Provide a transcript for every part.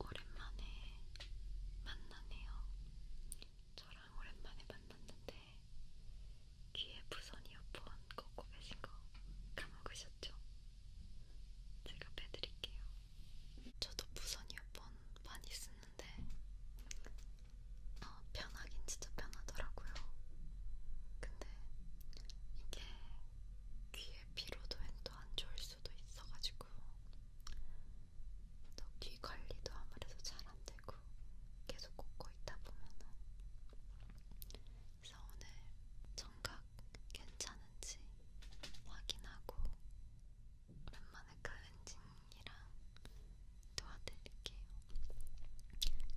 오랜만에 만나네요. 저랑 오랜만에 만났는데 귀에 무선 이어폰 꽂고 계신 거 까먹으셨죠? 제가 빼드릴게요. 저도 무선 이어폰 많이 쓰는데 어, 편하긴 진짜 편하더라고요. 근데 이게 귀에 피로도엔 또안 좋을 수도 있어가지고 또 귀 관리도 아무래도 잘 안 되고 계속 꽂고 있다 보면은 그래서 오늘 청각 괜찮은지 확인하고 오랜만에 클렌징이랑 도와드릴게요.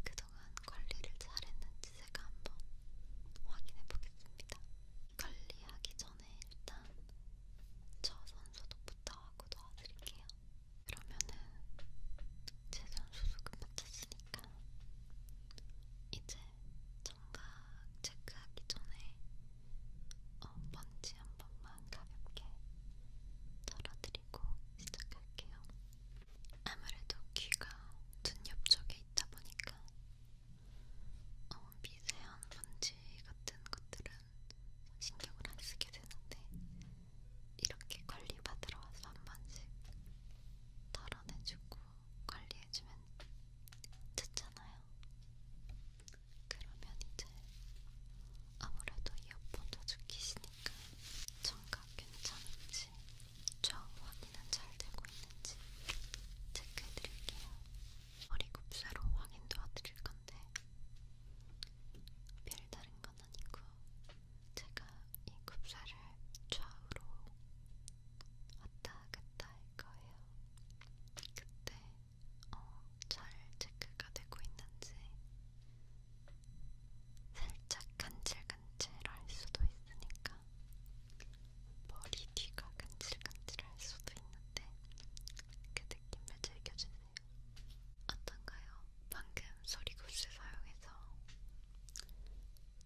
그동안 관리를 잘했는지 제가 한번 확인해 보겠습니다. 관리하기 전에 일단 저 손소독부터 하고 도와드릴게요. 그러면은 제 손소독은 마쳤으니까 이제 청각 체크하기 전에 어, 먼지 한 번만 가볍게 털어드리고 시작할게요. 아무래도 귀가 눈 옆쪽에 있다 보니까 어, 미세한 먼지 같은 것들은 신경을 안 쓰게 되는데 이렇게 관리 받으러 와서 한 번씩 덜어내주고 관리해주면 좋잖아요. 그러면 이제 아무래도 이어폰 자주 끼시니까 청각 괜찮은지 저 확인은 잘 되고 있는지 체크해드릴게요. 머리 굽사로 확인 도와드릴 건데 별다른 건 아니고 제가 이 굽사를 좌우로 왔다 갔다 할 거예요. 그때 어, 잘 체크가 되고 있는지 살짝 간질간질할 수도 있으니까 보니까 머리 뒤가 간질간질할 수도 있는데 그 느낌을 즐겨주세요. 어떤가요? 방금 소리구스 사용해서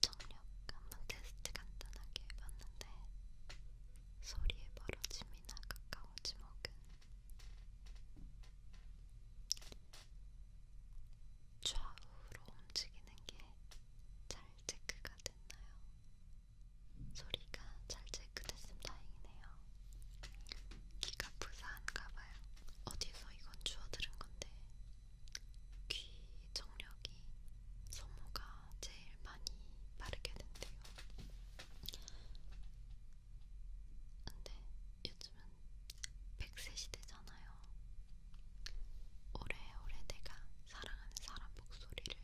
청력 한번 테스트 간단하게 해봤는데 소리의 멀어짐이나 가까워지목은 좌우로 움직이는 게잘 체크가 됐나요? 소리가 잘 체크됐으면 다행이네요. 귀가 부사한가봐요. 어디서 이건 주워 들은 건데 귀 정력이 소모가 제일 많이 빠르게 된대요. 근데 요즘은 100세 시대잖아요. 있잖아요. 오래오래 내가 사랑하는 사람 목소리를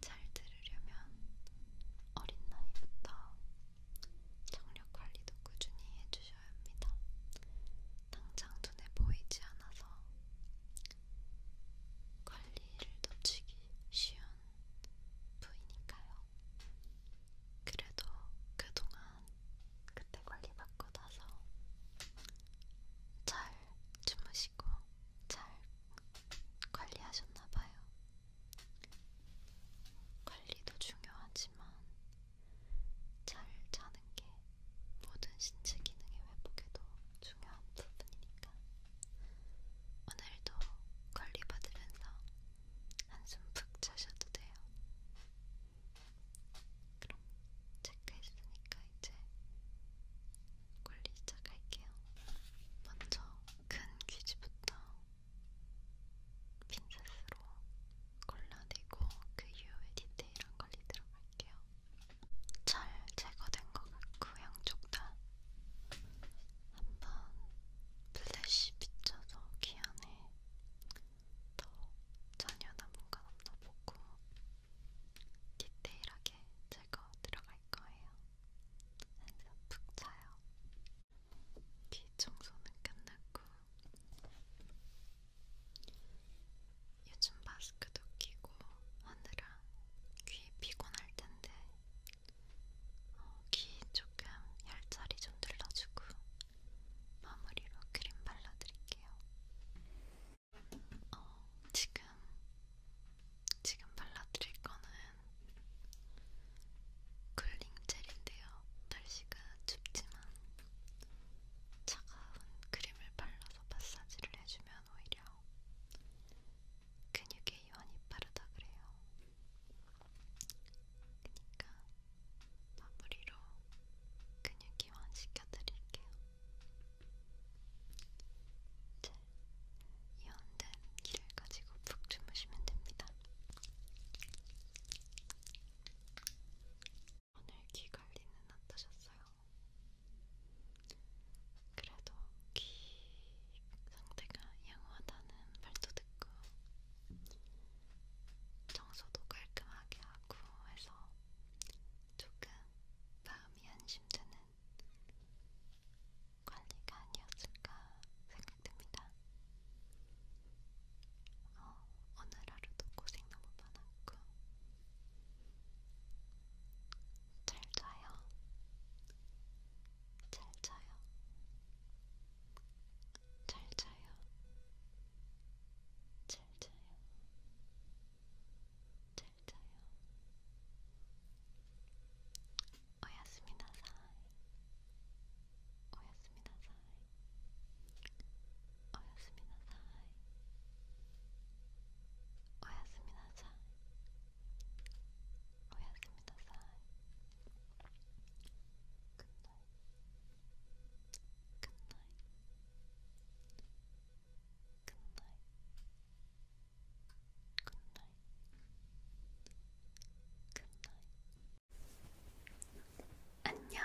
잘 들으려면 어린 나이부터 청력 관리도 꾸준히 해주셔야 합니다. 당장 눈에 보이지 않아서 관리를 놓치기 쉬운 부위니까요. 그래도 그동안 그때 관리받고 나서 잘 주무시고 잘 관리하셨나봐요. 관리도 중요하지만 잘 자는 게 모든 신체 기능의 회복에도 중요한 부분이니까 오늘도 관리 받으면서 한숨 푹 자셔도 돼요. 그럼 체크했으니까 이제 굴리 시작할게요. 먼저 큰 귀지부터 핀셋으로 골라내고 그 이후에 디테일한 관리 들어갈게요. 잘 제거된 것 같고 양쪽 다 한번 플래시 비춰서 귀 안에 더 전혀 남은 건 없나 보고 디테일하게 제거 들어갈 거예요. 한숨 푹 자요. 귀 청소는 끝났고 요즘 마스크도 끼고 하느라 귀 피곤할 텐데 어, 귀 조금 혈자리 좀 눌러주고 마무리로 크림 발라드릴게요. 어, 지금 지금 발라드릴 거는 쿨링 젤인데요. 날씨가 춥지만 차가운 크림을 발라서 마사지를 해주면 오히려 근육에 이완이 빠르다 그래요. 그러니까 마무리로 근육 이완 시켜드릴게요. 이제 이온된 기를 가지고 푹 주무시면 됩니다. 오늘 귀 관리는 어떠셨어요? 그래도 귀 상태가 양호하다는 말도 듣고 정서도 깔끔하게 하고 해서 조금 마음 마음이 안심되는 관리가 아니었을까 생각됩니다. 어, 오늘 하루도 고생 너무 많았고 잘 자요. 잘 자요. 잘 자요. 잘 자요. 잘자요 오야스미나사이 오야스미나사이 오야스미나사이 오야스미나사이 오야스미나사이 굿나잇 굿나잇 안녕.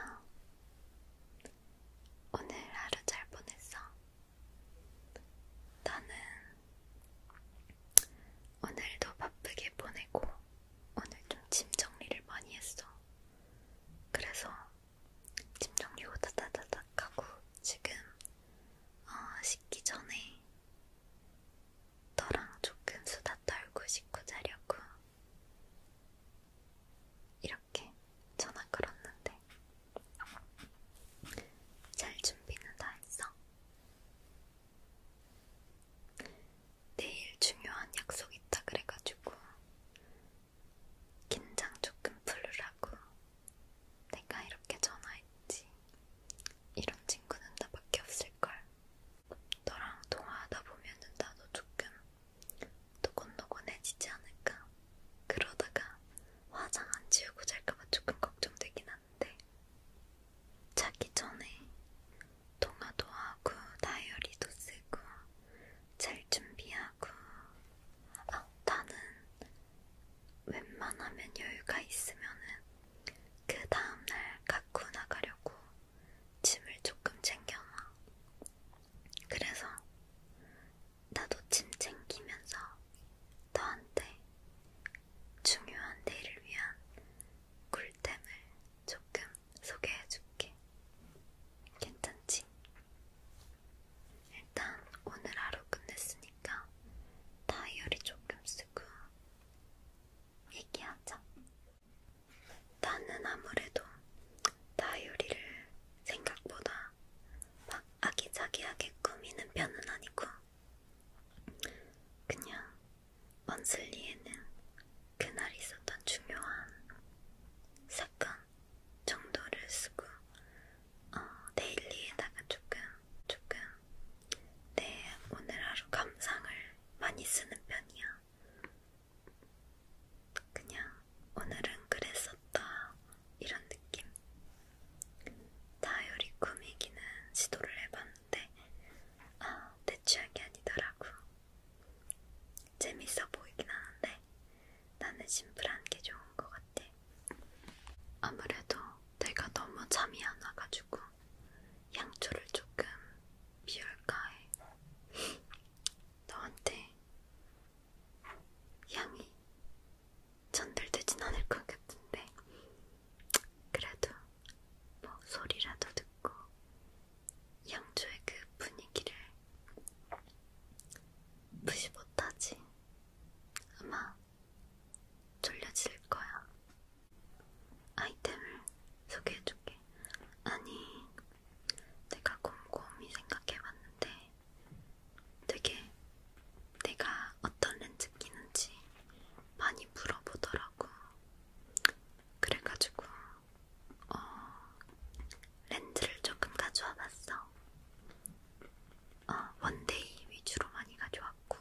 오늘 하루 잘 보냈어? 나는 오늘도 바쁘게 보내고 오늘 좀 짐 정리를 많이 했어. 그래서 짐 정리고 다다다닥 하고 지금 어, 씻기 전에 너랑 조금 수다 떨고 씻고 자려고 이렇게 전화 걸었는데 잘 준비는 다 했어? 내일 중요한 약속 있다 그래가지고 긴장 조금 풀으라고 내가 이렇게 전화했지. 이런 친구는 나밖에 없을걸. 너랑 통화하다 보면은 나도 조금 노곤노곤해지지 않을까. 그러다가 화장 안 지우고 잘까봐 조금 걱정되긴 한데. 자기 전에 통화도 하고 다이어리도 쓰고 잘 준비하고, 아, 나는 웬만하면 여유가 있으면은 그 다음날 갖고 나가려고 짐을 조금 챙겨놔. 그래서 나도 짐 챙기면서 너한테 중요한 내일을 위한 꿀템을 조금 소개해줄게. 괜찮지? 일단 오늘 하루 끝냈으니까 다이어리 조금 쓰고 얘기하자. 나는 아무래도 다이어리를 생각보다 막 아기자기하게 꾸미는 편은 아니고 그냥 원슬리에는 그날 있었던 중요한 사건 정도를 쓰고 어, 데일리에다가 조금 조금 내 네, 오늘 하루 감상을 많이 쓰는 편이야. 그냥 오늘은 그랬었다 이런 느낌. 다이어리 꾸미기는 시도를 해봤는데 아, 내 취향이 아니더라고. 재밌어 보이긴 하는데 나는 심플한 게 좋은 것 같아. 아무래도 내가 너무 잠이 안 와가지고 양초를 조금 비울까 해. 너한테 양이 전달되진 않을 것 같은데 그래도 뭐 소리라도 듣고 양초의 그 분위기를 무시 못하지. 아마 졸려질 거야. 아이템을 소개해줄게. 아니, 내가 곰곰이 생각해봤는데 되게 내가 어떤 렌즈 끼는지 많이 물어보더라고. 그래가지고 어, 렌즈를 조금 가져와봤어. 어, 아, 원데이 위주로 많이 가져왔고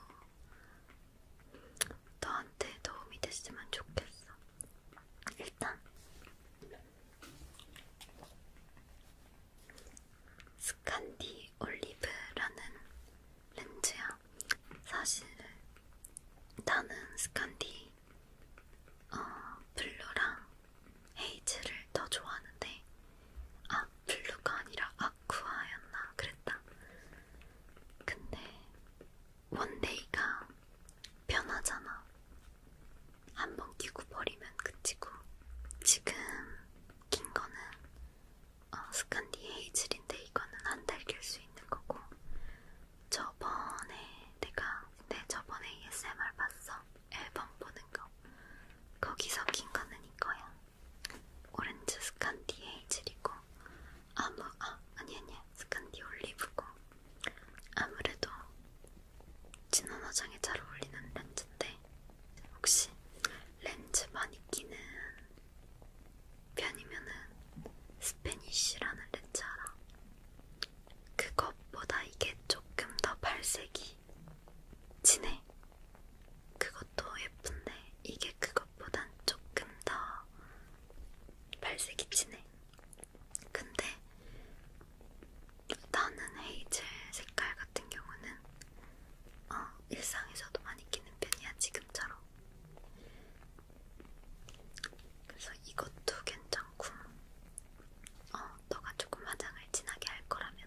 너한테 도움이 됐으면 좋겠어. 일단 스칸디 올리브라는 렌즈야. 사실 나는 스칸디 어, 블루랑 헤이즈를 더 좋아하는데 아 블루가 아니라 아쿠아였나 그랬다. 근데 원데이가 변하잖아. 한 번 끼고 버리면 그치고 지금 긴 거는 어, 스칸디 헤이즐인데 이거는 한달낄수 있는 거고 저번에 내가 내 네, 저번에 ASMR 봤어 앨범 보는 거 거기서 낀 거는 이거야. 오렌지 스칸디 헤이즐이고 아무 아 아니 아니야 스칸디 올리브고 아무래도 진한 화장에 잘 어울리는 렌즈인데 혹시 렌즈 많이 끼는 편이면은 스페니쉬라는 렌즈 알아? 그것보다 이게 조금 더 발색이 진해. 그것도 예쁜데 이게 그것보단 조금 더 발색이 진해. 근데 나는 헤이즐 색깔 같은 경우는 어, 일상에서도 많이 끼는 편이야 지금처럼. 그래서 이것도 괜찮고, 어, 너가 조금 화장을 진하게 할 거라면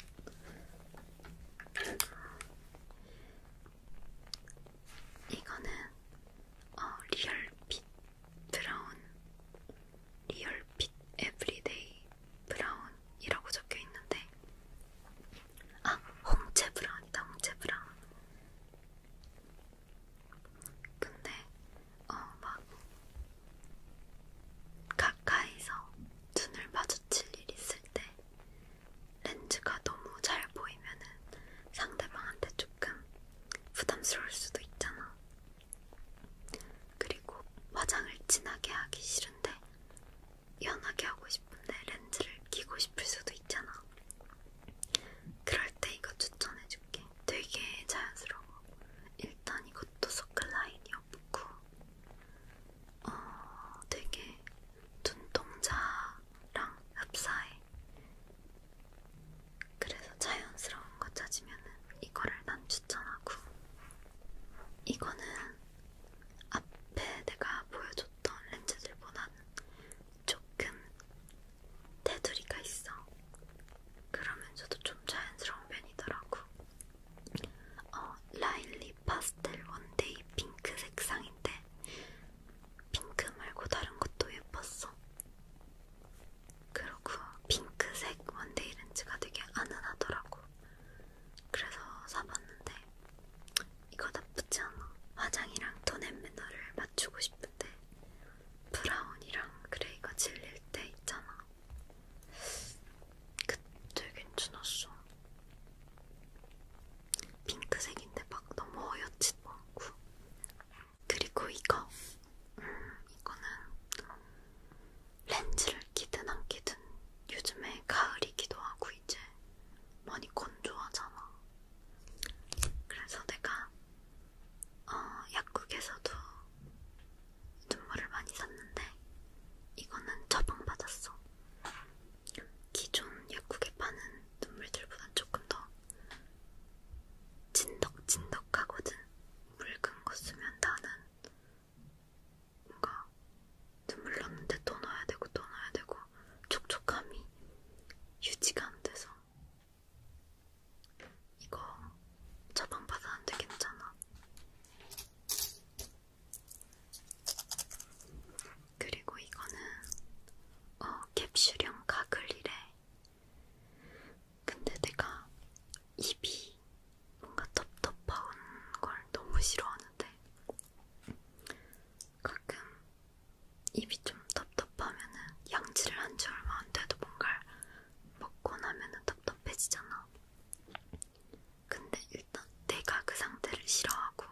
이거는 어, 리얼핏 브라운 리얼핏 에브리데이 브라운이라고 적혀 있는데 아 홍채 브라운이다 홍채 브라운 근데 어막 가까이서 눈을 마주칠 일 있을 때 렌즈가 너무 잘 보이면은 상대방한테 조금 부담스러울 수도 있잖아. 그리고 화장을 진하게 하기 싫은데 연하게 하고 싶은데 렌즈를 끼고 싶을 수도 있잖아. 그럴 때 이거 추천해줄게. 되게 자연스러워. 일단 이것도 소클라인이요. 않고 어, 되게 눈동자랑 흡사해. 그래서 자연스러운 거 찾으면은 이거를 난 추천하고 이거는 앞에 내가 보여줬던 렌즈들보다는 조금 테두리가 있어. 그러면서도 좀 자연스러운 편이더라고. 어, 라일리 파스텔 원데이 핑크 색상인데 핑크 말고 다른 것도 예뻤어. 그러고 핑크색 원데이 렌즈가 되게 아는하더라고. 그래서 사봤는데 이거 나쁘지 않아. 화장이랑 톤앤 매너를 맞추고 싶은데 브라운이랑 그레이가 질릴 때 있잖아. 그때 괜찮았어. 핑크색인데 막 너무 어여치도 않고. 그리고 이거. 음, 이거는 렌즈를 끼든 안 끼든 요즘에 가을이기도 하고 이제 많이 건조하잖아. 그래서 내가 어, 약국에서도 눈물을 많이 샀는데 이거는 처방받았어. 기존 약국에 파는 눈물들보단 조금 더 진덕진덕하거든. 묽은 거 쓰면 나는 뭔가 눈물 났는데 또 넣어야 되고 또 넣어야 되고 촉촉함이 유지가 안 돼서 이거 처방받았는데 괜찮아. 그리고 이거는 어, 캡슐형 가글이래. 근데 내가 입이 뭔가 텁텁한 걸 너무 싫어하는데 가끔 입이 좀 텁텁하면은 양치를 한지 얼마 안 돼도 뭔가 먹고 나면은 텁텁해지잖아. 근데 일단 내가 그 상태를 싫어하고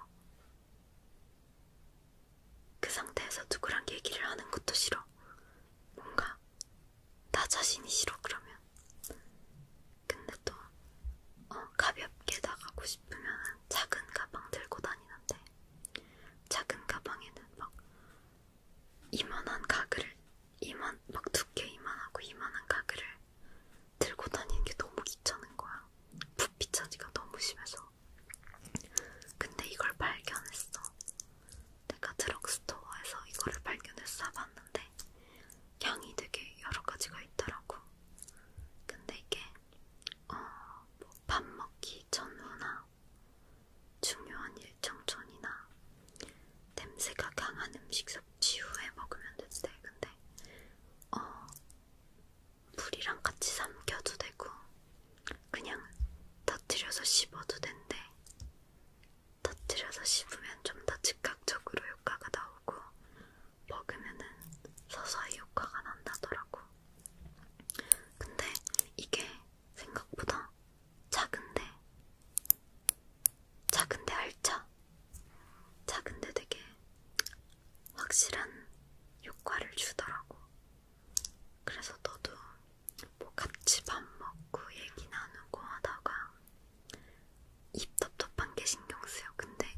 그 상태에서 누구랑 얘기를 하는 것도 싫어. 뭔가 나 자신이 싫어 그러면. 근데 또 어, 가볍게 나가고 싶으면 작은 가방 들고 다니는데 작은 가방에는 막 이만한 가글을 이만 막 두께 이만하고 이만한 가글을 들고 다니는 게 너무 귀찮은 거야. 부피 차지가 너무 심해서. 근데 이걸 발견했어. 내가 드럭스토어에서 이거를 발견해서 사봤는데 향이 되게 여러 가지가 있더라고. 근데 이게 어뭐 밥 먹기 전후나 중요한 일정 전이나 냄새가 강한 음식 섭취 후에 먹으면 되지 근데 어 물이랑 같이 삼켜도 되고 그냥 터뜨려서 씹어도 된대. 터뜨려서 씹으면 좀 더 즉각적으로 효과가 나오고 먹으면은 서서히 효과가 난다더라고. 근데 이게 생각보다 작은데 작은데 알차. 작은데 되게 확실한 효과를 주더라고. 그래서 너도 뭐 같이 밥 먹고 얘기 나누고 하다가 입 텁텁한 게 신경 쓰여. 근데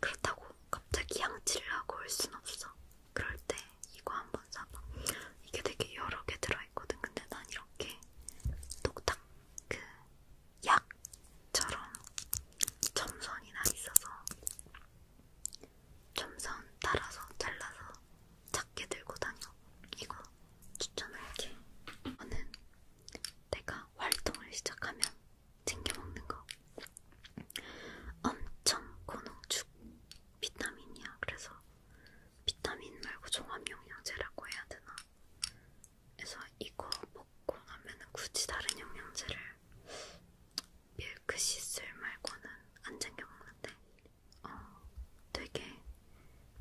그렇다고 갑자기 양치를 하고 올 순 없어. 그럴 때 이거 한번 사봐. 이게 되게 여러 개 들어있거든. 근데 난 이렇게 똑딱 그 약처럼 점선이 나 있어서 점선 따라서 잘라서 작게 들고 다녀. 이거 추천할게. 저는 내가 활동을 시작하면 챙겨 먹는 거 엄청 고농축 비타민이야. 그래서 비타민 말고 종합영양제라고 해야 되나? 그래서 이거 먹고 나면은 굳이 다른 영양제를 밀크시슬 그 말고는 안 챙겨 먹는데 어, 되게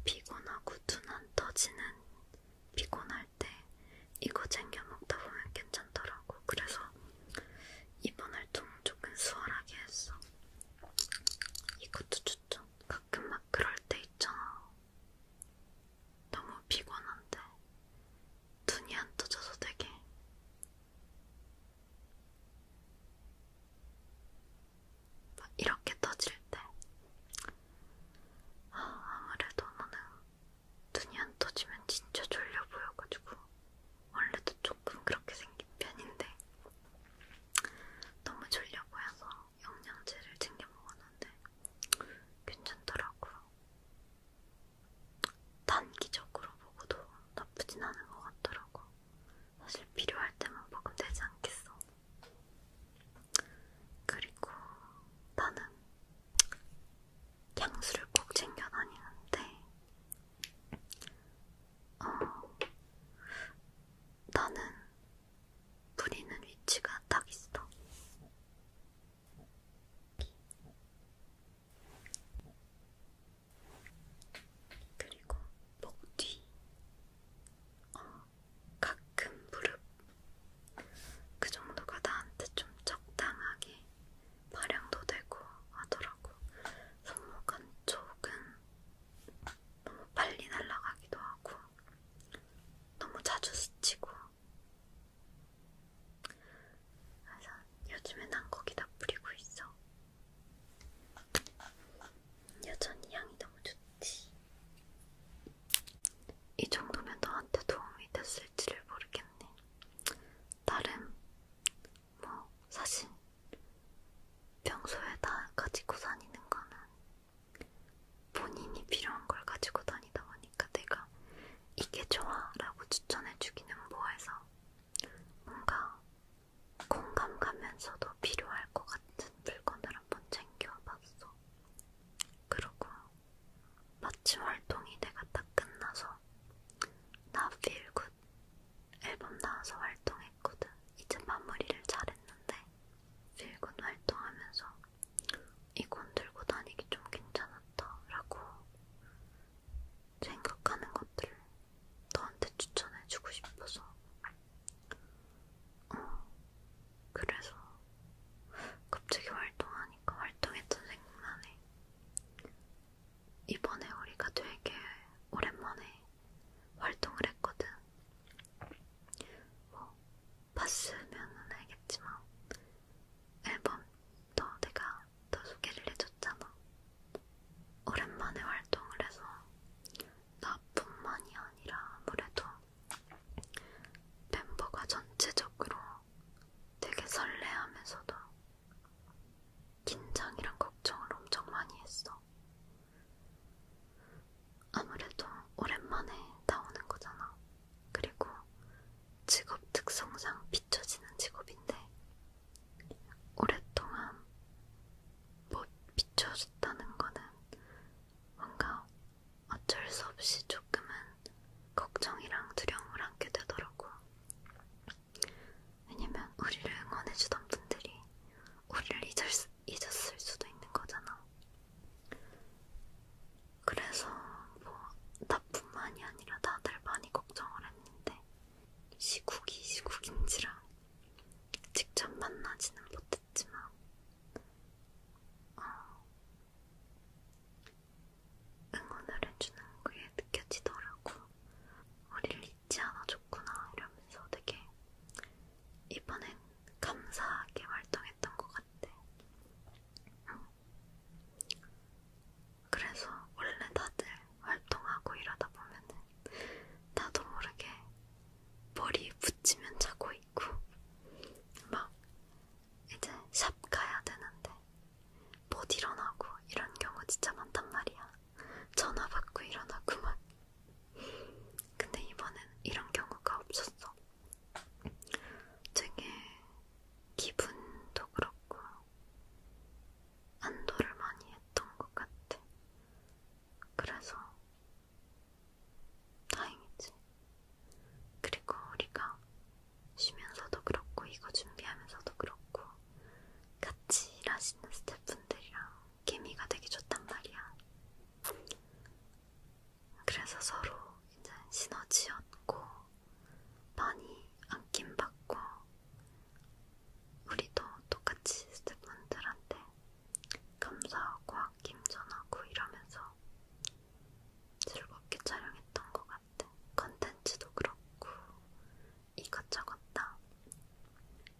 피곤하고 눈안 떠지는 피곤할 때 이거 챙겨 먹다 보면 괜찮더라고. 그래서 이번 활동 조금 수월하게 했어. 이것도 추천. 가끔 막 그럴 때 있잖아. 너무 피곤한데 눈이 안 떠져서 되게 막 이렇게 떠질 때 아, 아무래도 나는 눈이 안 떠지면 진짜 졸려 보여가지고 원래도 조금 그렇게 생긴 편인데 너무 졸려 보여서 영양제를 챙겨 먹었는데 괜찮더라고요. 단기적으로 보고도 나쁘진 않은 것 같더라고. 사실 필요할 때만 먹으면 되지 않겠어. 그리고 나는 향수를 꼭 챙겨 다니는데, 어, 나는 부리는 위치가 딱 있어. 그리고 목 뒤, 어, 가끔 무릎 그 정도가 나한테 좀 적당하게 발향도 되고 하더라고. 손목 한쪽은 너무 빨리 날아가기도 하고 너무 자주 스치고 그래서 요즘엔 안 거기다 뿌리고 있어 여전히 향이 너무 좋지 이 정도면 너한테 도움이 됐을지를 모르겠네 나름 뭐 사실 평소에 다 가지고 다니는 거는 본인이 필요한 걸 가지고 다니다 보니까 내가 이게 좋아 라고 추천해주기는 뭐해서 뭔가 공감 가면서도 필요할 것 같은 물건을 한번 챙겨봤어. 그리고 마침 활동이 내가 딱 끝나서 나 필굿 앨범 나와서 활동했거든. 이제 마무리를 잘했는데 필굿 활동하면서 이건 들고 다니기 좀 괜찮았다라고 생각하는 것들을 너한테 추천해주고 싶어서 어, 그래서 갑자기 활동하니까 활동했던 생각나네 이번에 우리가 되게 오랜만에 활동을 했거든 뭐 봤으면은 알겠지만 앨범 더 내가 더 소개를 해줬잖아. 오랜만에 활동을 해서 나뿐만이 아니라 아무래도 멤버가 전체적으로 되게 설레하면서도 긴장이랑 걱정을 엄청 많이 했어. 아무래도 오랜만에 나오는 거잖아. 그리고 직업 특성상 비춰지는 직업인데 오랫동안 못 뭐 비춰졌다는 거는 뭔가 어쩔 수 없이 조금은 걱정이랑 두려움을 안게 되더라고. 왜냐면 우리를 응원해주던 분들이 우리를 잊었, 잊었을 수도 있는 거잖아. 그래서 뭐 나뿐만이 아니라 다들 많이 걱정을 했는데 시국이 시국인지라 직접 만나지는 못했지만 어, 응원을 해주는 게 느껴지더라고. 우리를 잊지 않아줬구나 이러면서 되게 이번엔 감사하게 활동해 했던 것 같아. 어. 그래서 원래 다들 활동하고 이러다 보면은 나도 모르게 머리에 붙이면 자고 있고 막 이제 샵 가야 되는데 못 일어나고 이런 경우 진짜 많단 말이야. 전화 받고 일어나고 막. 근데 이번엔 이런 경우가 없었어. 되게 기분도 그렇고 안도를 많이 했던 것 같아. 그래서 다행이지. 그리고 우리가 쉬면서도 그렇고 이거 준비하면서도 그렇고 같이 일하시는 스태프분들이랑 케미가 되게 좋단 말이야. 그래서 서로 이제 시너지였고 많이 안김받고 우리도 똑같이 스태프분들한테 감사하고 아낌 전하고 이러면서 즐겁게 촬영했던 것 같아. 컨텐츠도 그렇고 이것저것 다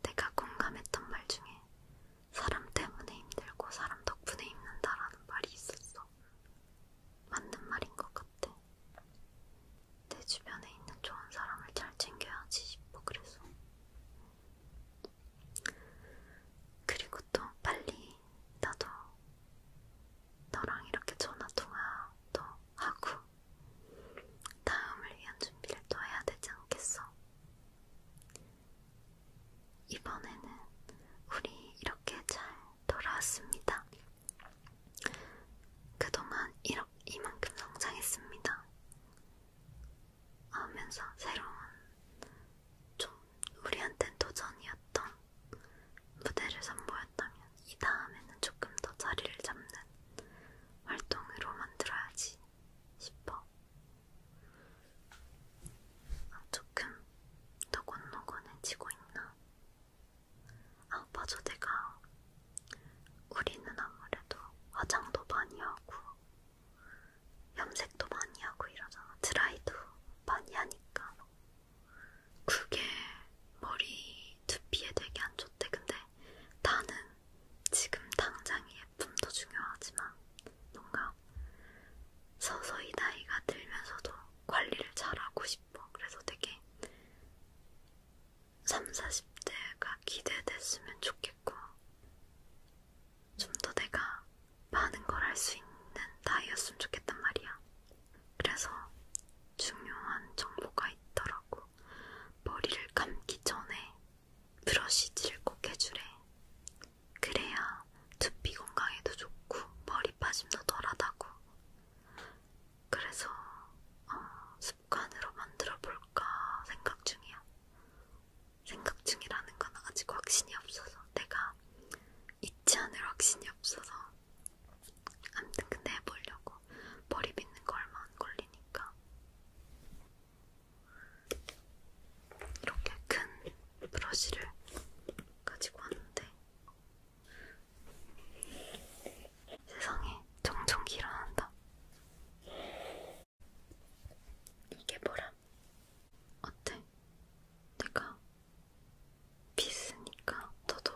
내가 공감했던 말 중에 사람 때문에 힘들고 사람 덕분에 힘든다라는 말이 있었어. 맞는 말인 것 같아. 내 주변에 있는 좋은 사람을 잘 챙겨야지 싶어 그래서. 그리고 또 빨리 나도 너랑 이렇게 전화 통화도 하고 다음을 위한 준비를 또 해야 되지 않겠어? 이번에는 우리 이렇게 잘 돌아왔습니다. 그동안 이렇, 이만큼 성장했습니다. 하면서 새로운 좀 우리한텐 도전이었던 무대를 선보였다면 이 다음에는 조금 더 자리를 잡는 활동으로 만들어야지 싶어 아, 조금 노곤노곤해지고 있나? 아 맞아 내가 우리는 아무래도 화장도 많이 하고 염색도 많이 하고 이러잖아 드라이도 많이 하니까 그게 머리 두피에 되게 안 좋대 근데 나는 지금 당장의 예쁨도 중요하지만 뭔가 서서히 나이가 들면서도 관리를 잘하고 싶어. 그래서 되게 3, 40대가 기대됐으면 좋겠고, 좀 더 내가 많은 걸 할 수 있는 나이였으면 좋겠단 말이야. 그래서 중요한 정보가 있더라고. 머리를 감기 전에 브러시질꼭 해주래. 그래야 두피 건강에도 좋고 머리 빠짐도 덜하다고. 그래서 어, 습관으로 만들어 볼까 생각 중이야. 생각 중이라는 건 아직 확신이 없어서 내가 잊지 않을 확신이 없어서. 아무튼 근데 해보려고 머리 빗는 거 얼마 안 걸리니까. 이렇게 큰 브러쉬를 가지고 왔는데 세상에 정전기라 한다. 이게 뭐라? 어때? 내가 믿으니까 너도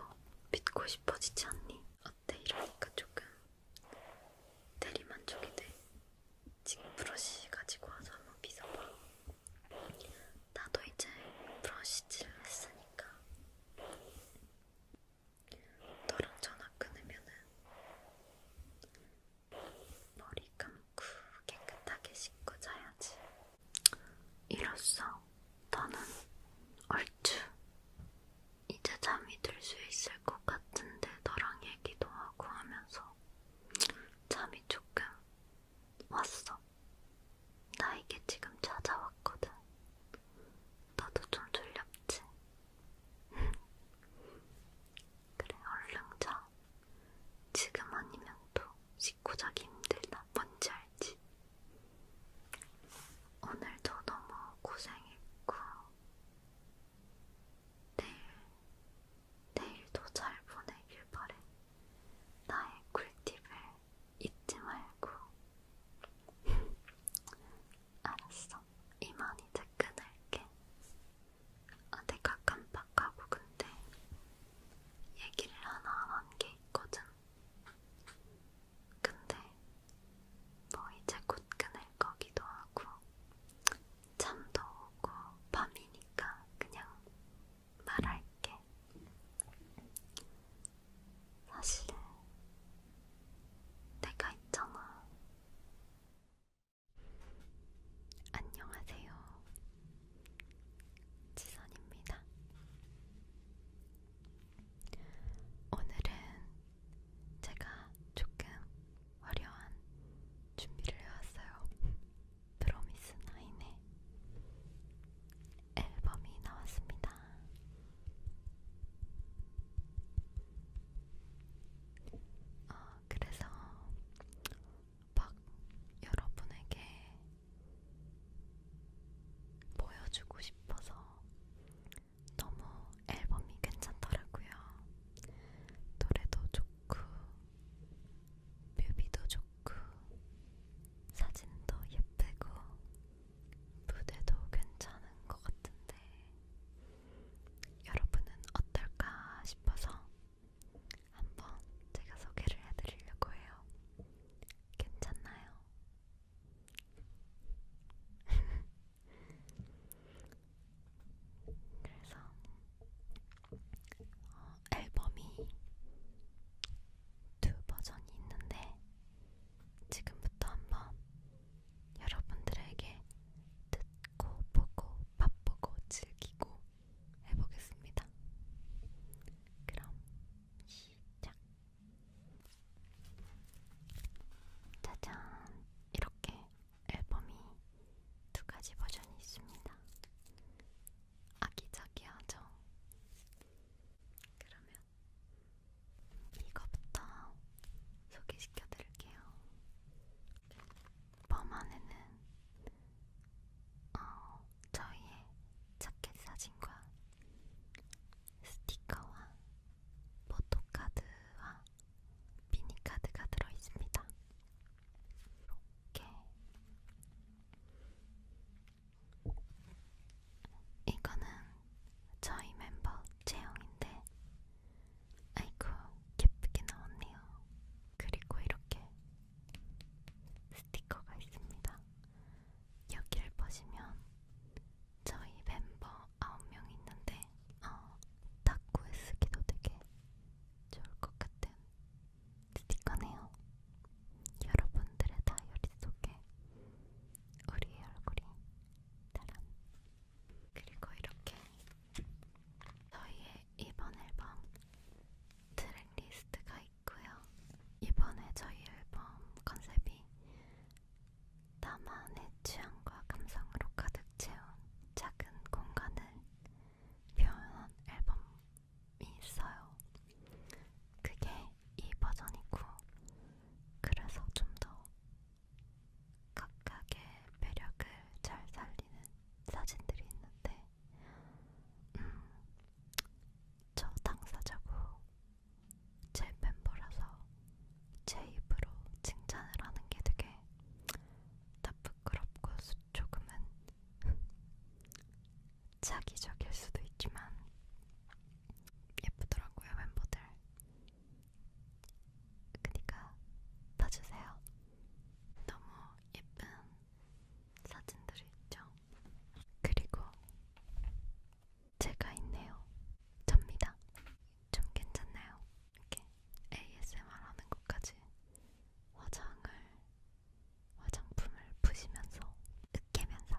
믿고 싶어지지 않니? 어때? 이러니까 조금 대리만족이 돼. 지금 브러쉬 가지고 와서 한번 빗어봐. 나도 이제 브러시질 했으니까 너랑 전화 끊으면은 머리 감고 깨끗하게 씻고 자야지. 이로써 나는 얼추 이제 잠이 들 수 있을 것 같은데 너랑 얘기도 하고 하면서 잠이 조금 왔어. 나에게 지금 찾아왔거든. 너도 좀 졸렸지? 그래, 얼른 자. 지금 아니면 또 씻고 자기 힘들다. 뭔지 알지? 오늘도 너무 고생했고, 내일 내일도 잘 보내길 바래. 나의 꿀팁을 잊지 말고. 알았어. 이만 이제 끊을게. 아, 내가 깜빡하고 근데 얘기를 하나 안한게 있거든. 근데 뭐 이제 곧 끊을 거기도 하고 잠도 오고 밤이니까 그냥 말할게. 사실 내가 있잖아. 안녕하세요. 지선입니다. 오늘은 제가 조금 화려한 준비를 해왔어요. 프로미스 나인의 앨범이 나왔습니다. 어, 그래서 막 여러분에게 보여주고 싶어서 너무 앨범이 괜찮더라고요. 노래도 좋고 뮤비도 좋고 사진도 예쁘고 무대도 괜찮은 것 같은데 여러분은 어떨까 싶어서 한번 제가 소개를 해드리려고 해요. 괜찮나요? 그래서 어, 앨범이 두 버전이 있는데 지금부터 한번 여러분들에게 듣고 보고 맛보고 즐기고 해보겠습니다. 그럼 시작. 짜잔! 이렇게 앨범이 두 가지 버전이 있습니다. 아기자기하죠. 그러면 이거부터 소개시켜 드릴게요. 펌 안에는 어, 저희의 자켓 사진과 스티커와 포토카드와 미니카드가 들어있습니다. 이렇게 이거는 저희 멤버 제형인데 아이고 예쁘게 나왔네요. 그리고 이렇게 스티커가 있습니다. 여기를 보시면 저희 멤버 9명 있는데 어, 탁구에 쓰기도 되게 좋을 것 같은 스티커네요. 여러분들의 다이어리 속에 우리의 얼굴이 따란 그리고 이렇게 저희의 이번 앨범 트랙리스트가 있고요. 이번에 저희 앨범 컨셉이 나만의 취향과 감성으로 가득 채운 작은 공간을 표현한 앨범 있어요. 그게 이 버전이고, 그래서 좀 더 각각의 매력을 잘 살리는 사진들이 있는데, 음, 저 당사자고 제 멤버라서 제 입으로 칭찬을 하는 게 되게 다 부끄럽고 조금은 자기적일 수도 있지만 예쁘더라고요 멤버들. 그니까 봐주세요. 너무 예쁜 사진들이 있죠. 그리고 제가 있네요. 접니다. 좀 괜찮나요? 이렇게 ASMR 하는 것까지 화장을 화장품을 부시면서 으깨면서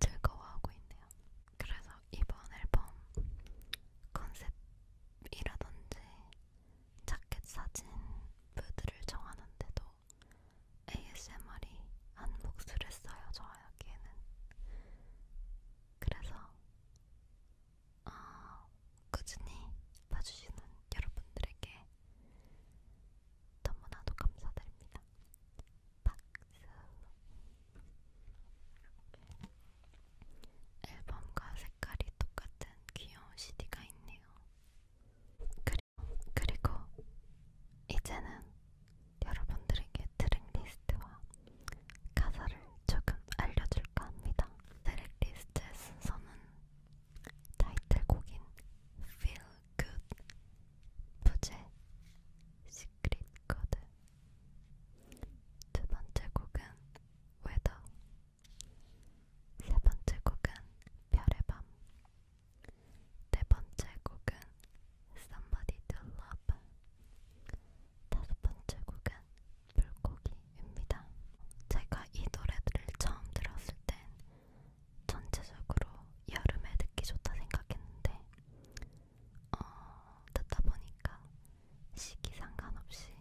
즐거워하고 있네요. 그래서 이번 앨범 컨셉이라든지 자켓 사진 무드를 정하는데도 ASMR이 한 몫을 했어요. 저에게는. 그래서 어, 꾸준히 봐주시는 여러분들에게 너무나도 감사드립니다. 박수! 이렇게 앨범과 색깔이 똑같은 귀여운 CD가 있네요. 그리고, 그리고 이제는 여러분들에게 트랙리스트와 가사를 조금 알려줄까 합니다. 트랙리스트의 순서는 타이틀곡인 Feel Good 부제 시크릿 코드 두 번째 곡은 Weather 세 번째 곡은 별의 밤네 번째 곡은 Somebody to Love 다섯 번째 곡은 물고기입니다. 제가 이 노래들을 처음 들었을 땐 전체적으로 여름에 듣기 좋다 생각했는데 어, 듣다 보니까 시기 상관없이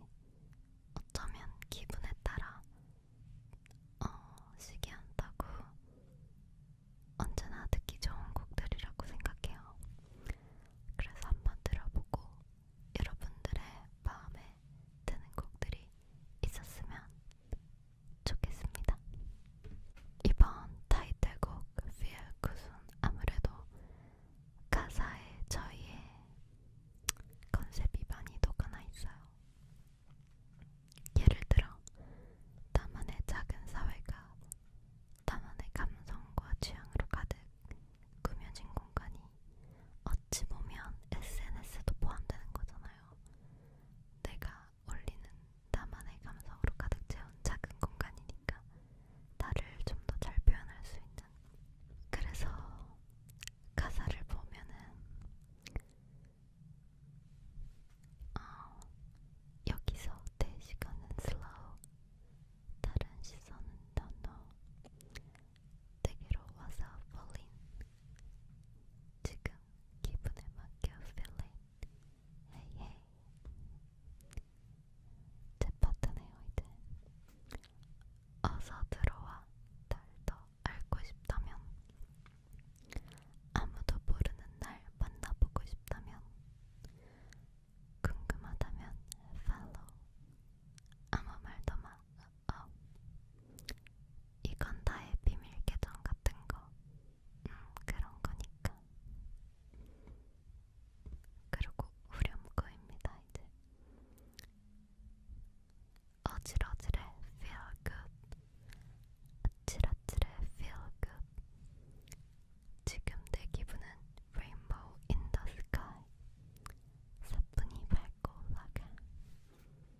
어쩌면 기분에 따라 어, 시기 안 따고 언제나 듣기 좋은 곡들이라고 생각해요. 그래서 한번 들어보고 여러분들의 마음에 드는 곡들이 있었으면 좋겠습니다. 이번 타이틀곡 Feel Good은 아무래도 가사에 저희의 컨셉이 많이 녹아나 있어요. 예를 들어 나만의 작은 사회가 나만의 감성과 취향으로 가득 꾸며진 공간이 어찌 보면 SNS도 포함되는 거잖아요. 내가 올리는 나만의 감성으로 가득 채운 작은 공간이니까 나를 좀 더 잘 표현할 수 있는 그래서 가사를 보면은 어, 여기서 내 시간은 슬로우 다른 시선은 넌너 내게로 와서 falling 지금 기분에 맡겨 feeling hey hey 제 파트네요 이제 어서 들어와 날 더 알고 싶다면 아무도 모르는 날 만나보고 싶다면 궁금하다면 follow 아무 말도 마 어, 이건 나의 비밀 계정 같은 거, 음, 그런 거니까. 그리고 후렴구입니다, 이제. 어질어질해 feel good. 아찔아찔해 feel good. 지금 내 기분은 rainbow in the sky. 사뿐히 밝고 올라가.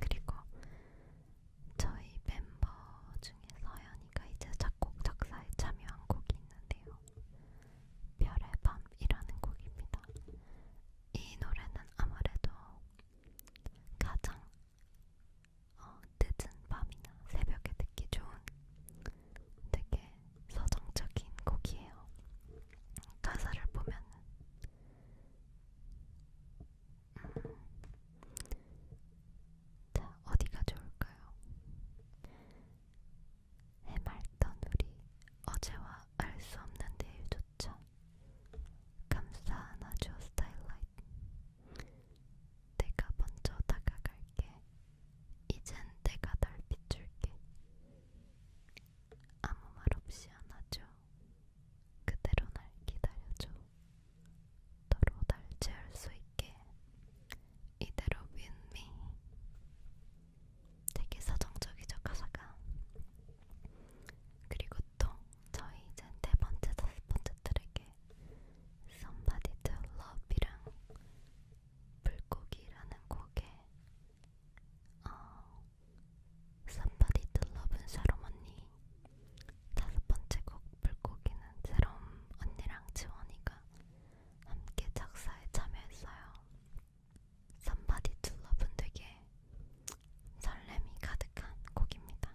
그리고 저희 멤버 중에 서연이가 이제 작곡 작사에 참여한 곡이 있는데요. 별의 밤이라는 곡입니다. 이 노래는 아무래도 가장 어, 늦은 밤이나 새벽에 듣기 좋은 되게 서정적인 곡이에요. 가사를 보면 자, 어디가 좋을까요? 해맑던 우리 어제와 알 수 없는 내일조차 감사한 아주 스타일라이트 내가 먼저 다가갈게 이젠 내가 널 비출게 아무 말 없이 안아줘 그대로 날 기다려줘 서로 날지할 수 있게 이대로 윈미 되게 서정적이죠 가사가 그리고 또 저희 이제 네 번째 다섯 번째 트랙에 Somebody to Love이랑 불고기라는 곡에 어, Somebody to Love은 샤롬 언니 다섯 번째 곡 물고기는 새롬 언니랑 지원이가 함께 작사에 참여했어요. Somebody to Love는 되게 설렘이 가득한 곡입니다.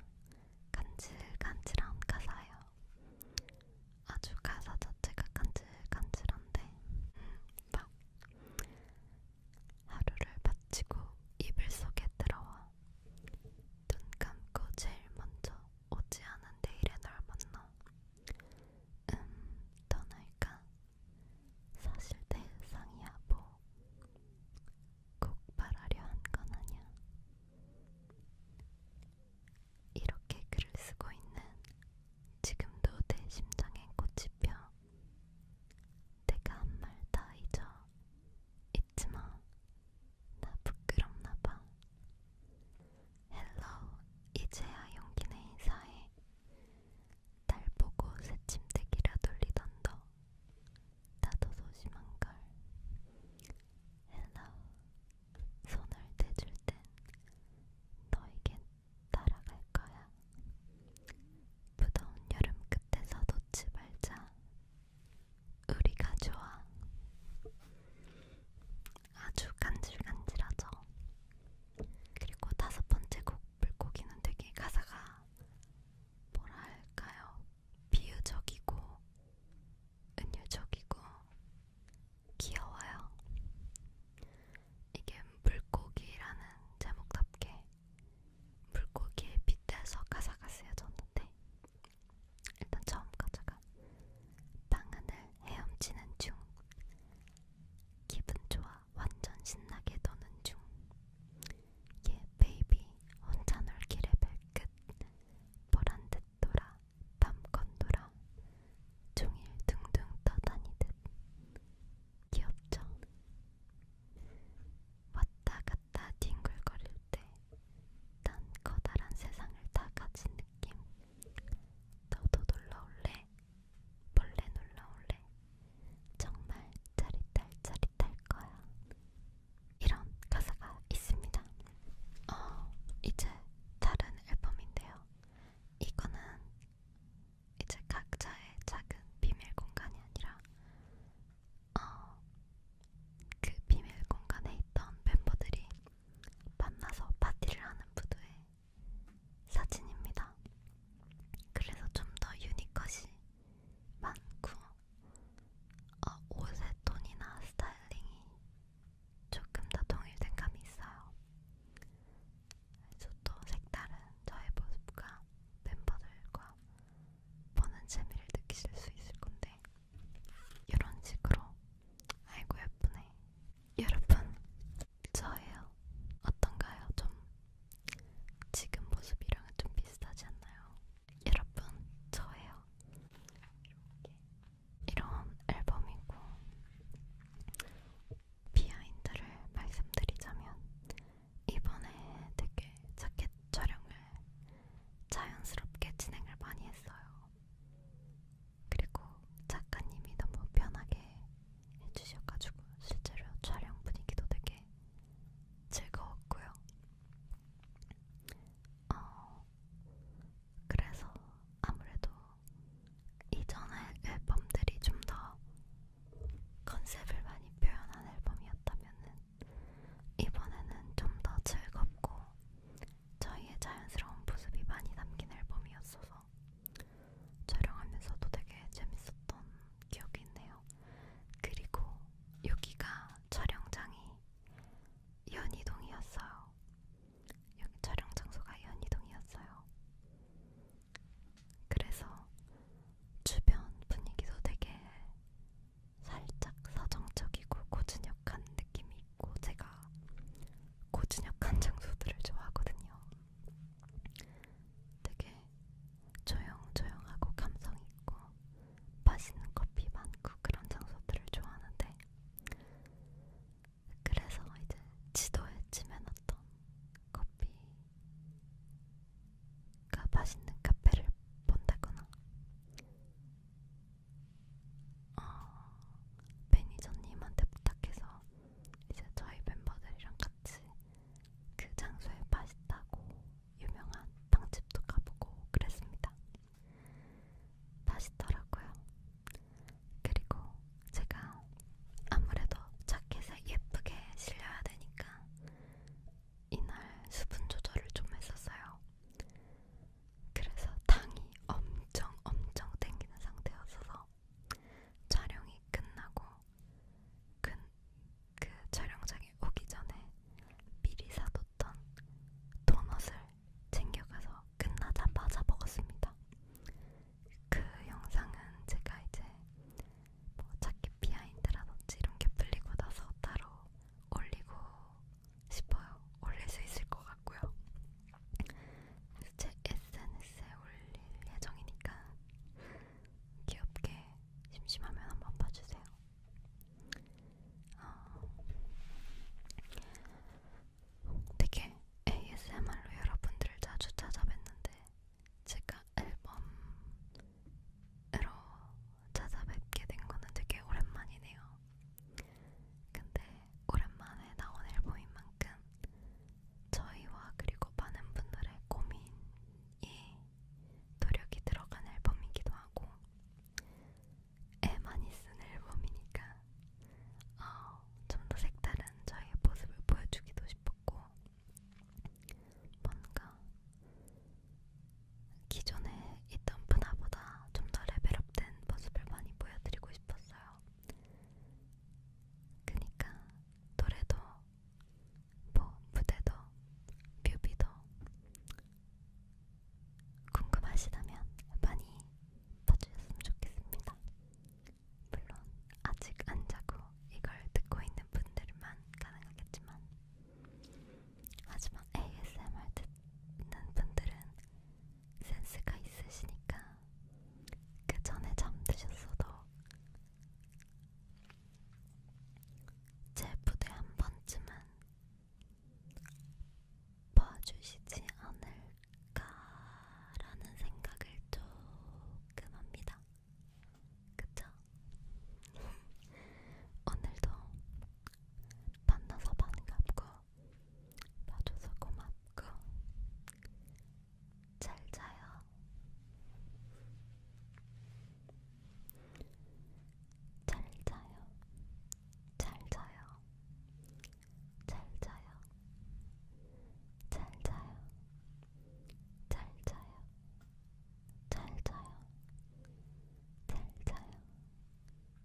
간질간질한 가사예요. 아주 가사 자체가 간질간질한데 음, 막 하루를 마치고 이불 속에 들어와 눈 감고 제일 먼저 오지 않은 내일의 널 만나. 음, 떠날까? 사실 내 상이야 뭐. 꼭 말하려 한 건 아니야. 이렇게 글을 쓰고 있는 지금도 내 심장엔 꽃이 펴. 내가 한 말 다 잊어 잊지마 나 부끄럽나봐 헬로 이제야 용기내 인사해 날 보고 새침대기라 돌리던 너 나도 소심한걸 헬로 손을 대줄 땐 너에겐 따라갈 거야 무더운 여름 끝에서 놓지 말자 우리가 좋아. 아주 간질간질하죠. 그리고 다섯 번째 곡 물고기는 되게 가사가 뭐랄까요? 비유적이고 은유적이고 귀여워요. 이게 물고기라는 제목답게 물고기에 빗대서 가사가 쓰여졌는데 일단 처음 가자가 방 안을 헤엄치는 중 기분 좋아 완전 신나게 노는 중예 베이비 혼자 놀기 레벨 끝 보란듯 돌아 밤껏 놀아 종일 둥둥 떠다니듯 귀엽죠? 왔다 갔다 뒹굴거릴 때난 커다란 세상을 다 가진 느낌 너도 놀러올래? 몰래 놀러올래? 정말 짜릿할 짜릿할 거야 이런 가사가 있습니다 어, 이제 다른 앨범인데요 이거는 이제 각자의 작은 비밀 공간이 아니라 어, 그 비밀 공간에 있던 멤버들이 만나서 파티를 하는 부두의 사진입니다. 그래서 좀 더 유니컷이 많고 어, 옷의 톤이나 스타일링이 조금 더 동일된 감이 있어요. 그래서 또 색다른 저의 모습과 멤버들과 보는 재미를 느끼실 수 있을 건데 이런 식으로 아이고 예쁘네 여러분 저예요 어떤가요? 좀 지금 모습이랑은 좀 비슷하지 않나요? 여러분 저예요 이렇게 이런 앨범이고 비하인드를 말씀드리자면 이번에 되게 자켓 촬영을 자연스럽게 진행을 많이 했어요. 그리고 작가님이 너무 편하게 해주셔가지고 실제로 촬영 분위기도 되게 즐거웠고요. 어, 그래서 아무래도 이전의 앨범들이 좀 더 컨셉을 많이 표현한 앨범이었다면은 이번에는 좀 더 즐겁고 저희의 자연스러운 모습이 많이 담긴 앨범이었어서 촬영하면서도 되게 재밌었던 기억이 있네요. 그리고 여기가 촬영장이 연희동이었어요. 여기 촬영 장소가 연희동이었어요. 그래서 주변 분위기도 되게 살짝 사정적이고 고즈넉한 느낌이 있고 제가 고즈넉한 장소들을 좋아하거든요. 되게 조용조용하고 감성 있고 맛있는 커피 많고 그런 장소들을 좋아하는데 그래서 이제 지도에 찜해놨던 커피가 맛있는 카페를 본다거나 어, 매니저님한테 부탁해서 이제 저희 멤버들이랑 같이 그 장소에 맛있다고 유명한 빵집도 가보고 그랬습니다. 맛있더라고요. 그리고 제가 아무래도 자켓에 예쁘게 실려야 되니까 이날 수분 조절을 좀 했었어요. 그래서 당이 엄청 엄청 땡기는 상태였어서 촬영이 끝나고 그, 그 촬영장에 오기 전에 미리 사뒀던 도넛을 챙겨가서 끝나자마자 먹었습니다. 그 영상은 제가 이제 뭐 찾기 비하인드라든지 이런 게 풀리고 나서 따로 올리고 싶어요. 올릴 수 있을 것 같고요. 그래서 제 SNS에 올릴 예정이니까 귀엽게 심심하면 한번 봐주세요. 어, 되게 ASMR로 여러분들을 자주 찾아뵀는데 제가 앨범으로 찾아뵙게 된 거는 되게 오랜만이네요. 근데 오랜만에 나온 앨범인 만큼 저희와 그리고 많은 분들의 고민이 노력이 들어간 앨범이기도 하고 애 많이 쓴 앨범이니까 어, 좀더 색다른 저희의 모습을 보여주기도 싶었고 뭔가 기존에 있던 분화보다 좀 더 레벨업된 모습을 많이 보여드리고 싶었어요. 그니까 노래도 뭐 무대도 뮤비도 궁금하시다면 많이 봐주셨으면 좋겠습니다. 물론 아직 안 자고 이걸 듣고 있는 분들만 가능하겠지만 하지만 ASMR 듣는 분들은 센스가 있으시니까 그 전에 잠드셨어도 제 부대 한 번쯤은 봐주시지 않을까라는 생각을 조금 합니다. 그쵸? 오늘도 만나서 반갑고 봐줘서 고맙고 잘 자요. 잘 자요. 잘 자요. 잘 자요. 잘 자요. 잘 자요. 잘 자요. 잘 자요. 잘 자요.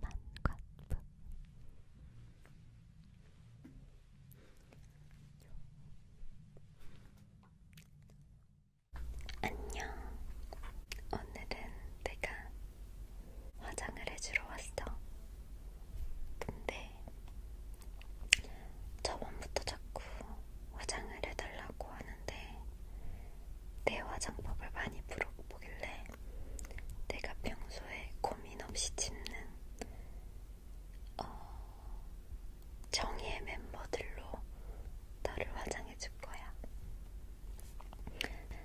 만관부 안녕. 오늘은 내가 화장을 해주러 왔어. 근데 저번부터 자꾸 화장을 해달라고 하는데 내 화장법을 많이 물어보길래 내가 평소에 고민 없이 짓는 어, 정의의 멤버들로 너를 화장해줄 거야.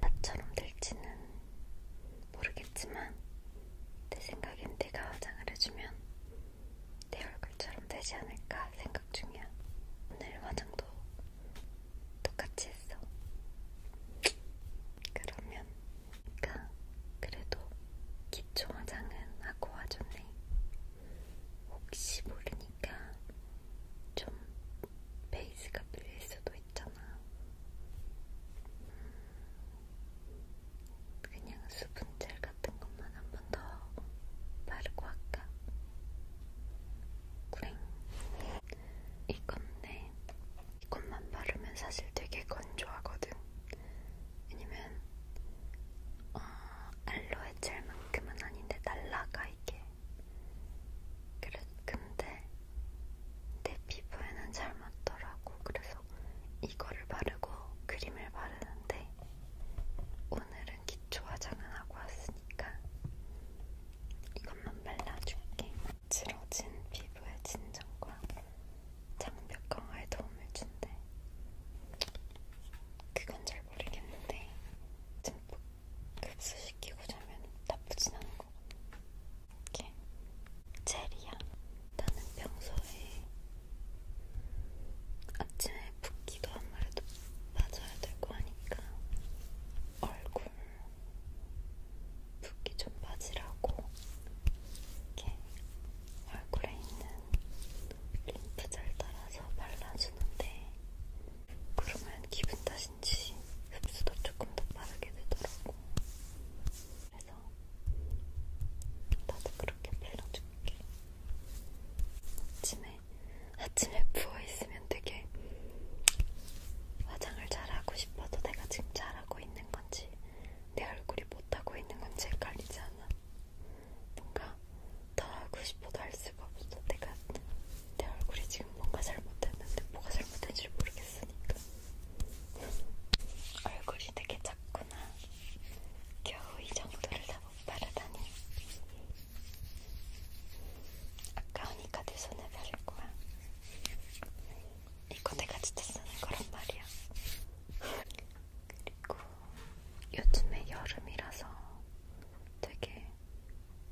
나처럼 될지는 모르겠지만 내 생각엔 내가 화장을 해주면 내 얼굴처럼 되지 않을까 생각 중이야. 오늘 화장도 똑같이 했어. 그러면, 그러니까 그래도 기초 화장은 하고 와줬네. 혹시 모르니까 좀 베이스가 밀릴 수도 있잖아. 음, 그냥 수분젤 같은 것만 한 번 더 바르고 할까? 그래. 이건데 이것만 바르면 사실 되게 건조하거든. 왜냐면 어, 알로에 젤만큼은 아닌데 날라가 이게. 그래, 근데 내 피부에는 잘 맞더라고. 그래서 이거를 바르고 크림을 바르는데 오늘은 기초 화장은 하고 왔으니까 이것만 발라줄게. 부드러진 피부의 진정과 장벽 강화에 도움을 준대. 그건 잘 모르겠는데 듬뿍 흡수시키고 자면 나쁘진 않은 거. 이렇게 젤이야. 나는 평소에 아침에 붓기도 아무래도 맞아야 될거 아니까 얼굴 붓기 좀 빠지라고 이렇게 얼굴에 있는 림프젤 따라서 발라주는데 그러면 기분 탓인지 흡수도 조금 더 빠르게 되더라고. 그래서 나도 그렇게 발라줄게. 아침에 아침에 부어 있으면 왜냐면 되게 화장을 잘하고 싶어도 내가 지금 잘하고 있는 건지 내 얼굴이 못하고 있는 건지 헷갈리지 않아. 뭔가 더 하고 싶어도 할 수가 없어. 내가 내 얼굴이 지금 뭔가 잘못했는데 뭐가 잘못된지 모르겠으니까. 얼굴이 되게 작구나. 겨우 이 정도를 다 못 바르다니. 아까우니까 내 손에 바를 거야. 이거 내가 진짜 쓰는 거란 말이야. 그리고 요즘에 여름이라서 되게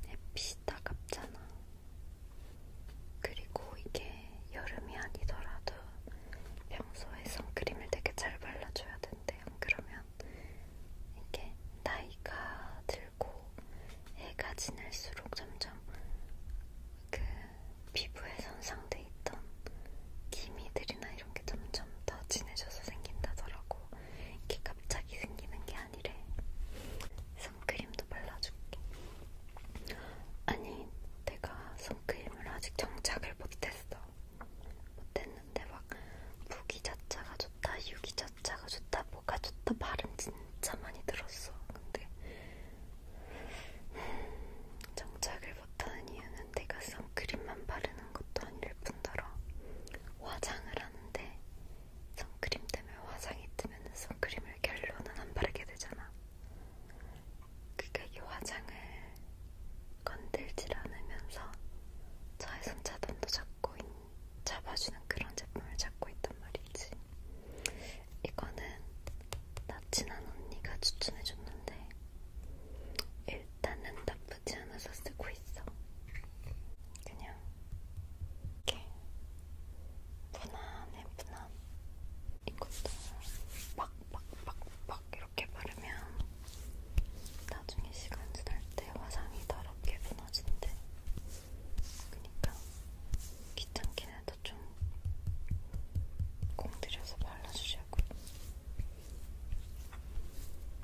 햇빛이 따갑잖아. 그리고 이게 여름이 아니더라도 평소에 선크림을 되게 잘 발라줘야 된대. 안 그러면 이게 나이가 들 들고 해가 지날수록 점점 그 피부에 손상돼 있던 기미들이나 이런 게 점점 더 진해져서 생긴다더라고. 이게 갑자기 생기는 게 아니래. 선크림도 발라줄게. 아니, 내가 선크림을 아직 정착을 못했어. 못했는데 막 무기 자체가 좋다, 유기 자체가 좋다. 뭐가 좋다 발음 진짜 많이 들었어. 근데 정착을 못하는 이유는 내가 선크림만 바르는 것도 아닐 뿐더러 화장을 하는데 선크림 때문에 화장이 뜨면 선크림을 결론은 안 바르게 되잖아. 그러니까 이 화장을 건들질 않으면서 저의 손차단도 잡고 있는 잡아주는 그런 제품을 찾고 있단 말이지. 이거는 나친한 언니가 추천해줬는데 일단은 나쁘지 않아서 쓰고 있어. 그냥 이렇게 무난해 무난. 이것도 막 막 막 막 이렇게 바르면 나중에 시간 지날 때 화장이 더럽게 무너진대. 그니까 귀찮게라도 좀 공들여서 발라주려고요.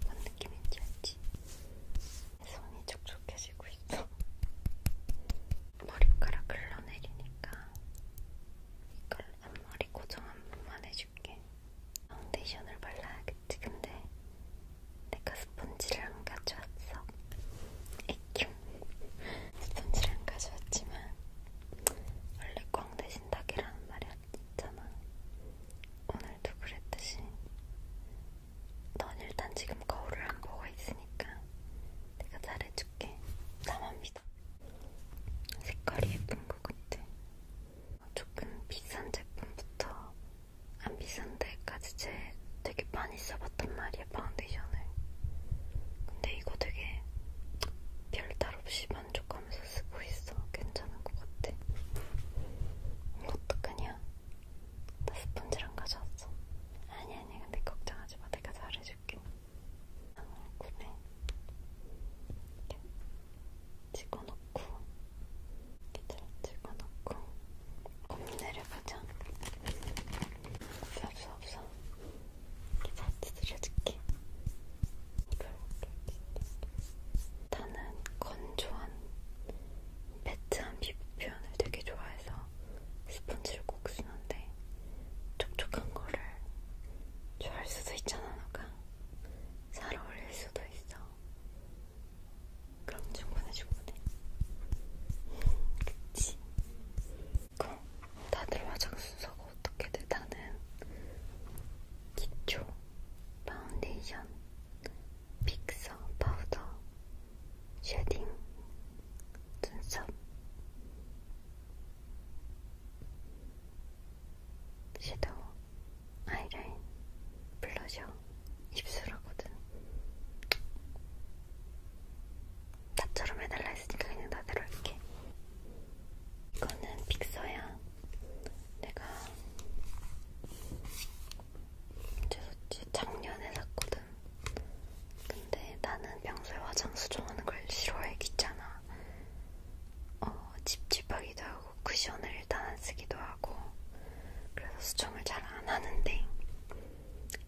뭔 느낌인지 알지? 손이 촉촉해지고 있어. 머리카락 흘러내리니까 이걸 앞머리 고정 한 번만 해줄게. 파운데이션을 발라야겠지. 근데 내가 스펀지를 안 가져왔어. 에큐. 스펀지를 안 가져왔지만 원래 꽝 대신 닭이라는 말이 있잖아. 오늘도 그랬듯이 넌 일단 지금 거울을 안 보고 있으니까 내가 잘해줄게. 나만 믿어. 색깔이 예쁜 것 같아. 조금 비싼 제품부터 안 비싼 데까지 제 되게 많이 써봤 발라봤단 말이야, 파운데이션을. 근데 이거 되게 별탈 없이 만족하면서 쓰고 있어. 괜찮은 것 같아. 이거 어떡하냐? 나 스펀지랑 가져왔어. 아니, 아니, 근데 걱정하지 마. 내가 잘해줄게. 아, 구매. 이렇게 찍어놓고, 이렇게 잘 찍어놓고, 겁내려가자. 없어 없어 없어 잘 두드려줄게 나는 건조한 매트한 피부 표현을 되게 좋아해서 스펀지를 꼭 쓰는데 촉촉한 거를 좋아할 수도 있잖아 너가 잘 어울릴 수도 있어 그럼 충분해 충분해 그치 그럼 다들 화장 순서가 어떻게 돼? 나는 기초, 파운데이션, 픽서, 파우더, 쉐딩, 눈썹 섀도우, 아이라인, 블러셔, 입술하거든 나처럼 해달라 했으니까 그냥 나대로 할게. 이거는 픽서야. 내가 제소치 작년에 샀거든. 근데 나는 평소에 화장 수정하는 걸 싫어해 귀찮아. 어, 찝찝하기도 하고 쿠션을 일단 안 쓰기도 하고 그래서 수정을 잘 안 하는데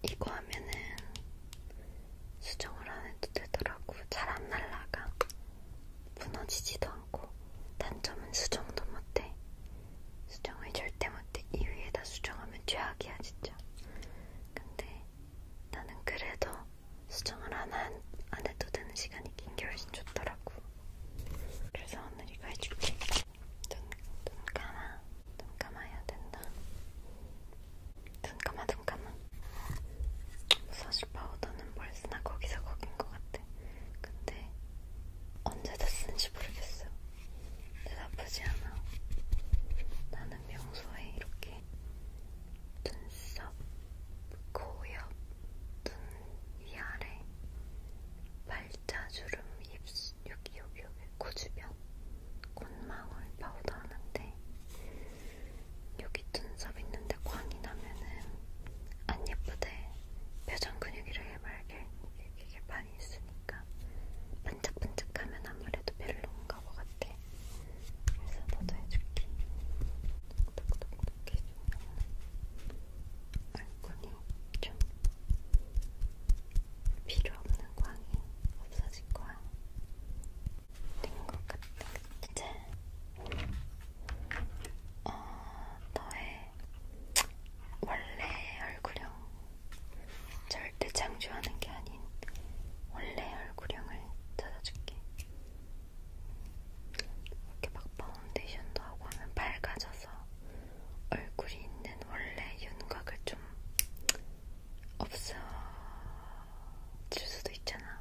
이거 하면은 수정을 안 해도 되더라고. 잘 안 날라가. 무너지지도 않고. 단점은 수정도 못해. 수정을 절대 못해. 이 위에다 수정하면 최악이야, 진짜. 근데 나는 그래도 수정을 안, 한, 안 해도 되는 시간이 긴 게 훨씬 좋더라고. 그래서 오늘 이거 해줄게. 눈, 눈 감아. 눈 감아야 된다. 눈 감아, 눈 감아. 사실 파우더는 벌써나 거기서 거긴 것 같아. 근데 언제 다 쓰는지 모르겠어. 근데 나쁘지 않아. 나는 평소에 이렇게 눈썹, 코옆, 눈 위아래, 발자주름, 입술, 여기 여기 여기 코 주변 콧망울 파우더 하는데 여기 눈썹 있는데 광이 나면은 안 예쁘대. 표정 근육이라 해맑게 이렇게 반이 있으니까 반짝반짝하면 아무래도 별로인가 보 같아. 그래서 너도 해줄게. 똑똑똑 해주면 얼굴이 좀 필요 없는 광이 없어질 거야. 된 것 같아. 이제 어, 너의 원래 얼굴형 절대 창조하는 게 아닌 원래 얼굴형을 찾아줄게. 이렇게 막 파운데이션도 하고 하면 밝아져서 얼굴이 있는 원래 윤곽을 좀 없어질 수도 있잖아.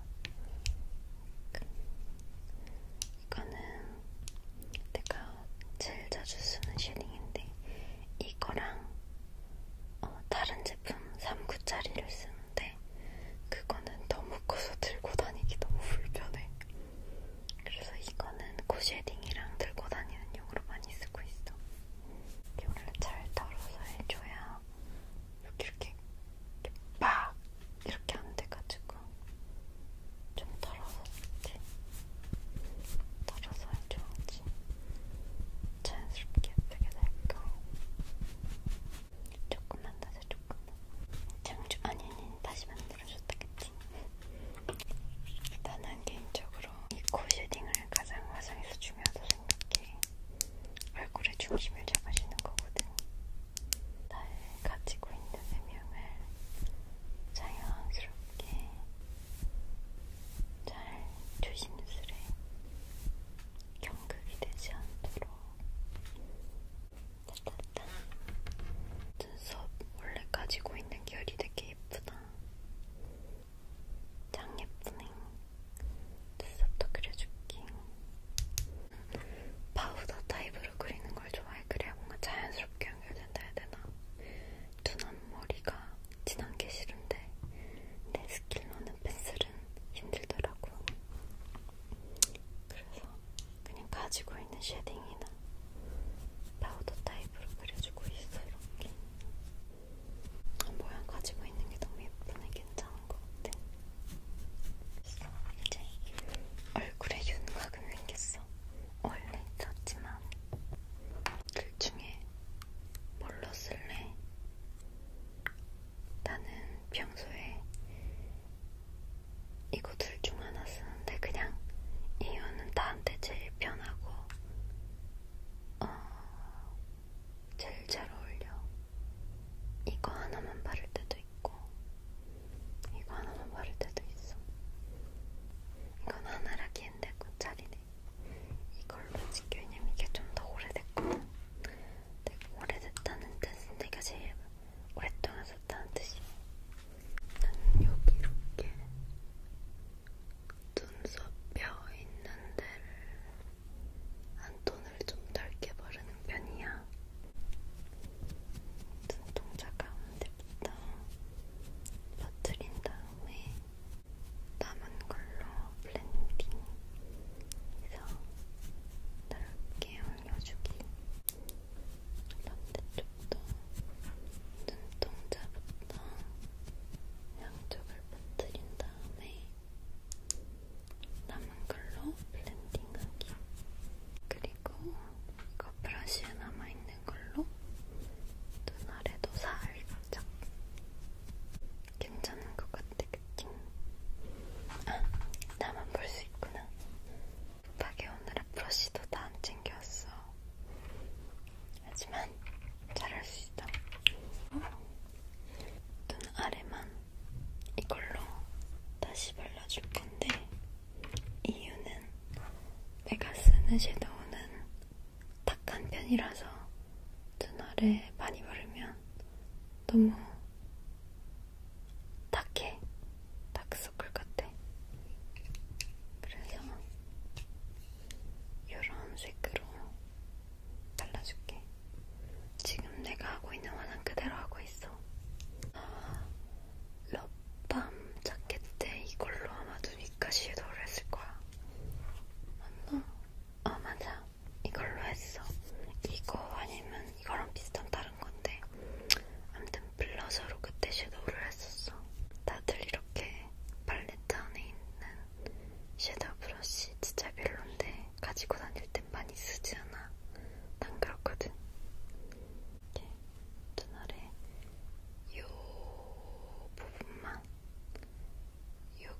이거는 내가 제일 자주 쓰는 쉐딩인데 이거랑 어, 다른 제품 3구짜리를 쓰는데 그거는 너무 커서 들고 다니기 너무 불편해. 그래서 이거는 코 쉐딩이랑 들고 다니는 용으로 많이 쓰고 있어. 이게 원래 잘 덜어서 해줘야 이렇게 이렇게, 이렇게 빡 이렇게 안 돼가지고 좀 덜어서 해. 덜어서 해줘야지 자연스럽게 예쁘게 될 거야. 조금만 더세 조금만. 장주 아니 아니 다시 만들어줬다겠지. 나는 개인적으로 들어. 이코 쉐딩을 가장 화장에서 중요하다 생각해. 얼굴에 중심을 잡아주는 거거든. 날 가지고 있는 외명을 자연스럽게 잘 조심스레 경극이 되지 않도록 따따따 눈썹 원래 가지고 있는 결이 되게 예쁘다 짱 예쁘네. 눈썹도 그려줄게. 파우더 타입으로 그리는 걸 좋아해. 그래야 뭔가 자연스럽게 연결된다 해야 되나? 눈 앞머리가 진한 게 싫은데 내 스킬로는 펜슬은 힘들더라고. 그래서 그냥 가지고 있는 쉐딩이나 파우더 타입으로 그려주고 있어 이렇게. 모양 가지고 있는 게 너무 예쁘네. 괜찮은 것 같아. 이제 얼굴에 윤곽은 생겼어. 원래 있었지만 둘 그 중에 뭘로 쓸래? 나는 평소에 이거 둘 중 하나 쓰는데 그냥 이유는 나한테 제일 편하고 어, 제일 잘 어울려. 이거 하나만 바를 때도 있고, 이거 하나만 바를 때도 있어. 이건 하나라기엔 내 꽃자리네. 이걸로 찍기 왜냐면 이게 좀 더 오래됐거든. 내가 오래됐다는 뜻은 내가 제일 오랫동안 썼다는 뜻이야. 난 여기 이렇게 눈썹 뼈 있는 데를 안톤을 좀 넓게 바르는 편이야. 눈동자 가운데부터 퍼트린 다음에 남은 걸로 블렌딩해서 넓게 올려주기. 반대쪽도 눈동자부터 양쪽을 잘붙들인 다음에 남은 걸로 블렌딩하기. 그리고 이거 브러쉬에 남아있는 걸로 눈 아래도 살짝 괜찮은 것 같아, 그치? 아, 나만 볼 수 있구나. 급하게 오늘은 브러쉬도 다 안 챙겨왔어. 하지만 잘할 수 있다. 눈 아래만 이걸로 다시 발라줄 건데 이유는 내가 쓰는 섀도우는 탁한 편이라서 눈 아래 많이 바르면 너무 탁해. 다크서클 같아. 그래서 이런 색으로 잘라줄게. 지금 내가 하고 있는 화장 그대로 하고 있어. 럽밤 자켓에 이걸로 아마 눈이까 섀도우를 했을 거야. 맞나? 아 맞아. 이걸로 했어. 이거 아니면 이거랑 비슷한 다른 건데. 아무튼 블러셔로 그때 섀도우를 했었어. 다들 이렇게 팔레트 안에 있는 섀도우 브러쉬 진짜 별론데 가지고 다닐 땐 많이 쓰지 않아. 난 그렇거든. 이렇게 눈 아래 요 부분만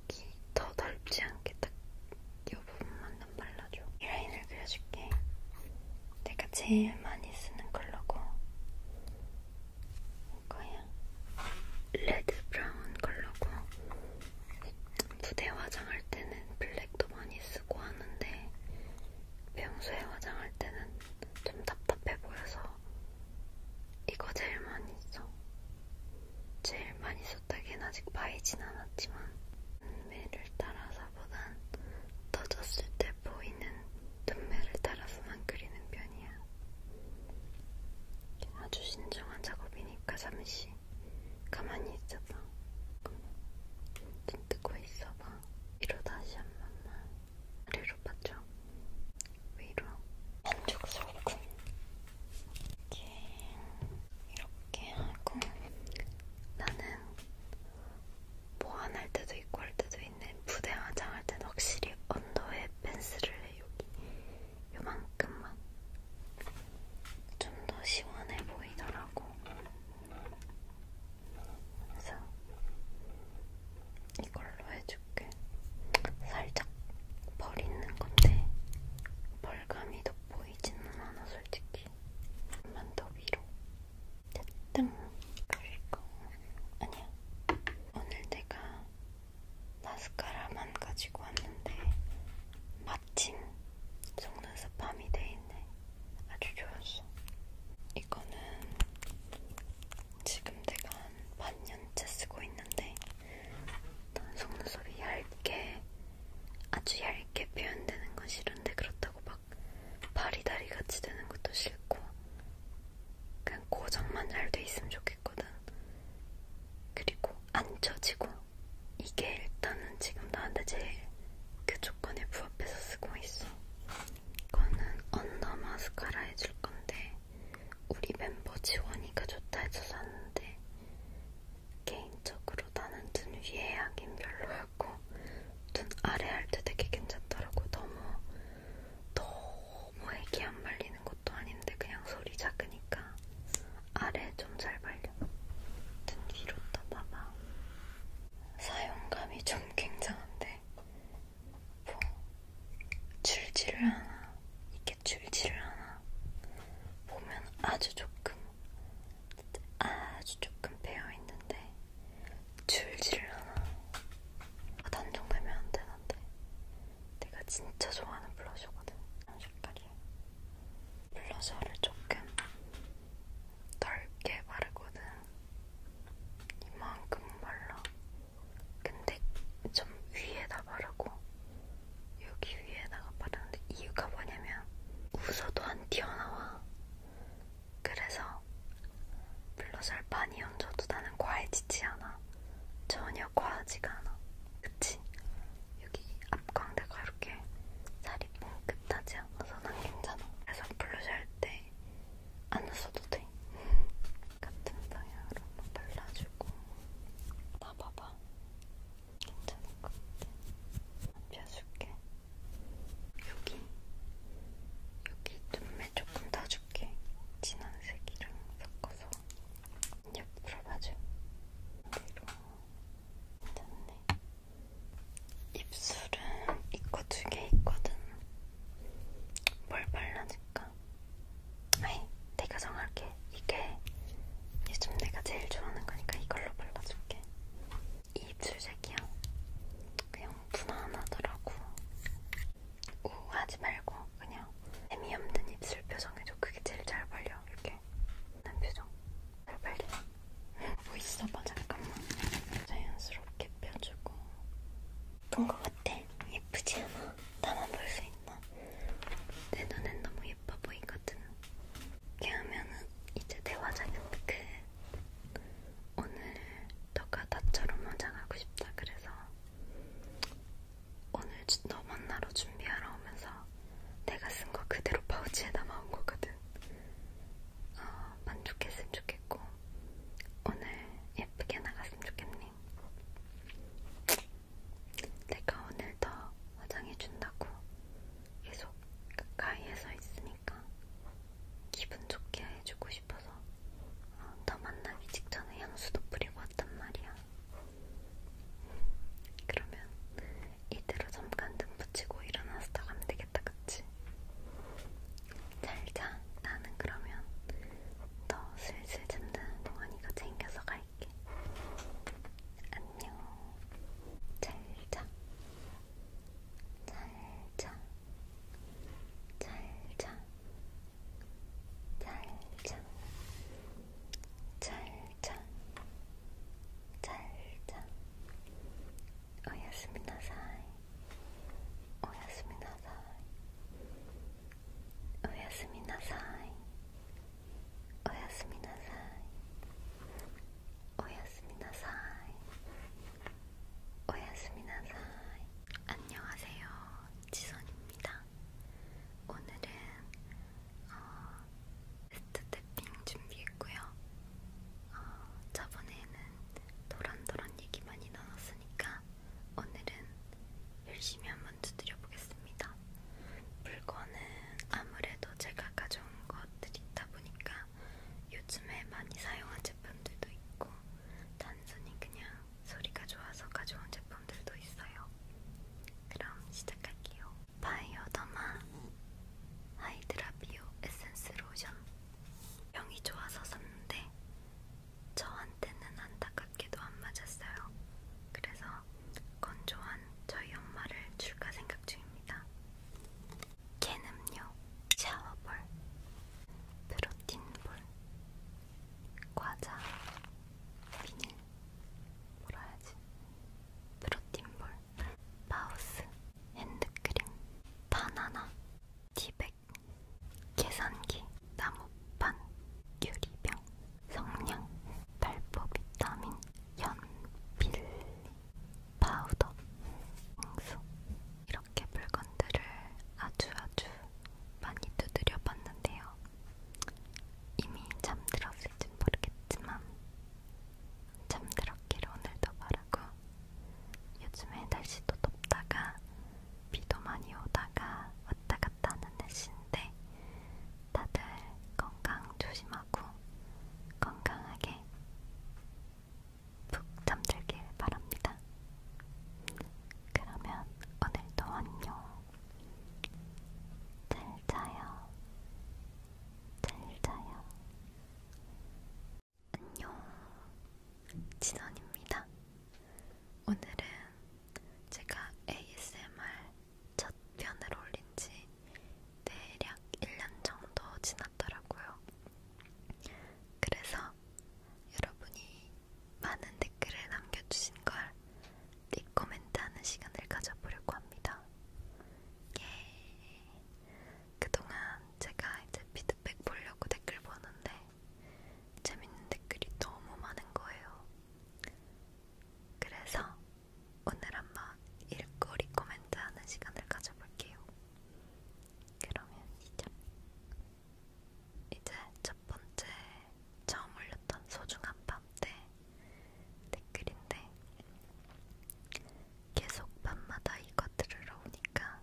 여기 더 넓지 않게 딱 요 부분만 좀 발라줘. 이 라인을 그려줄게. 내가 제일 많이 쓰는 컬러고 거야. 레드 브라운 컬러고 무대 화장할 때는 블랙도 많이 쓰고 하는데 평소에 화장할 때는 좀 답답해 보여서 이거 제일 많이 써. 제일 많이 썼다기엔 아직 바이진 않았지만 눈매를 따라서보단 떠졌을 때 보이는 눈매를 따라서만 그리는 편이야. 아주 신중한 작업이니까 잠시 가만히 있어봐. 눈 뜨고 있어봐. 위로 다시 한 번만. 아래로 봤죠? 위로. 한쪽 소금. 이렇게, 이렇게 하고. 나는 보완할 뭐 때도 있고 할 때도 있는 부대 화장할 때는 확실히 언더에 펜슬을 해, 여기. 요만큼만 좀 더 시원해 보이더라고. 그래서 이걸로 해줄게. 살짝 벌 있는 건데 벌감이 돋보이지는 않아 솔직히. 좀만 더 위로. 됐든 그리고 아니야. 오늘 내가 마스카라만 가지고 왔는데 마침 속눈썹 밤이 돼있네. 아주 좋았어. 이거는 지금 내가 한 반년째 쓰고 있는데 속눈썹이 얇게 아주 얇게 표현되는 건 싫은데 그렇다고 막 바리다리 같이 되는 것도 싫고 그냥 고정만 잘 돼 있으면 좋겠거든. 그리고 안 쳐지고 이게 일단은 지금 나한테 제일 그 조건에 부합해서 쓰고 있어. 이거는 언더 마스카라 해줄 건데 우리 멤버 지원이가 좋다 해서 샀는데 개인적으로 나는 눈 위에 하긴 별로였고 눈 아래 할 때 되게 괜찮더라고. 너무 너무 너무 애기 안 말리는 것도 아닌데 그냥 소리 작으니까 아래 좀잘 말려. 등 위로 떠봐봐. 사용감이 좀 굉장한데 뭐 줄지를 않아. 이게 줄지를 않아. 보면 아주 조금, 아주 조금 베어있는데 줄지를 않아. 아, 단종 되면 안 되는데 내가 진짜 좋아하는 블러셔거든. 이런 색깔이에요. 블러셔를 조금 넓게 바르거든. 이만큼 발라. 근데 좀 위에다 바르고 여기 위에다가 바르는데 이유가 뭐냐면 웃어도 안 튀어나와. 그래서 블러셔를 많이 얹어도 나는 과해지지 않아. 전혀 과하지가 않아. 그치? 여기 앞광대가 이렇게 살이 뭉긋하지 않아서 난 괜찮아. 그래서 블러셔 할 때 안 써도 돼. 같은 방향으로 한번 발라주고. 나 봐봐. 괜찮은 것 같아. 펴줄게. 여기. 여기 눈매 조금 더 줄게. 진한 색이랑 섞어서. 옆으로 봐줘. 위로. 됐네. 입술은 이거 두 개 있거든. 뭘 발라줄까? 아이, 내가 정할게. 이게 요즘 내가 제일 좋아하는 거니까 이걸로 발라줄게. 이 입술색이야. 그냥 무난하더라고. 우하지 말고 그냥 재미없는 입술 표정해줘. 그게 제일 잘 발려. 이렇게 난 표정 잘 발려. 뭐 있어? 봐 뭐 잠깐만. 자연스럽게 펴주고. 예쁜 것 같아. 예쁘지 않아? 나만 볼 수 있나? 내 눈엔 너무 예뻐 보이거든. 이렇게 하면은 이제 내 화장은 그 오늘 너가 나처럼 화장하고 싶다 그래서 오늘 너 만나러 준비하러 오면서 내가 쓴 거 그대로 파우치에 담아온 거거든. 어, 만족했으면 좋겠고 오늘 예쁘게 나갔으면 좋겠니? 내가 오늘 더 화장해준다고 계속 가까이에서 있으니까 기분 좋게 해주고 싶어서 어, 너 만나기 직전에 향수도 뿌리고 왔단 말이야. 그러면 이대로 잠깐 눈 붙이고 일어나서 나가면 되겠다, 그치? 잘 자. 나는 그러면 너 슬슬 잠드는 동안 이거 챙겨서 갈게. 안녕. 잘 자. 잘 자. 잘 자. 잘 자. 잘 자. 잘자 잘자 오야스미나사이 오야스미나사이 오야스미나사이 오야스미나사이 오야스미나사이 오야스미나사이 안녕하세요 지선입니다 오늘은 어, 베스트 탭핑 준비했고요. 어, 저번에는 도란도란 얘기 많이 나눴으니까 오늘은 열심히 한번 두드려 보겠습니다. 물건은 아무래도 제가 가져온 것들이 있다 보니까 요즘에 많이 사용한 제품들도 있고 단순히 그냥 소리가 좋아서 가져온 제품들도 있어요. 그럼 시작할게요. 바이오더마 하이드라 비오 에센스 로션 병이 좋아서 샀는데 저한테는 안타깝게도 안 맞았어요. 그래서 건조한 저희 엄마를 줄까 생각 중입니다. 캔 음료 샤워볼 프로틴볼 과자 비닐 뭐라 해야지? 프로틴볼, 마우스, 핸드크림, 바나나, 티백, 계산기, 나무판, 유리병, 성냥, 발포 비타민, 연필, 파우더, 향수 이렇게 물건들을 아주 아주 많이 두드려 봤는데요. 이미 잠들었을진 모르겠지만 잠들었기를 오늘도 바라고 요즘에 날씨도 덥다가 비도 많이 오다가 왔다 갔다 하는 날씨인데 다들 건강 조심하고 건강하게 푹 잠들길 바랍니다. 그러면 오늘도 안녕. 잘 자요. 잘 자요. 안녕. 진원입니다. 오늘은 제가 ASMR 첫 편을 올린 지 대략 1년 정도 지났더라고요. 그래서 여러분이 많은 댓글을 남겨주신 걸네 코멘트하는 시간을 가져보려고 합니다. 예. 그동안 제가 이제 피드백 보려고 댓글 보는데 재밌는 댓글이 너무 많은 거예요. 그래서 오늘 한번 일거리 코멘트하는 시간을 가져볼게요. 그러면 시작. 이제 첫 번째 처음 올렸던 소중한 밤 다음때 댓글인데 계속 밤마다 이거 들으러 오니까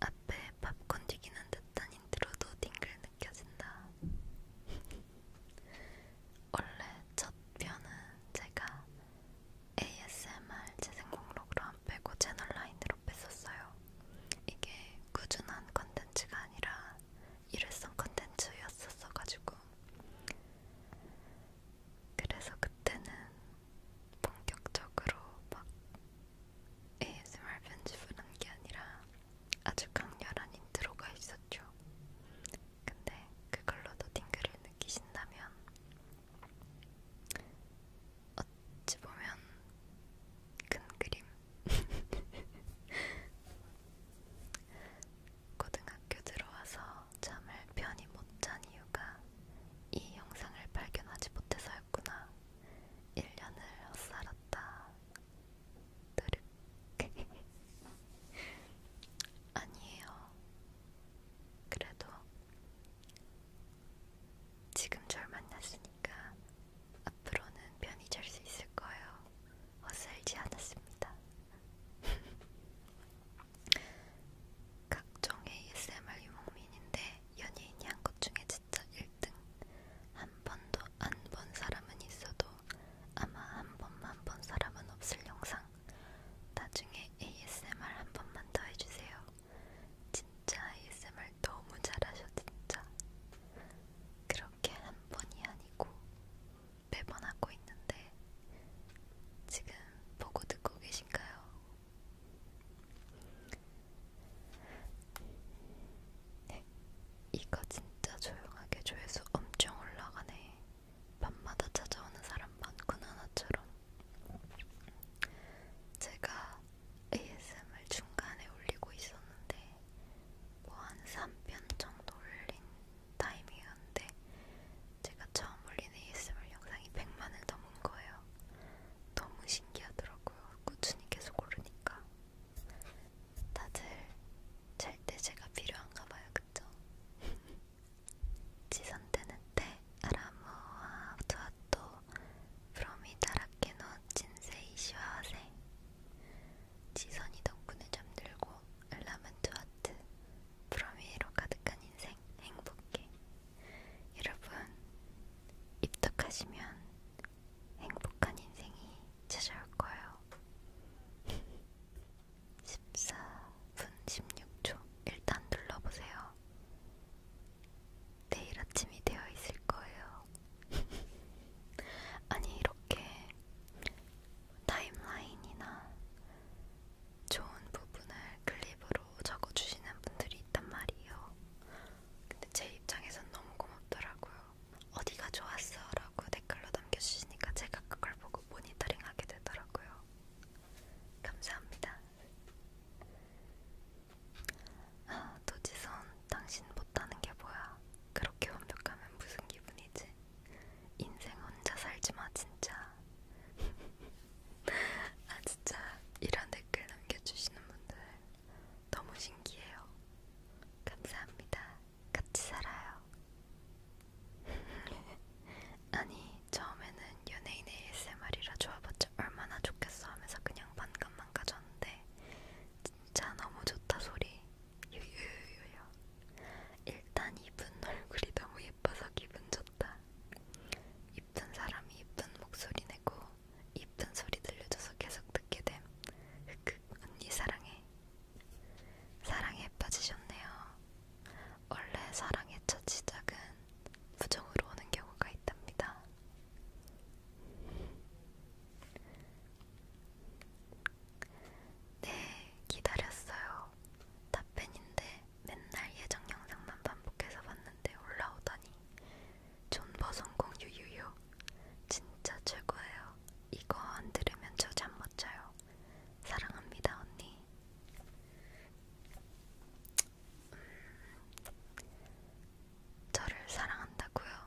앞에 팝콘 튀기는 듯한 인트로도 딩글 느껴진다. 원래 첫 편은 제가 ASMR 재생 목록으로 안 빼고 채널 라인으로 뺐었어요. 이게 꾸준한 컨텐츠가 아니라 일회성 컨텐츠였었어가지고 그래서 그때는 본격적으로 막 ASMR 편집을 한 게 아니라 아주 강렬한 인트로가 있었죠. 근데 그걸로도 딩글을 느끼신다면 어찌 보면 큰 그림 고등학교 들어와서 잠을 편히 못 잔 이유가 이 영상을 발견하지 못해서였구나. 1년을 헛살았다. 뜨륵. 아니에요. 그래도 지금 절 만났으니까 앞으로는 편히 잘 수 있을 거예요. 어슬지 않았습니다. 각종 ASMR 유목민인데 연예인이 한 것 중에 진짜 1등. 한 번도 안 본 사람은 있어도 아마 한 번만 본 사람은 없을 영상. 나중에 ASMR 한 번만 더 해주세요. 진짜 ASMR 너무 잘하셔 진짜. 그렇게 한 번이 아니고 매번 하고 있는데 지금 보고 듣고 계신가요? 네, 이거 진짜 조용하게 조회수 엄청 올라가네. 밤마다 찾아오는 사람 많구나 나처럼. 제가 ASMR 중간에 올리고 있었는데 뭐한 3편 정도 올린 타이밍이었는데 제가 처음 올린 ASMR 영상이 100만을 넘은 거예요. 너무 신기하더라고요. 꾸준히 계속 오르니까. 다들 잘 때 제가 필요한가 봐요. 그쵸? 지선대는 때 아라모와 투아토 프로미다라케노 진세이시와세 지선이 덕분에 잠들고 알라멘트 하트 프로미로 가득한 인생 행복해 여러분 입덕하시면 행복한 인생이 찾아올 거예요 14분 16초 일단 눌러보세요 내일 아침이 되어 있을 거예요 아니 이렇게 타임라인이나 좋은 부분을 클립으로 적어주시는 분들이 있단 말이에요. 근데 제 입장에선 너무 고맙더라고요. 어디가 좋았어? 라고 댓글로 남겨주시니까 제가 그걸 보고 모니터링 하게 되더라고요. 감사합니다. 아, 도지선 당신 못하는 게 뭐야? 그렇게 완벽하면 무슨 기분이지? 인생 혼자 살지마 진짜 아 진짜 이런 댓글 남겨주시는 분들 너무 신기해요 감사합니다 같이 살아요 아니 처음에는 연예인 ASMR이라 좋아봤자 얼마나 좋겠어 하면서 그냥 반감만 가졌는데 진짜 너무 좋다 소리 유유유요. 일단 이쁜 얼굴이 너무 예뻐서 기분 좋다. 이쁜 사람이 이쁜 목소리 내고 이쁜 소리 들려줘서 계속 듣게 됨. 흑흑 언니 사랑해. 사랑에 빠지셨네요. 원래 사랑의 첫 시작은 부정으로 오는 경우가 있답니다. 네, 기다렸어요. 답변인데 맨날 예정 영상만 반복해서 봤는데 올라오더니 존버 성공 유유유 진짜 최고예요. 이거 안 들으면 저 잠못 자요. 사랑합니다 언니. 음, 저를 사랑한다고요?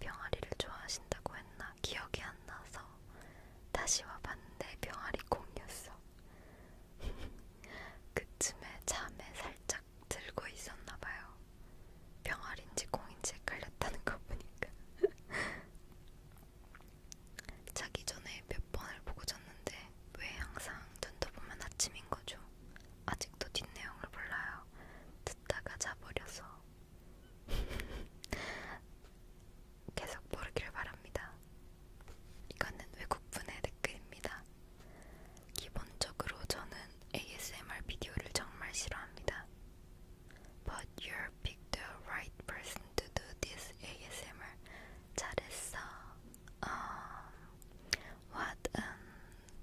병아리를 좋아하신다고 했나 기억이 안 나서 다시 와봤는데 병아리 공이었어. 그쯤에 잠에 살짝 들고 있었나봐요. 병아리인지 공인지 헷갈렸다는 거 보니까. 자기 전에 몇 번을 보고 잤는데 왜 항상 눈떠보면 아침인 거죠? 아직 아직도 뒷내용을 몰라요. 듣다가 자버려서 계속 모르기를 바랍니다. 이거는 외국분의 댓글입니다. 기본적으로 저는 ASMR 비디오를 정말 싫어합니다. But you're pick the right person to do this ASMR. 잘했어. Um, What an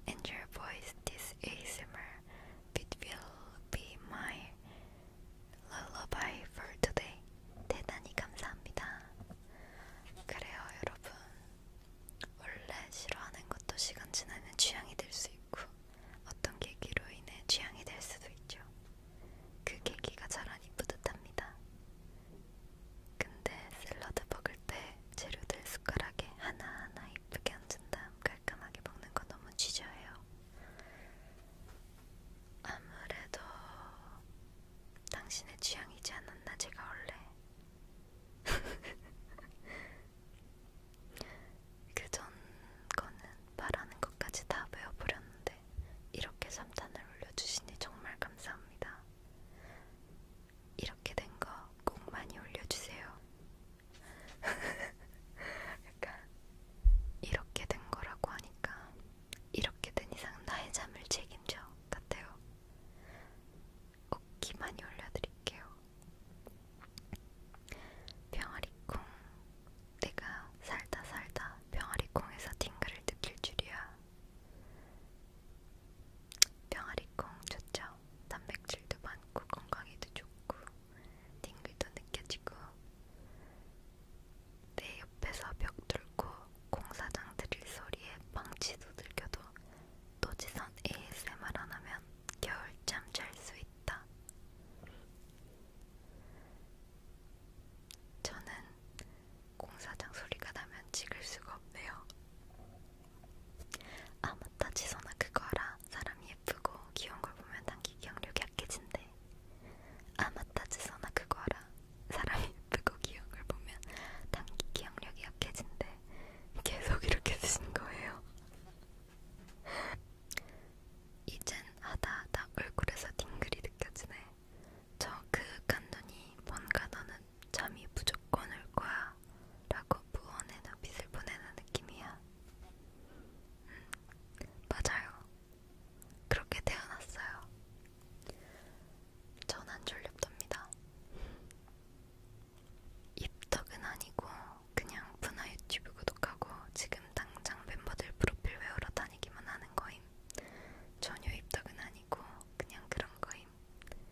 angel voice this ASMR. It will be my lullaby for today. 대단히 감사합니다. 그래요, 여러분. 원래 싫어하는 것도 시간 지나면 취향이 될 수 있고, 어떤 계기로 인해 취향이 될 수도 있죠. 그 계기가 자라니 뿌듯합니다. 근데 샐러드 먹을 때 네, 재료들 숟가락에 하나하나 이쁘게 얹은 다음 깔끔하게 먹는 거 너무 지저해요. 아무래도 당신의 취향이지 않았나 제가 원래 그전 거는 말하는 것까지 다 외워버렸는데 이렇게 3탄을 올려주시니 정말 감사합니다. 이렇게 된 거 꼭 많이 올려주세요. 약간 이렇게 된 거라고 하니까 이렇게 된 이상 나의 잠을 책임져 같아요. 웃기 많이 올려드릴게요. 병아리콩 내가 살다 살다 병아리콩에서 팅글을 느낄 줄이야. 병아리콩 좋죠? 좋아요. 단백질도 많고 건강에도 좋고 딩글도 느껴지고 내 옆에서 벽 뚫고 공사장 들릴 소리에 방치도 들켜도 노지선 ASMR 안 하면 겨울잠 잘 수 있다. 저는 공사장 소리가 나면 찍을 수가 없네요. 아무따 지선아 그거 알아? 사람이 예쁘고 귀여운 걸 보면 단기 기억력이 약해진대 아무따 지선아 그거 알아? 사람이 예쁘고 귀여운 걸 보면 단기 기억력이 약해진대 계속 이렇게 쓰신 거예요 이젠 하다하다 얼굴에서 딩글이 느껴지네 저그 깐눈이 뭔가 너는 잠이 무조건 올 거야 거야 라고 무언의 눈빛을 보내는 느낌이야 음, 맞아요 그렇게 태어났어요 전 안 졸립답니다 입덕은 아니고 그냥 분화 유튜브 구독하고 지금 당장 멤버들 프로필 외우러 다니기만 하는 거임 전혀 입덕은 아니고 그냥 그런 거임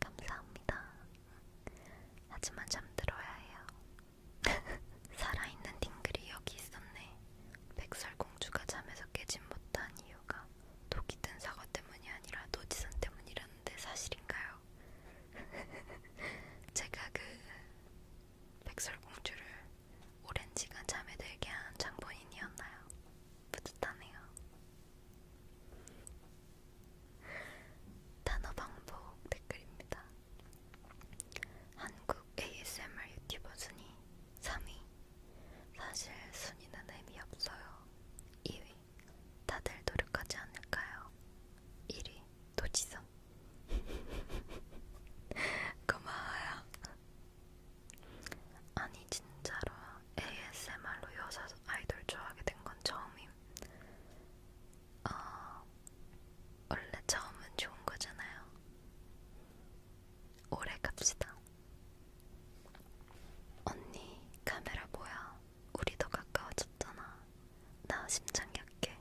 감사합니다. 하지만 잠들어야 해요. 살아있는 딩글이 여기 있었네. 백설공주가 잠에서 깨진 못한 이유가 독이 든 사과 때문이 아니라 노지선 때문이라는데 사실인가요? 제가 그 백설공주를 오랜 시간 잠에 들게 한 장본인이었나요? 뿌듯하네요. 단어 방법 댓글입니다. 한국 ASMR 유튜버 순위 3위. 사실 순위는 의미 없어요. 2위. 다들 노력하지 않을까요? 1위. 도지선. 고마워요. 아니 진짜로 ASMR로 여자 아이돌 좋아하게 된 건 처음임. 어, 원래 처음은 좋은 거잖아요. 오래 갑시다. 언니, 카메라 뭐야? 우리 더 가까워졌잖아. 나 심장 약해.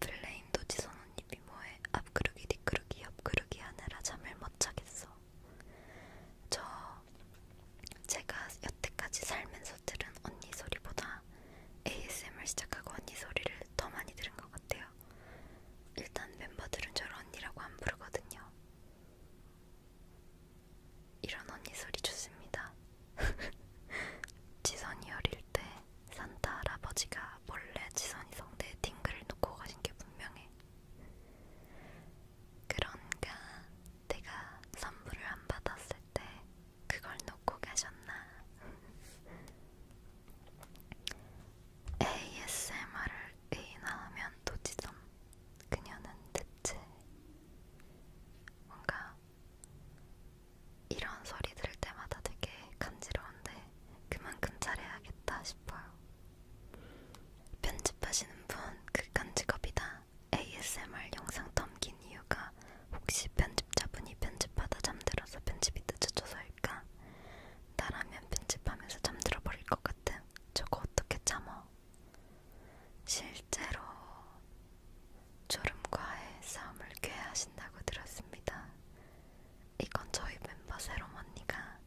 플레임 도지선 언니 미모에 앞그르기, 뒷그르기, 옆그르기 하느라 잠을 못 자겠어. 저 제가 여태까지 살면서 들은 언니 소리보다 ASMR 시작하고 언니 소리를 더 많이 들은 것 같아요. 일단 멤버들은 저를 언니라고 안 부르거든요. 이런 언니 소리 좋습니다. 지선이 어릴 때 산타 할아버지가 몰래 지선이 성대에 딩글을 놓고 가신 게 분명해. 그런가 내가 선물을 안 받았을 때 그걸 놓고 가셨나? ASMR을 의인화하면 도지점 그녀는 듣지 뭔가 이런 소리 들을 때마다 되게 간지러운데 그만큼 잘해야겠다 싶어요. 편집하시는 분 극한 직업이다. ASMR 영상 넘긴 이유가 혹시 편집자분이 편집하다 잠들어서 편집이 늦어져서일까? 나라면 편집하면서 잠들어 버릴 것 같아. 저거 어떻게 참어? 실제로 졸음과의 싸움을 꾀하신다고 들었습니다. 이건 저희 멤버 새롬 언니가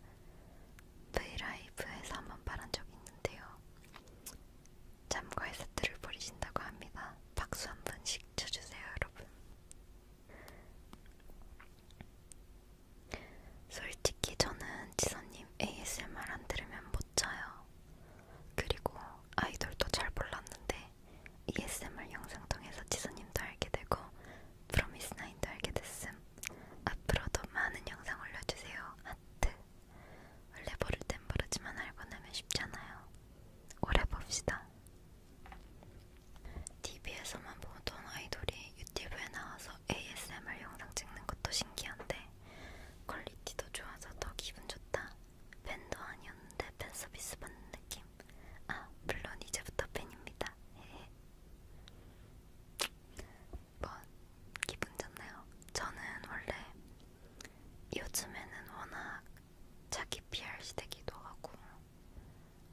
브이라이브에서 한번 말한 적이 있는데요. 잠과의 세트를 벌이신다고 합니다. 박수 한 번씩 쳐주세요, 여러분. 솔직히 저는 지선님 ASMR 안 들으면 못 자요. 그리고 아이돌도 잘 몰랐는데 ASMR e 영상 통해서 지선님도 알게 되고 프로미스나인도 알게 됐음. 앞으로도 많은 영상 올려주세요. 하트. 원래 모를 땐 모르지만 알고 나면 쉽잖아요. 오래 봅시다. TV에서만 보던 아이돌이 유튜브에 나와서 ASMR 영상 찍는 것도 신기한데 퀄리티도 좋아서 더 기분 좋다. 팬도 아니었는데 팬 서비스 받는 느낌. 아 물론 이제부터 팬입니다. 한번 기분 좋나요? 저는 원래 요즘에는 워낙 자기 PR 시대기도 하고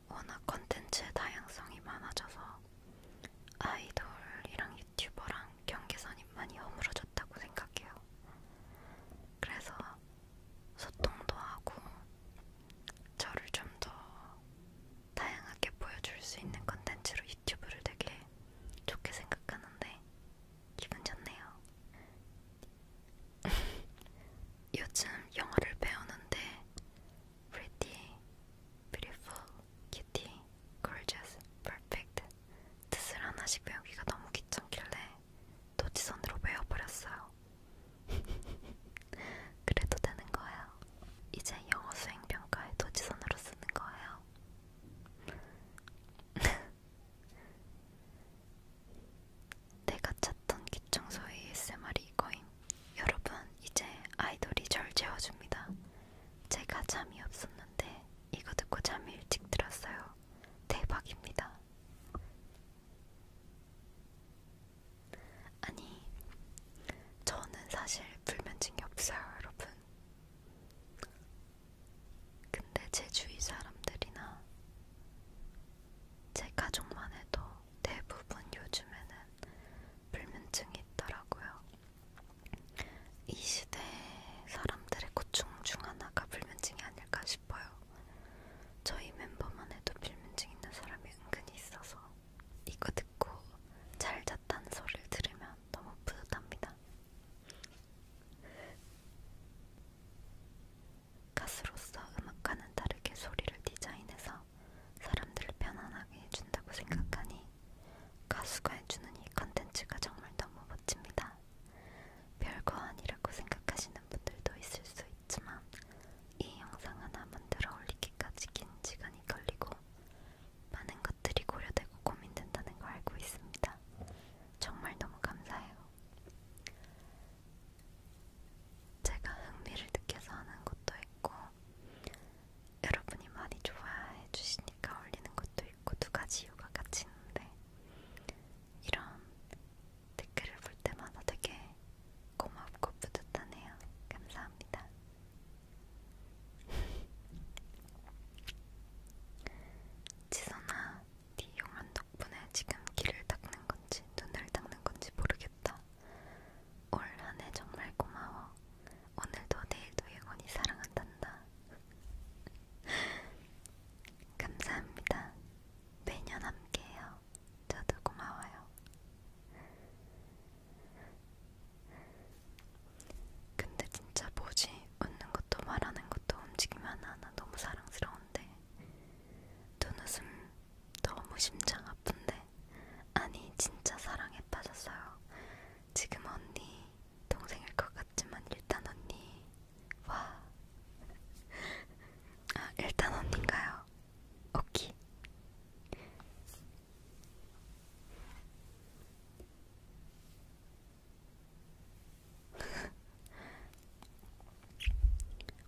워낙 컨텐츠의 다양성이 많아져서 아이돌이랑 유튜버랑 경계선이 많이 허물어졌다고 생각해요. 그래서 소통도 하고 저를 좀 더 다양하게 보여줄 수 있는 컨텐츠로 유튜브를 되게 좋게 생각하는데 기분 좋네요. 요즘 영어를 배우는데 pretty, beautiful, kitty, gorgeous, perfect 뜻을 하나씩 배우기가 너무 귀찮길래 도지선으로 배워버렸어요. 그래도 되는 거예요. 이제 영어 수행 평가에 도지선으로 쓰는 거예요. 내가 찾던 기청소 ASMR이 이거임. 여러분, 이제 아이돌이 절 재워줍니다. 제가 잠이 없었는데 이거 듣고 잠이 일찍 들었어요. 대박입니다. 아니, 저는 사실 불면증이 없어요, 여러분. 근데 제 주위 사람들이나 제 가족만 해도 대부분 요즘에는 불면증이 있더라고요. 이 시대 사람들의 고충 중 하나가 불면증이 아닐까 싶어요. 저희 멤버만 해도 불면증 있는 사람이 은근히 있어서 이거 듣고 잘 잤다는 소리를 들으면 너무 뿌듯합니다. 가수로서 음악과는 다르게 소리를 디자인해서 사람들을 편안하게 해준다고 생각하니 가수가 해주는 이 컨텐츠가 정말 너무 멋집니다. 별거 아니라고 생각하시는 분들도 있을 수 있지만 이 영상 하나 만들어 올리기까지 긴 시간이 걸리고 많은 것들이 고려되고 고민된다는 걸 알고 있습니다. 정말 너무 감사해요. 제가 흥미를 느껴서 하는 것도 있고, 여러분이 많이 좋아해 주시니까 올리는 것도 있고, 두 가지 이유가 같이 있는데, 이런 댓글을 볼 때마다 되게 고맙고 뿌듯하네요. 감사합니다. 지선아, 네 용안 덕분에 지금 귀를 닦는 건지 눈을 닦는 건지 모르겠다. 올 한해 정말 고마워. 오늘도 내일도 영원히 사랑한단다. 감사합니다. 매년 함께해요. 저도 고마워요. 근데 진짜 뭐지? 웃는 것도 말하는 것도 움직임 하나하나 너무 사랑스러운데 눈웃음 너무 심장 아픈데 아니 진짜 사랑에 빠졌어요. 지금 언니 동생일 것 같지만 일단 언니 와. 아, 일단 언니인가요? 오키.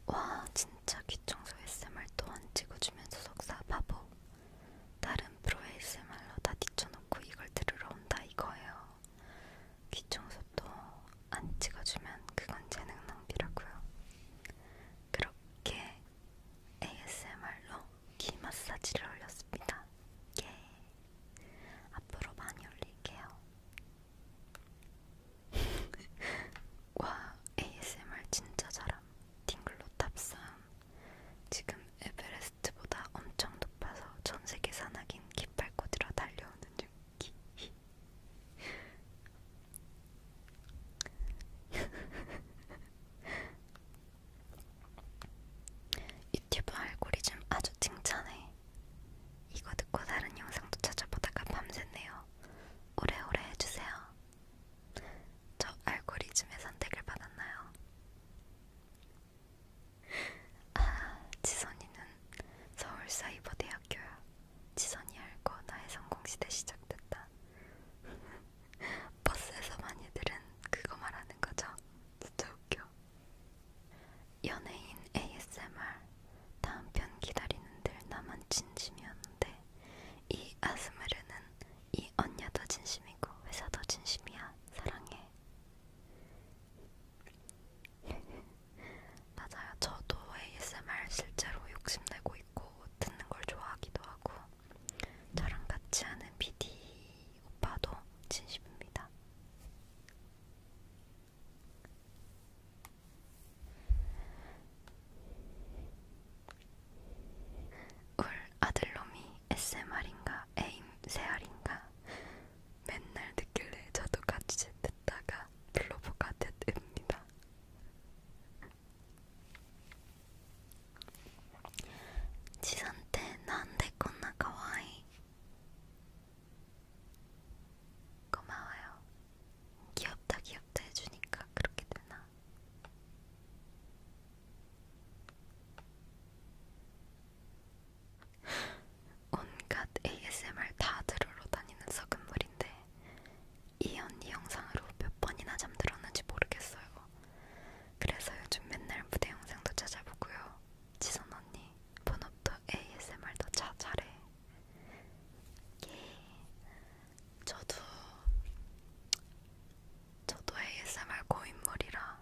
와 진짜 귀청소 ASMR 또한 찍어주면서 속사 바보 다른 프로 ASMR로 다 뒤쳐놓고 이걸 들으러 온다 이거예요 귀청소도 안 찍어주면 그건 재능 낭비라고요 그렇게 ASMR로 귀 마사지를 올렸습니다 예. 앞으로 많이 올릴게요. 와 ASMR 진짜 잘함. 딩글로 탑삼. 지금 에베레스트보다 엄청 높아서 전 세계 산악인 깃발꽂이로 달려오는 중. 유튜브 알고리즘 아주 칭찬해. 이거 듣고 다른 영상도 찾아보다가 밤샜네요. 오래오래 해주세요. 저 알고리즘의 선택을 받았나요? 아, 지선이는 서울사이버대학교야. 지선이 알고 나의 성공시대 시작됐다. 버스에서 많이들은 그거 말하는 거죠. 진짜 웃겨. 연예인 ASMR 다음 편 기다리는 들 나만 진심이었는데 이 아스무르는 이 언니도 진심이고 회사도 진심이야 사랑해 맞아요 저도 ASMR 실제로 욕심내고 있고 듣는 걸 좋아하기도 하고 저랑 같이 하는 PD 오빠도 진심입니다. 울 아들놈이 SMR인가 에임 세알인가 맨날 듣길래 저도 같이 듣다가 블로버가 됐습니다. 지산 때 난데 こんな可愛い 고마워요. 귀엽다 귀엽다 해주니까 그렇게 되나? 온갖 ASMR 다 들으러 다니는 썩은 물인데 이 언니 영상으로 몇 번이나 잠들었는지 모르겠어요. 그래서 요즘 맨날 무대 영상도 찾아보고요. 지선 언니 본업도 ASMR도 차 잘해. 예. 저도 저도 ASMR 고인물이라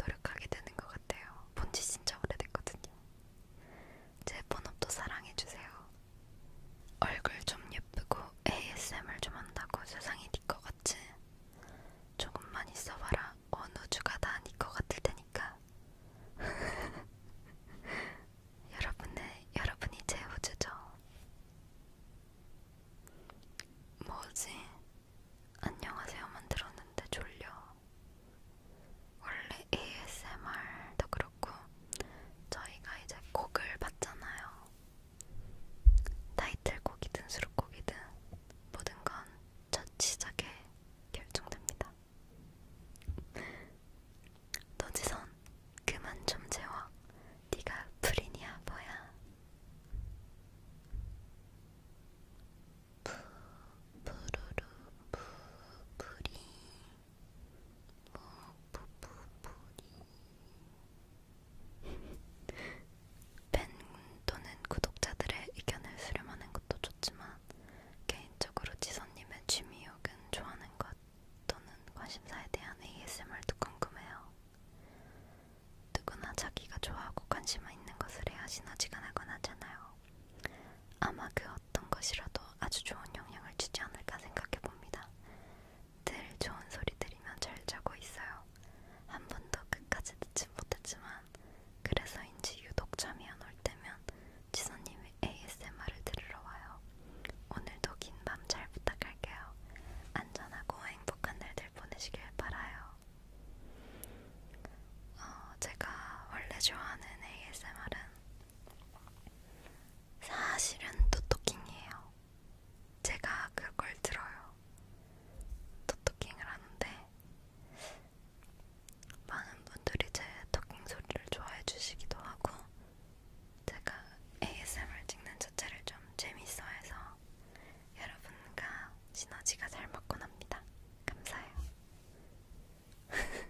노력하게 되는 것 같아요. 본지 진짜 오래됐거든요. 제 본업도 사랑해주세요. 얼굴 좀 예쁘고 ASMR 좀 한다고 세상이 니꺼 같지? 조금만 있어봐라 어느 주가 다 아닐 것 같을 테니까 여러분의 여러분이 제 우주죠. 뭐지? 안녕하세요만 들었는데 졸려. 원래 ASMR도 그렇고 저희가 이제 곡을 받잖아요. 타이틀곡이든 수록곡이든 모든 건첫 시작에 결정됩니다. 노지선 그만 좀 재워. 네가 불이냐 뭐야? 부 부르르 부 부리 뭐 부부 부리 팬 또는 구독자들의 의견을 수렴하는 것도 좋지만 개인적으로 지선님의 취미 혹은 좋아하는 것 또는 관심사에 대한 ASMR도 궁금해요. 누구나 자기가 좋아하고 관심이 있는 것을 해야 시너지가 나곤 하잖아요. 아마 그 어떤 것이라도 아주 좋은 영향을 주지 않을까 생각해 봅니다. 늘 좋은 소리 들으면 잘 자고 있어요. 한 번도 끝까지 듣진 못했지만 그래서인지 유독 잠이 안 올 때면 지선님의 ASMR을 들으러 와요. 오늘도 긴 밤 잘 부탁할게요. 안전하고 행복한 날들 보내시길 바라요. 어, 제가 원래 좋아하는 ASMR은 사실은 토토킹이에요. 제가 그걸 들어요. 토토킹을 하는데 많은 분들이 제 토킹 소리를 좋아해 주시기도 하고 제가 ASMR 찍는 자체를 좀 재밌어해서 여러분과 시너지가 잘 맞곤 합니다. 감사해요.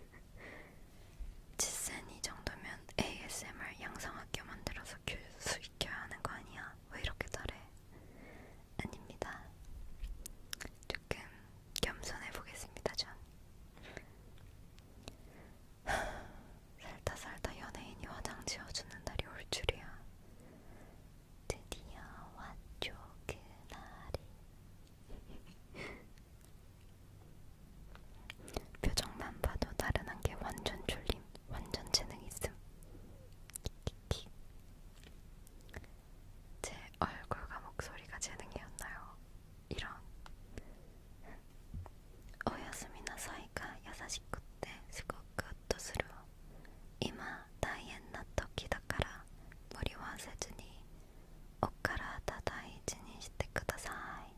지센 이 정도면 ASMR 양성학교 만들어서 교수 익혀야 하는 거 아니야? 왜 이렇게 잘해? 아닙니다. 조금 겸손해 보겠습니다, 전. 살다 살다 연예인이 화장 지어주는 날이 올 줄이야. 드디어 왔죠 그날이. 표정만 봐도 다른 한게 완전 졸림, 완전 재능 있음. 키키키. 제얼굴과목소리가재능이었나 요? 이런오야스미나사이가야사시코때스고크뜻으로이마다이앤나토끼だから무리와세준이옷가라다다이진이시대ください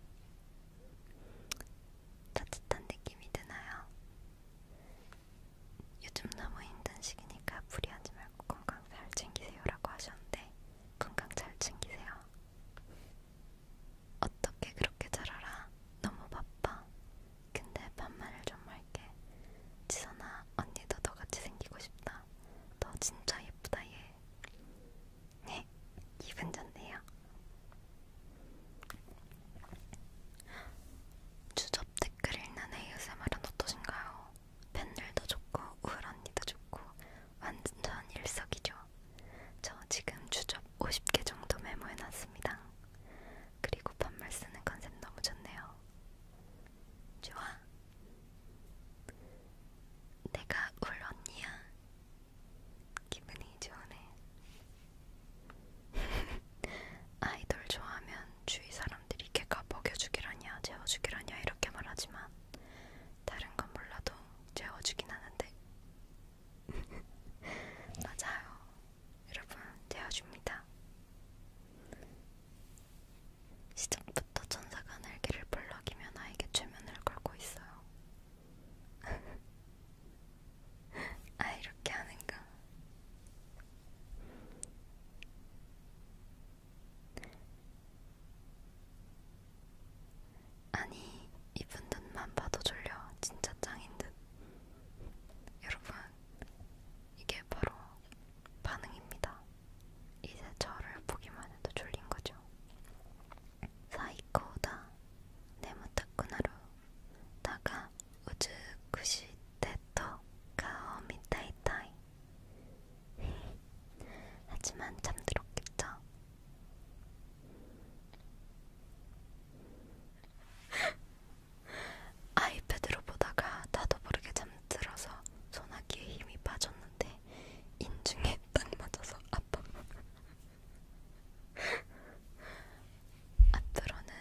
따뜻한느낌이드나 요? 요즘 너무 힘든 시기니까 무리하지 말고 건강 잘 챙기세요라고 하셨는데 건강 잘 챙기세요. 어떻게 그렇게 잘 알아? 너무 바빠. 근데 반말을 좀 할게. 지선아 언니도 너같이 생기고 싶다. 너 진짜 예쁘다 얘. 네, 기분 좋네요. 주접 댓글 읽는 ASMR은 어떠신가요? 팬들도 좋고 우울 언니도 좋고 완전 일석이조. 저 지금 주접 50개 정도 메모해놨습니다. 그리고 반말 쓰는 컨셉 너무 좋네요. 좋아. 내가 울 언니야. 기분이 좋네. 아이돌 좋아하면 주위 사람들이 걔가 먹여주기라냐 재워주기라냐 이렇게 말하지만 다른 건 몰라도 재워주긴 하는데 맞아요 여러분 재워줍니다 시작부터 천사가 날개를 벌럭이며 나에게 최면을 걸고 있어요 아 이렇게 하는가 아니 이쁜 눈만 봐도 졸려 진짜 짱인 듯 여러분 이게 바로 반응입니다 이제 저를 보기만 해도 졸린거죠 사이코다 네모타쿠나루 다가 우즈쿠시 데토 가오 미타이타이 하지만 잠들었겠죠? 아이패드로 보다가 나도 모르게 잠들어서 소나기에 힘이 빠졌는데 인중에 딱 맞아서 아파. 앞으로는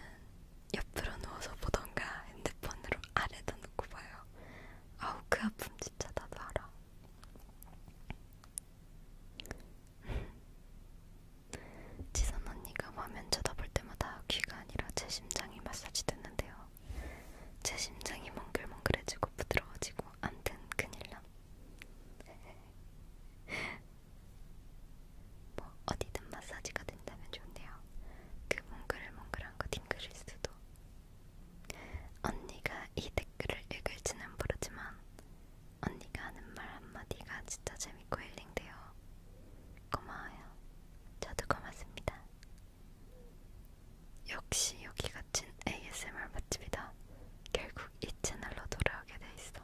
옆으로 누워서 보던가 핸드폰으로 아래다 놓고 봐요. 아우 그 아픔 진짜 나도 알아. 지선 언니가 화면 쳐다볼 때마다 귀가 아니라 제 심장이 마사지 되는데요. 제 심장이 몽글몽글해지고 부드러워지고 안된 큰일남. 뭐 어디든 마사지가 된다면 좋네요. 그 몽글몽글한 거 딩글일 수도. 언니가 이 댓글을 읽을지는 모르지만 언니가 하는 말 한마디가 진짜 재밌고 힐링돼요. 고마워요. 저도 고맙습니다. 역시 여기 같은 ASMR 맛집이다. 결국 이 채널로 돌아오게 돼 있어.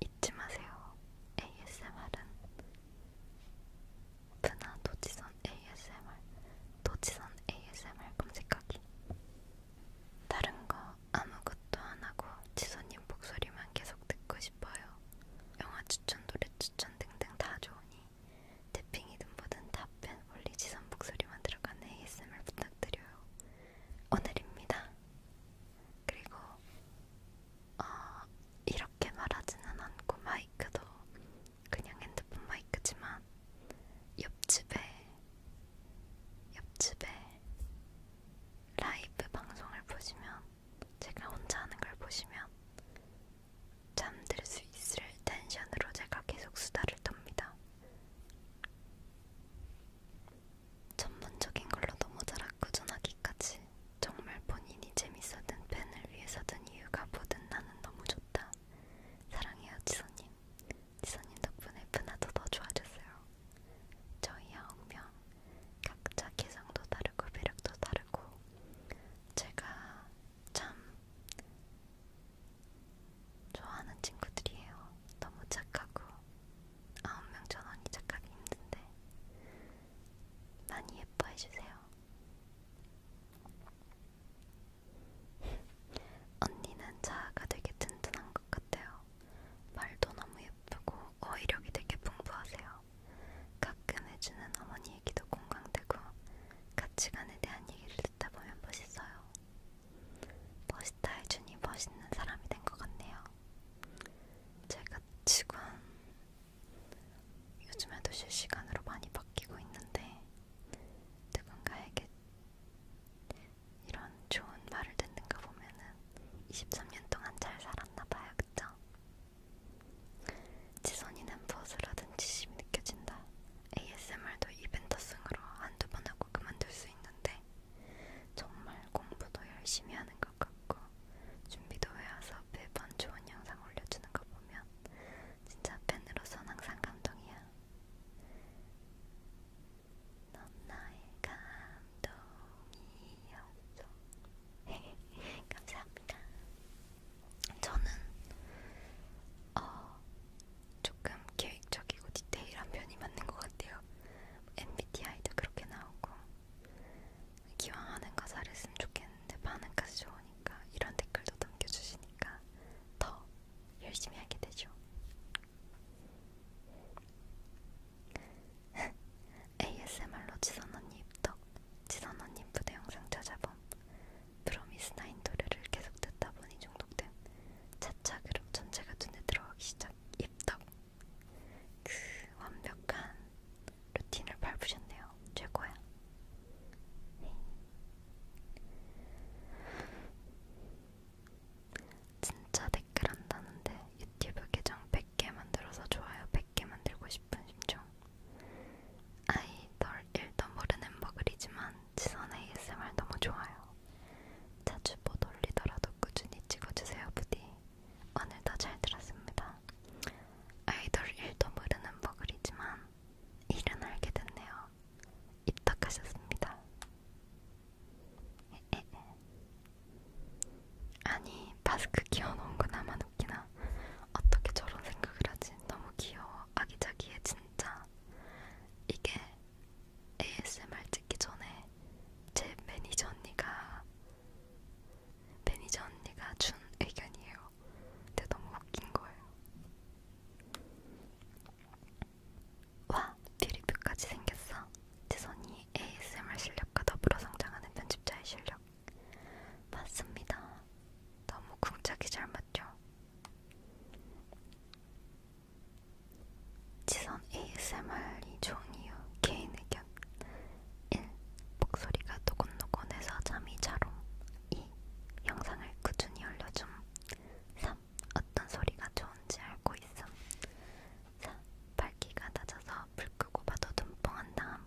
잊지 마세요. ASMR은 그나 도지선 ASMR 도지선 ASMR 검색하기 다른 거 아무것도 안 하고 지선님 목소리만 계속 듣고 싶어요. 영화 추천, 노래 추천 등등 다 좋으니 태핑이든 뭐든 답변 올리 지선 목소리만 들어가는 ASMR 부탁드려요. 오늘입니다. 그리고 어, 이렇게 말하지는 않고 마이크도 그냥 핸드폰 마이크지만 옆집에 옆집에 라이브 방송을 보시면 제가 혼자 하는 걸 보시면 잠들 수 있을 텐션으로 제가 계속 수다를 떱니다. 전문적인 걸로 너무 잘하고 전하기까지 것은 정말 본인이 재밌었던 팬을 위해서든 이유가 뭐든 나는 너무 좋다. 사랑해요 지선님. 지선님 덕분에 팬아도 더 좋아졌어요. 저희 아홉 명 각자 개성도 다르고 매력도 다르고 제가 참 좋아하는 친구들이에요. 너무 착하고 아홉 명 전원이 착하기 힘든데 많이 예뻐해주세요. 언니는 자아가 되게 튼튼한 것 같아요. 말도 너무 예쁘고 어휘력이 되게 풍부하세요. 가끔 해주는 어머니 얘기도 공감되고 가치관에 대한 얘기를 듣다 보면 멋있어요. 멋있다 해주니 멋있는 사람이 된 것 같네요. 제가 지금 요즘에도 실시간으로 많이 바뀌고 있는데 누군가에게 이런 좋은 말을 듣는가 보면은 23년 동안 잘 살았나 봐요, 그쵸? 지선이는 버스라든지 심이 느껴진다. ASMR도 이벤터성으로 한두 번 하고 그만둘 수 있는데 정말 공부도 열심히 하는 것 같고 준비도 외워서 매번 좋은 영상 올려주는 거 보면 진짜 팬으로선 항상 감동이야. 넌 나의 감동이었어. 감사합니다. 저는 어, 조금 계획적이고 디테일한 편이 맞는 것 같아요. MBTI도 그렇게 나오고 기왕 하는 가사를 쓰면 좋겠는데 반응까지 좋으니까 이런 댓글도 남겨주시니까 더 열심히 하게 되죠. ASMR로 지선 언니 입덕, 지선 언니 부대 영상 찾아봄, 프로미스나인 노래를 계속 듣다 보니 중독됨, 차차 그룹 전체가 눈에 들어가기 시작, 입덕. 그 완벽한 루틴을 밟으셨네요. 최고야. 네. 진짜 댓글 한다는데 유튜브 계정 100개 만들어서 좋아요 100개 만들고 싶은 심정 아이 널 일도 모르는 버글이지만 지선 ASMR 너무 좋아요 자주 못 올리더라도 꾸준히 찍어주세요 부디 오늘도 잘 들었습니다 아이돌 일도 모르는 버글이지만 일은 알게 됐네요. 입덕하셨습니다. 에에에. 아니 마스크 끼워놓은 거 나만 웃기나? 어떻게 저런 생각을 하지? 너무 귀여워. 아기자기해 진짜. 이게 ASMR 찍기 전에 제 매니저 언니가 매니저 언니가 준 의견이에요. 근데 너무 웃긴 거예요. 와, 뷰리뷰까지 생겼어. 지선이 ASMR 실력과 더불어 성장하는 편집자의 실력. 맞습니다. 너무 궁짝이 잘 맞죠? 지선 ASMR이 좋은 이유, 개인 의견, 발견 1. 목소리가 노곤노곤해서 잠이 잘옴 2. 영상을 꾸준히 올려줌 3. 어떤 소리가 좋은지 알고 있음 4. 밝기가 낮아서 불 끄고 봐도 눈뽕한 다음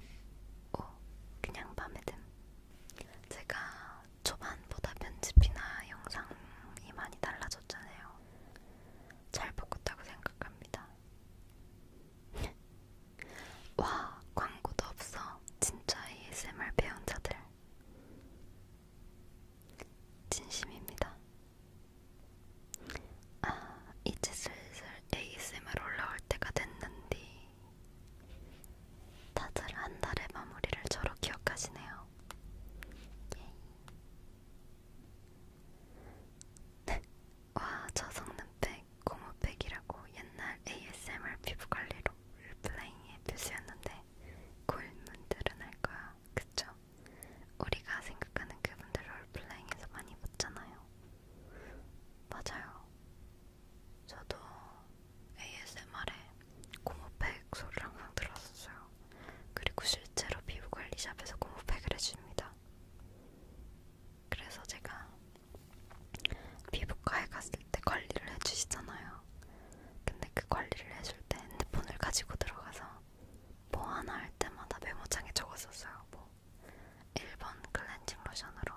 5. 그냥 밤에 듦 제가 초반보다 편집이나 영상이 많이 달라졌잖아요. 잘 바꿨다고 생각합니다. 와, 광고도 없어. 진짜 ASMR 배운자들. 진심입니다. 아, 이제 슬슬 ASMR 올라올 때가 됐는데 다들 한 달의 마무리를 저로 기억하시네요. 예이. 와, 아, 저 성능팩, 고무팩이라고 옛날 ASMR 피부관리로 롤플레잉의 뷰스였는데 골문들은 알거야, 그쵸? 우리가 생각하는 그분들 롤플레잉에서 많이 봤잖아요. 맞아요. 저도 ASMR에 고무팩 소리를 항상 들었었어요. 그리고 실제로 피부관리샵에서 고무팩을 해줍니다. 그래서 제가 피부과에 갔을 때 관리를 해주시잖아요. 근데 그 관리를 해줄 때 핸드폰을 가지고 들어가서 뭐 하나 할 때마다 메모장에 적었었어요. 뭐 1번 클렌징 로션으로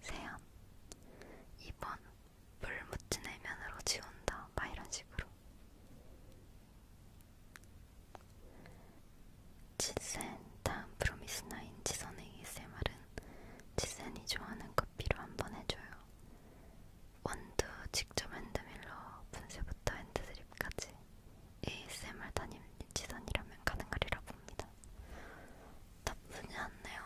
세안, 2번 물 묻힌 해면으로 지운다. 막 이런 식으로. 치센 다음 프로미스나인 지선의 ASMR은 치센이 좋아하는 커피로 한번 해줘요. 원두 직접 핸드밀러 분쇄부터 핸드드립까지 ASMR 담임 지선이라면 가능하리라 봅니다. 나쁘지 않네요.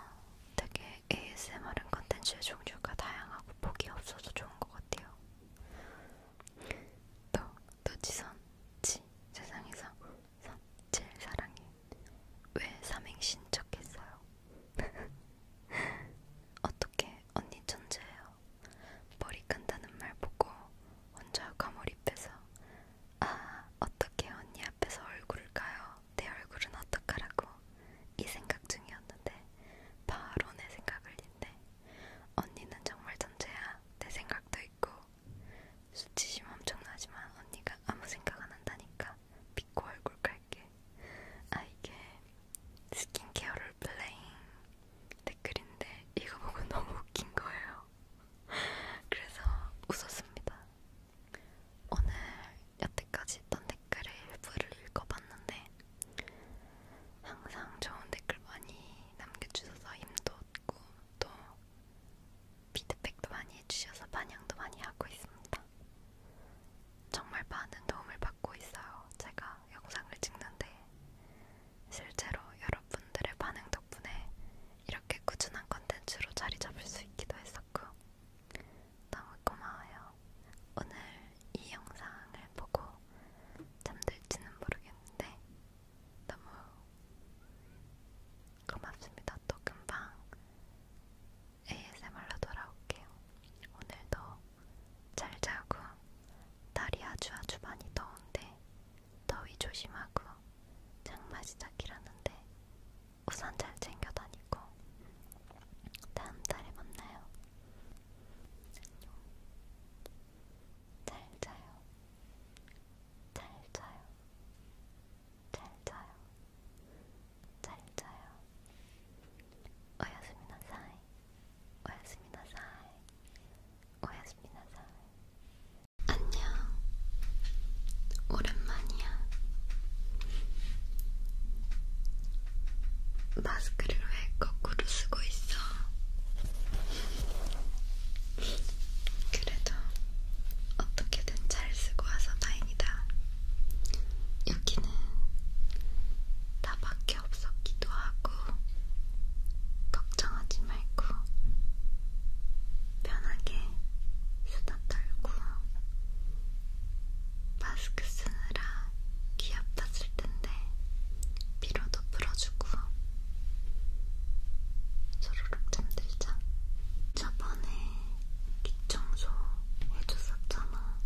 되게 ASMR은 컨텐츠의 종류가 다양하고 폭이 없어서 좋은 것 같아요. 너, 너 지선, 지 세상에서 3, 7 사랑해. 왜 삼행신 척했어요? 어떻게 언니 천재예요? 머리 끈다는 말 보고 혼자 과몰입해서 아 어떻게 언니 앞에서 얼굴을 까요? 내 얼굴은 어떡하라고 이 생각 중이었는데 바로 내 생각을 인데 언니는 정말 천재야. 내 생각도 있고 수치심 엄청나지만 언니가 아무 생각 안 한다니까 믿고 얼굴 갈게. 아 이게 스킨케어를 블레잉 댓글인데 이거 보고 너무 웃긴 거예요. 그래서 웃었습니다. 오늘 여태까지 했던 댓글의 일부를 읽어봤는데 항상 좋은 댓글 많이 남겨주셔서 힘도 얻고 또 피드백도 많이 해주셔서 반영도 많이 하고 있습니다. 정말 많은 도움을 받고 있어요. 제가 영상을 찍는데 실제로 여러분들의 반응 덕분에 이렇게 꾸준한 컨텐츠로 자리 잡을 수 있기도 했었고 너무 고마워요. 오늘 이 영상을 보고 잠들지는 모르겠는데 너무 고맙습니다. 또 금방 ASMR로 돌아올게요. 오늘도 잘 자고 날이 아주 아주 많이 더운데 더위 조심하고 장마 시작이라는데 우산 잘 챙겨 다니고 다음 달에 만나요. 안녕. 잘 자요. 잘 자요. 잘 자요. 잘 자요. 오야스미 나사이. 오야스미 나사이. 오야스미 나사이. 안녕. 오랜만이야. 마스크를 왜 거꾸로 쓰고 있어? 그래도 어떻게든 잘 쓰고 와서 다행이다. 여기는 나밖에 없었기도 하고, 걱정하지 말고, 편하게 수다 떨고, 마스크 쓰느라 귀 아팠을 텐데, 피로도 풀어주고, 소로록 잠들자. 저번에 귀청소 해줬었잖아.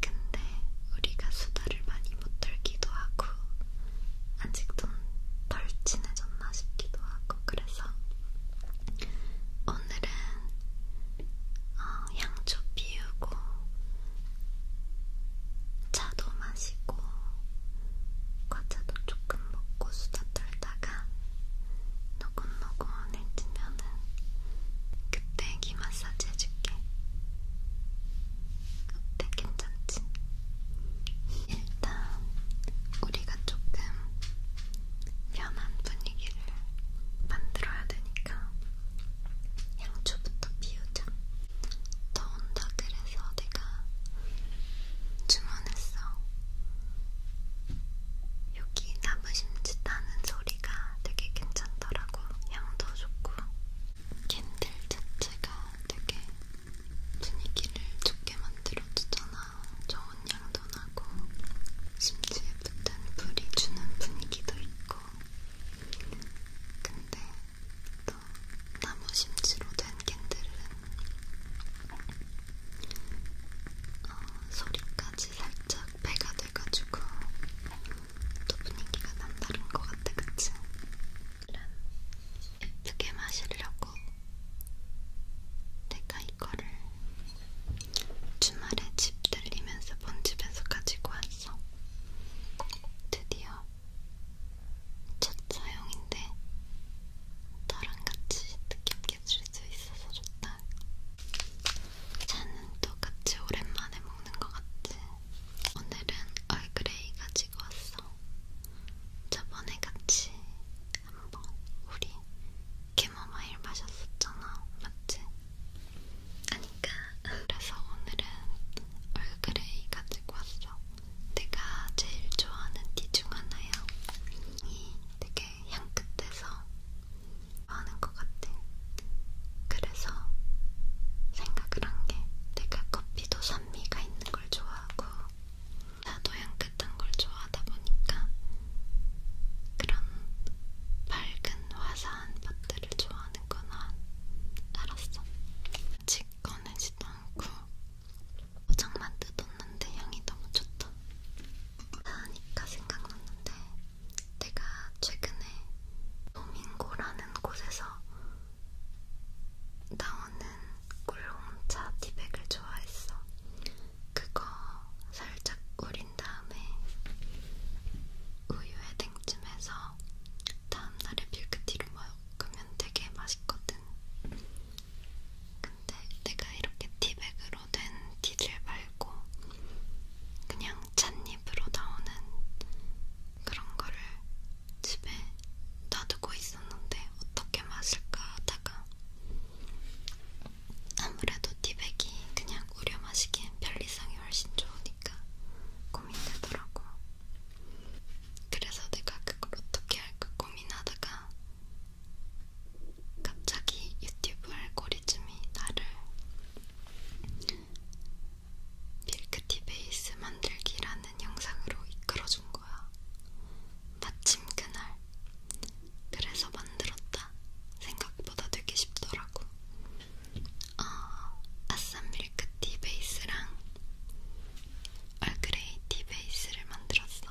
근데 우리가 수다를 많이 못 떨기도 하고 아직도 덜 친해졌나 싶기도 하고 그래서 오늘은 어, 향초 피우고 차도 마시고 과자도 조금 먹고 수다 떨다 하다가 노곤노곤해지면은 그때 귀 마사지 해줄게. 어때? 괜찮지? 일단 우리가 조금 편한 분위기를 만들어야 되니까 양초부터 비우자. 더운다 그래서 그래서 내가 주문했어. 여기 나무심지 따는 소리가 되게 괜찮더라고. 향도 좋고. 캔들 자체가 되게 분위기를 좋게 만들어주잖아. 좋은 향도 나고, 심지에 붙은 불이 주는 분위기도 있고. 근데 또 나무심지로 된 캔들은 어, 소리까지 살짝 배가 돼가지고 또 분위기가 남다른 것 같아, 그치? 이런 예쁘게 마시려고 내가 이거를 주말에 집 들리면서 본 집에서 가지고 왔어. 드디어 첫 사용인데 저랑 같이 뜻깊게 즐수 있어서 좋다. 차는 또 같이 오랜만에 먹는 것 같지? 오늘은 얼그레이 가지고 왔어. 저번에 같이 한번 우리 캐머마일 마셨었잖아, 맞지? 아니까 그래서 오늘은 얼그레이 가지고 왔어. 내가 제일 좋아하는 티 중 하나야. 이 되게 향긋해서 좋아하는 것 같아. 그래서 생각을 한 게 내가 커피도 산미가 있는 걸 좋아하고 나도 향긋한 걸 좋아하다 보니까 그런 밝은 화사한 밭들을 좋아하는구나 알았어. 아직 꺼내지도 않고 포장만 뜯었는데 향이 너무 좋다. 하니까 생각났는데 내가 최근에 도밍고라는 곳에서 나오는 꿀홍차 티백을 좋아했어. 그거 살짝 우린 다음에 우유에 냉찜해서 다음날에 밀크티로 먹으면 되게 맛있거든. 근데 내가 이렇게 티백으로 된 티를 말고 그냥 찻잎으로 나오는 그런 거를 집에 놔두고 있었는데 어떻게 마실까 하다가 아무래도 티백이 그냥 우려 마시기엔 편리성이 훨씬 좋으니까 고민되더라고. 그래서 내가 그걸 어떻게 할까 고민하다가 갑자기 유튜브 알고리즘이 나를 밀크티 베이스 만들기라는 영상으로 이끌어준 거야. 마침 그날. 그래서 만들었다. 생각보다 되게 쉽더라고. 어, 아싼 밀크티 베이스랑 얼그레이티 베이스를 만들었어.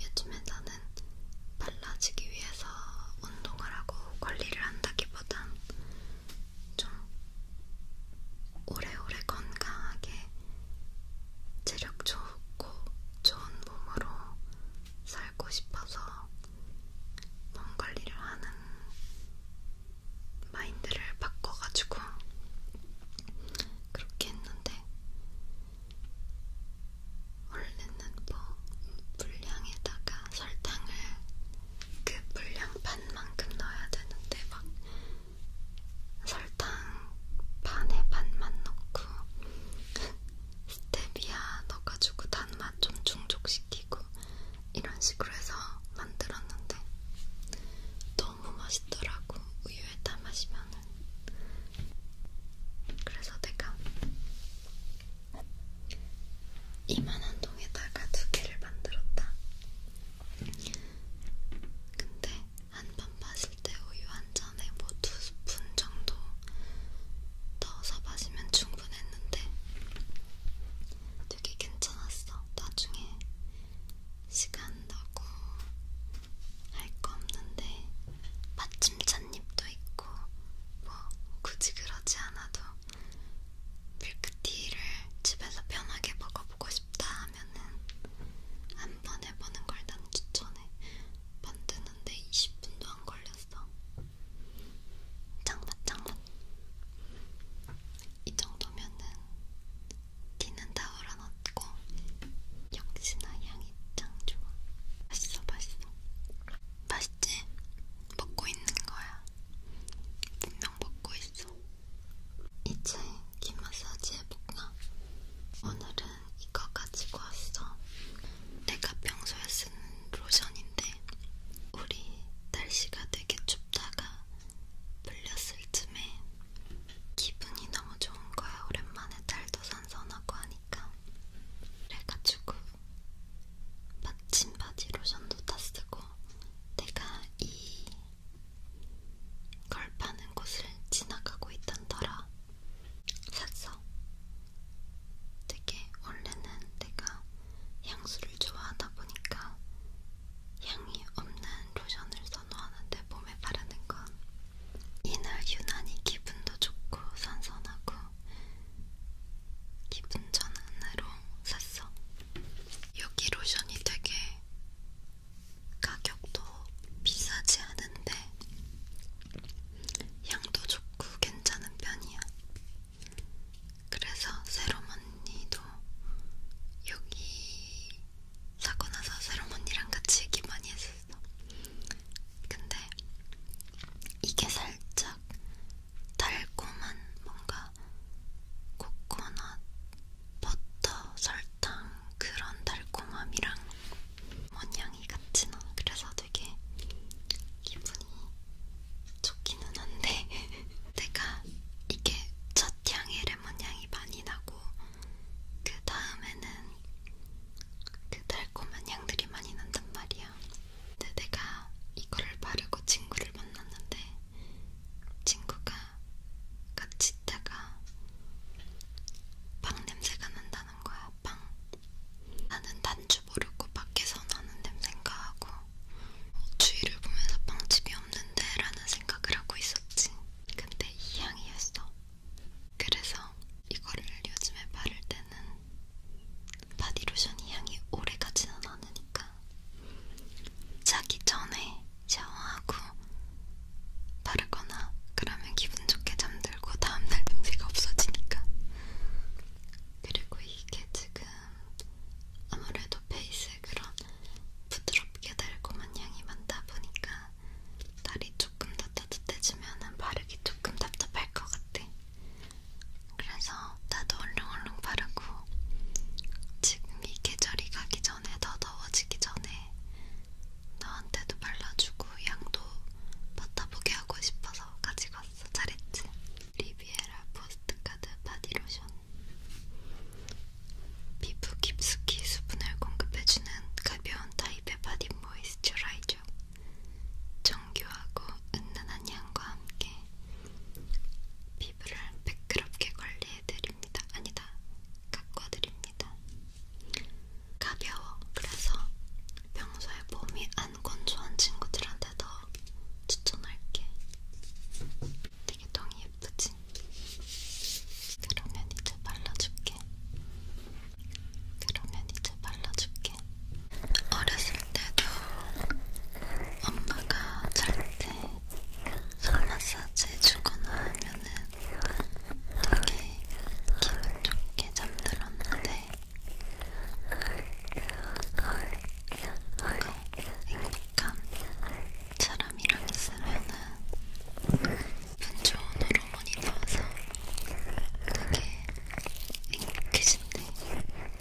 요즘에 나는 빨라지기 위해서 운동을 하고 관리를 한다기보단 좀 오래오래 건강하게 체력 좋고 좋은 몸으로 살고 싶어서 몸 관리를 하는 마인드를 바꿔가지고 그렇게 했는데 원래는 뭐 분량에다가 설탕을 그 분량 반만큼 넣어야 되는데 막 설탕 반에 반만 넣고 스테비아 넣어가지고 단맛 좀 중족시키고 이런 식으로 해서 만들었는데 또 너무 맛있더라고 우유에 다 마시면은 그래서 내가 이만한 통에다가 두 개를 만들었다. 근데 한 번 마실 때 우유 한 잔에 뭐두 스푼 정도 넣어서 마시면 충분했는데 되게 괜찮았어. 나중에 시간 나고 할 거 없는데 받침 찻잎도 있고 뭐 굳이 그러지 않아도 밀크티를 집에서 편하게 먹어보고 싶다 하면은 한번 해보는 걸 난 추천해. 만드는데 20분도 안 걸렸어. 장맛 장맛. 이 정도면은 기는 다 얼어놨고 역시나 향이 짱 좋아. 맛있어, 맛있어. 맛있지? 먹고 있는 거야. 분명 먹고 있어. 이제 귀 마사지 해볼까? 오늘은 이거 가지고 왔어. 내가 평소에 쓰는 로션인데 우리 날씨가 되게 춥다가 풀렸을 쯤에 기분이 너무 좋은 거야. 오랜만에 달도 선선하고 하니까. 그래가지고 마침 바디 로션도 다 쓰고 내가 이 걸 파는 곳을 지나가고 있던더라 샀어. 되게 원래는 내가 향수를 좋아하다 보니까 향이 없는 로션을 선호하는데 몸에 바르는 건 이날 유난히 기분도 좋고 선선하고 기분 전환으로 샀어. 여기 로션이 되게 가격도 비싸지 않은데 향도 좋고 괜찮은 편이야. 그래서 새롬 언니도 여기 사고 나서 새롬 언니랑 같이 얘기 많이 했었어. 근데 이게 살짝 달콤한 뭔가 코코넛, 버터, 설탕 그런 달콤함이랑 원향이 같진 않아. 그래서 되게 기분이 좋기는 한데 내가 이게 첫 향에 레몬 향이 많이 나고 그 다음에는 그 달콤한 향들이 많이 난단 말이야. 근데 내가 이거를 바르고 친구를 만났는데 친구가 같이 있다가 빵 냄새가 난다는 거야. 빵. 나는 단지 모르고 밖에서 나는 냄새인가 하고 주위를 보면서 빵집이 없는데 라는 생각을 하고 있었지. 근데 이 향이었어. 그래서 이거를 요즘에 바를 때는 바디로션이 향이 오래 가지는 않으니까 자기 전에 샤워하고 바르거나 그러면 기분 좋게 잠들고 다음날 냄새가 없어지니까 그리고 이게 지금 아무래도 베이스 그런 부드럽게 달콤한 향이 많다 보니까 날이 조금 더 따뜻해지면 바르기 조금 답답할 것 같아. 그래서 나도 얼렁얼렁 바르고 지금 이 계절이 가기 전에 더 더워지기 전에 너한테도 발라주고 양도 맡아보게 하고 싶어서 가지고 왔어. 잘했지? 리비에라 포스트카드 바디로션 피부 깊숙이 수분을 공급해주는 가벼운 타입의 바디 모이스처라이저. 정교하고 은은한 향과 함께 피부를 매끄럽게 관리해드립니다. 아니다, 가꿔드립니다. 가벼워. 그래서 평소에 몸이 안 건조한 친구들한테 더 추천할게. 되게 똥이 예쁘지? 그러면 이제 발라줄게. 그러면 이제 발라줄게. 어렸을 때도 엄마가 잘 때 손마사지 해주거나 하면은 되게 기분 좋게 잠들었는데 뭔가 행복한 사람이랑 있으면은 반전으로 많이 나와서 되게 행복해진데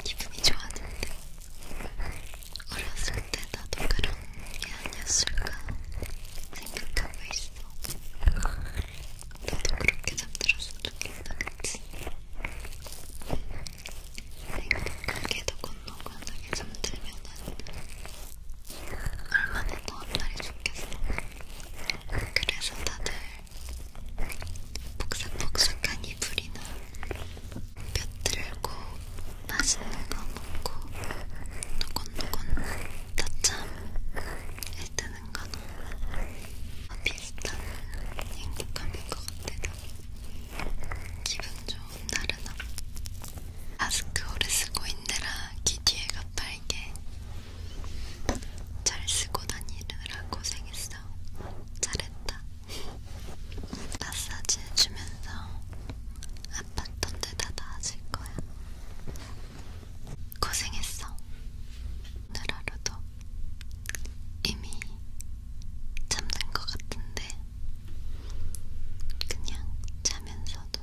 기분이 좋았는데 어렸을 때 나도 그런 게 아니었을까 생각하고 있어. 나도 그렇게 잠들었으면 좋겠다, 그치? 내가 크게 더 건너고 하게 잠들면은 얼마나 더 날이 좋겠어. 그래서 다들 복삭복삭한 이불이나 볕 들고 맛있는 거 먹고 노곤노곤 낮잠에 드는 건 비슷한 행복함인 것 같아서 기분 좋은 날은 마스크 오래 쓰고 있느라 귀 뒤에가 빨 알게 잘 쓰고 다니느라 고생했어. 잘했다. 마사지 해주면서 아팠던 데다 나아질 거야. 고생했어. 오늘 하루도 이미 잠든 것 같은데 그냥 자면서도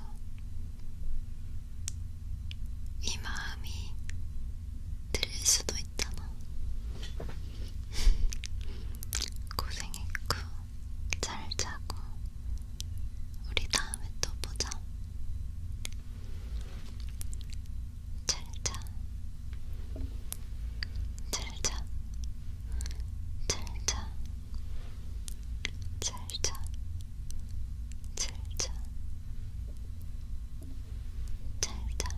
이 마음이 들릴 수도 있잖아. 고생했고, 잘 자고, 우리 다음에 또 보자. 잘 자. 잘 자. 잘 자. 잘자, 잘자, 잘자,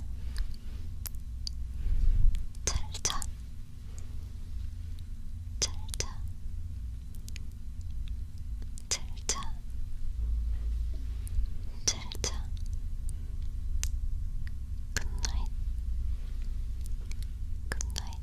잘자, 잘자, 잘자, 잘자, 굿나잇, 굿나잇.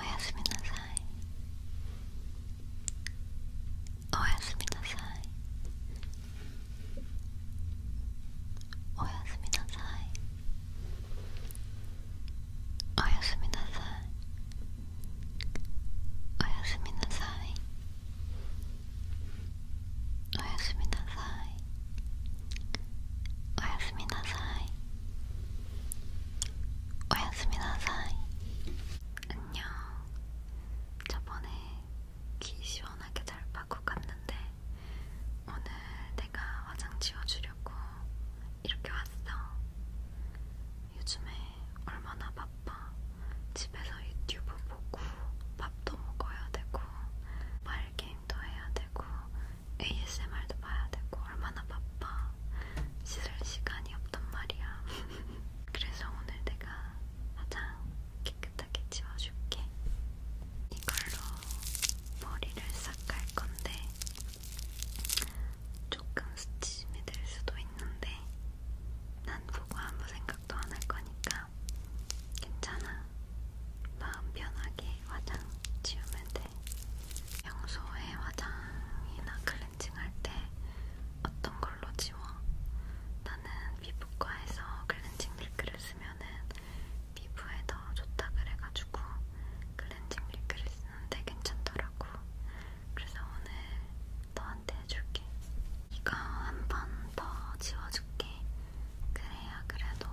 おやすみなさいおやすみなさいおやすみなさいおやすみなさいおやすみなさいおやすみなさいおやすみなさい 오야스미 나사이. 안녕. 저번에 귀 시원하게 잘 파고 갔는데 오늘 내가 화장 지워주려고 이렇게 왔어. 요즘에 얼마나 바빠. 집에서 유튜브 보고 밥도 먹어야 되고 말 게임도 해야 되고 ASMR도 봐야 되고 얼마나 바빠 씻을 시간이 없단 말이야. 그래서 오늘 내가 가장 깨끗하게 지워줄게. 이걸로 머리를 싹갈 건데 조금 스치심이 될 수도 있는데 난 보고 아무 생각도 안 할 거니까 괜찮아. 마음 편하게 화장 지우면 돼. 평소에 화장이나 클렌징할 때 어떤 걸로 지워? 나는 피부과에서 클렌징 밀크를 쓰면은 피부에 더 좋다 그래가지고 클렌징 밀크를 쓰는데 괜찮더라고. 그래서 오늘 너한테 해줄게. 이거 한 번 더 지워줄게. 그래야 그래도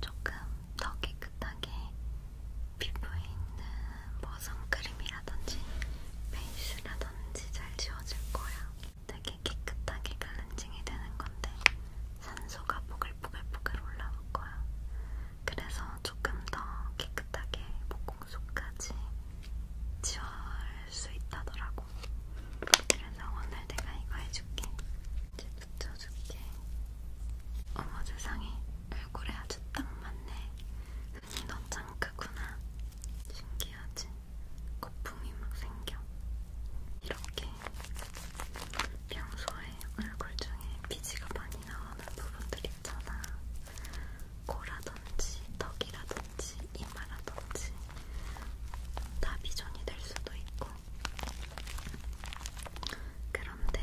조금 더 깨끗하게 피부에 있는 뭐 선크림이라든지 베이스라든지 잘 지워질 거야. 되게 깨끗하게 클렌징이 되는 건데 산소가 보글보글보글 올라올 거야. 그래서 조금 더 깨끗하게 목공속까지 지울 수 있다더라고. 그래서 오늘 내가 이거 해줄게. 이제 붙여줄게. 어머 세상에 얼굴에 아주 딱 맞네. 눈이 넌 창크구나. 신기하지? 거품이 막 생겨. 이렇게 평소에 얼굴 중에 피지가 많이 나오는 부분들 있잖아. 코라든지 턱이라든지 이마라든지 다 미존이 될 수도 있고 그런데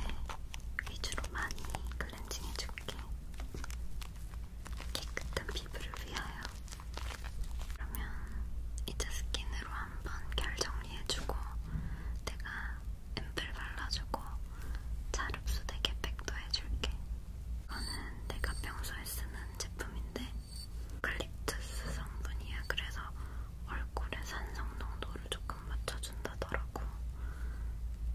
위주로 많이 클렌징 해줄게. 깨끗한 피부를 위하여. 그러면 이제 스킨으로 한번 결 정리해주고, 내가 앰플 발라주고, 잘 흡수되게 팩도 해줄게. 이거는 내가 평소에 쓰는 제품인데, 글립투스 성분이야. 그래서 얼굴에 산성 농도를 조금 맞춰준다더라고.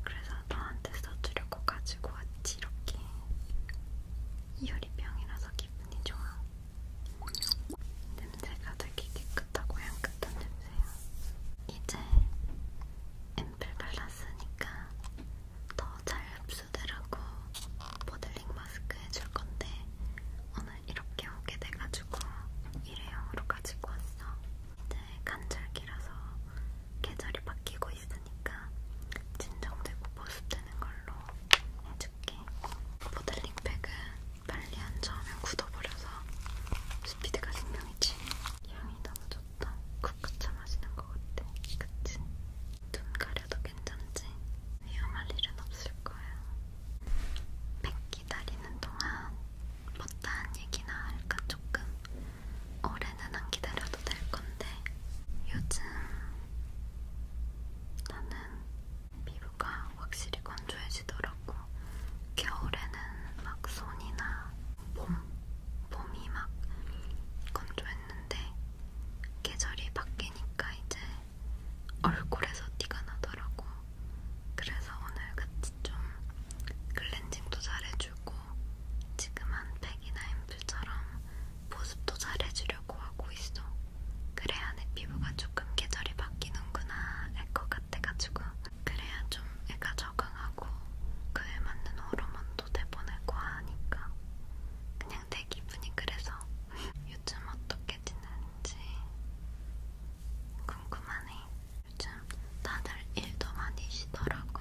그래서 너한테 써주려고 가지고 왔지 이렇게. 이효리병이라서 기분이 좋아. 냄새가 되게 깨끗하고 향긋한 냄새야. 이제 앰플 발랐으니까 더 잘 흡수되라고 모델링 마스크 해줄 건데 오늘 이렇게 오게 돼가지고 일회용으로 가지고 왔어. 이제 네, 간절기라서 계절이 바뀌고 있으니까 진정되고 보습되는 걸로 해줄게. 모델링팩은 빨리 안 저으면 굳어버려서 스피드가 생명이지. 향이 너무 좋다. 국구차 마시는 것 같아. 그치? 눈 가려도 괜찮지? 위험할 일은 없을 거야. 백 기다리는 동안 못한 얘기나 할까 조금 올해는 안 기다려도 될 건데 요즘 나는 피부가 확실히 건조해지더라고. 겨울에는 막 손이나 몸, 몸이 막 건조했는데 계절이 바뀌니까 이제 얼굴에서 티가 나더라고. 그래서 오늘 같이 좀 클렌징도 잘해주고 지금 한 팩이나 앰플처럼 보습도 잘해주려고 하고 있어. 그래야 내 피부가 조금 계절이 바뀌는구나 할 것 같아가지고 그래야 좀 애가 적응하고 그에 맞는 호르몬도 내보내고 하니까 그냥 내 기분이 그래서 요즘 어떻게 지내는지 궁금하네. 요즘 다들 일도 많이 쉬더라고.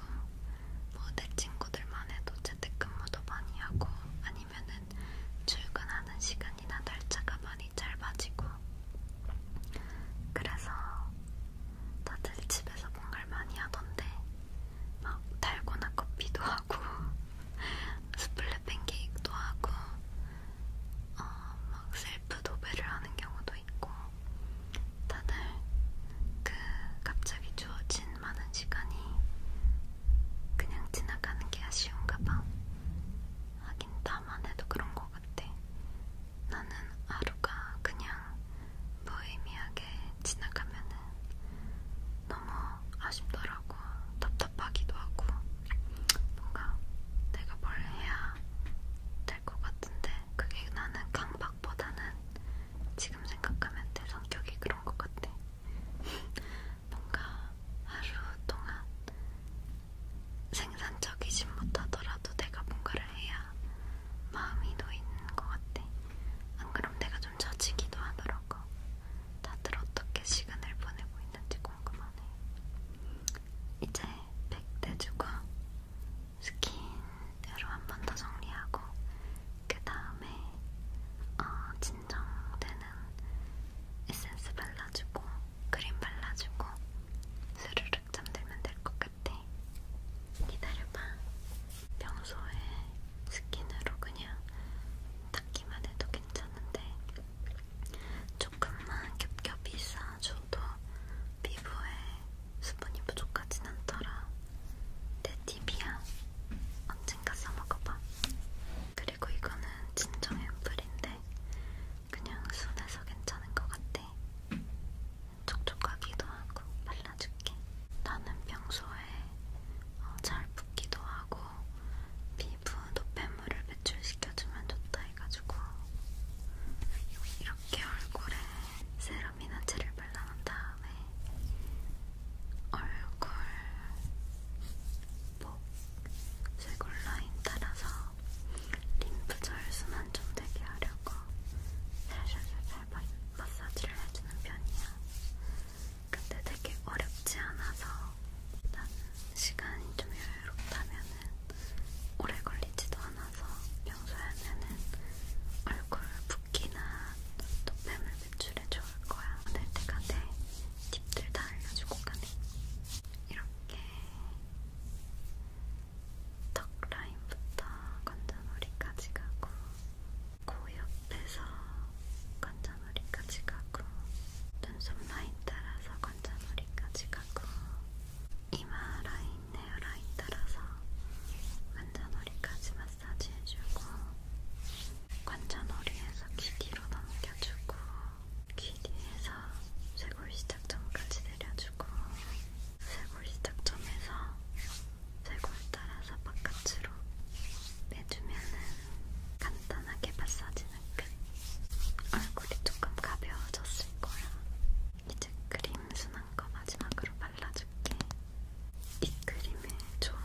뭐 내 친구들만 해도 재택근무도 많이 하고 아니면은 출근하는 시간이나 날짜가 많이 짧아지고 그래서 다들 집에서 뭔가를 많이 하던데 막 달고나 커피도 하고 스플릿 팬케이크도 하고 어, 막 셀프 도배를 하는 경우도 있고 다들 그 갑자기 주어진 많은 시간이 그냥 지나가는 게 아쉬운가 봐. 하긴 나만 해도 그런 것 같아. 나는 하루가 그냥 무의미하게 지나가면은 너무 아쉽더라고. 답답하기도 하고. 뭔가 내가 뭘 해야 될것 같은데 그게 나는 강박보다는 지금 생각하면 내 성격이 그런 것 같아. 뭔가 하루 동안 생산적이진 못하더라도 내가 뭔가를 해야 마음이 놓이는 것 같아. 안 그럼 내가 좀 젖히기도 하더라고. 다들 어떻게 시간을 보내고 있는지 궁금하네. 이제 백대주고 스킨으로 한 번 더 정리하고 그 다음에 어, 진정되는 에센스 발라주고 크림 발라주고 스르륵 잠들면 될 것 같아. 기다려봐. 평소에 스킨으로 그냥 닦기만 해도 괜찮은데. 조금만 겹겹이 쌓아줘도 피부에 수분이 부족하진 않더라. 내 팁이야. 언젠가 써먹어봐. 그리고 이거는 진정 앰플인데 그냥 순해서 괜찮은 것 같아. 촉촉하기도 하고 발라줄게. 나는 평소에 어, 잘 붓기도 하고 피부 노폐물을 배출시켜주면 좋다 해가지고 이렇게 얼굴에 세럼이나 젤을 발라놓은 다음에 얼굴, 목, 쇄골 라인 따라서 림프절 순환 좀 되게 하려고 살살살살 마사지를 해주는 편이야. 근데 되게 어렵지 않아서 난 시간이 좀 여유롭다면 오래 걸리지도 않아서 평소에는 얼굴 붓기나 노폐물 배출에 좋을 거야. 오늘 내가 내 팁들 다 알려주고 가네. 이렇게 턱 라인부터 건전머리까지 가고 코 옆에서 건전머리까지 가고 눈썹 라인 따라서 건전머리까지 가고 이마 라인 있네요. 라이터라서 관자놀이까지 마사지 해주고 관자놀이에서 귀 뒤로 넘겨주고 귀 뒤에서 쇄골 시작점까지 내려주고 쇄골 시작점에서 쇄골 따라서 바깥으로 내주면은 간단하게 마사지는 끝. 얼굴이 조금 가벼워졌을 거야. 이제 크림 순한 거 마지막으로 발라줄게. 이 크림의 좋은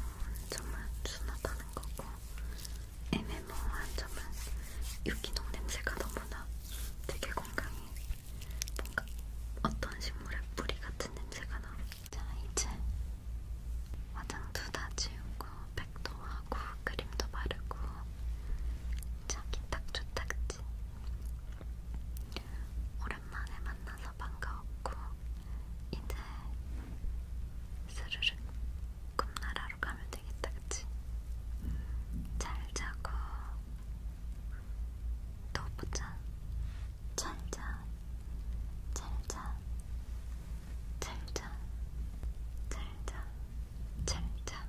점은 순하다는 거고 애매모호한 점은 유기농 냄새가 너무나 되게 건강해. 뭔가 어떤 식물의 뿌리 같은 냄새가 나. 자 이제 화장도 다 지우고 백도 하고 크림도 바르고 자기 딱 좋다 그치? 있지. 오랜만에 만나서 반가웠고 이제 스르륵 꿈나라로 가면 되겠다, 그치? 잘 자고 또 보자. 잘 자, 잘 자, 잘 자, 잘 자, 잘 자.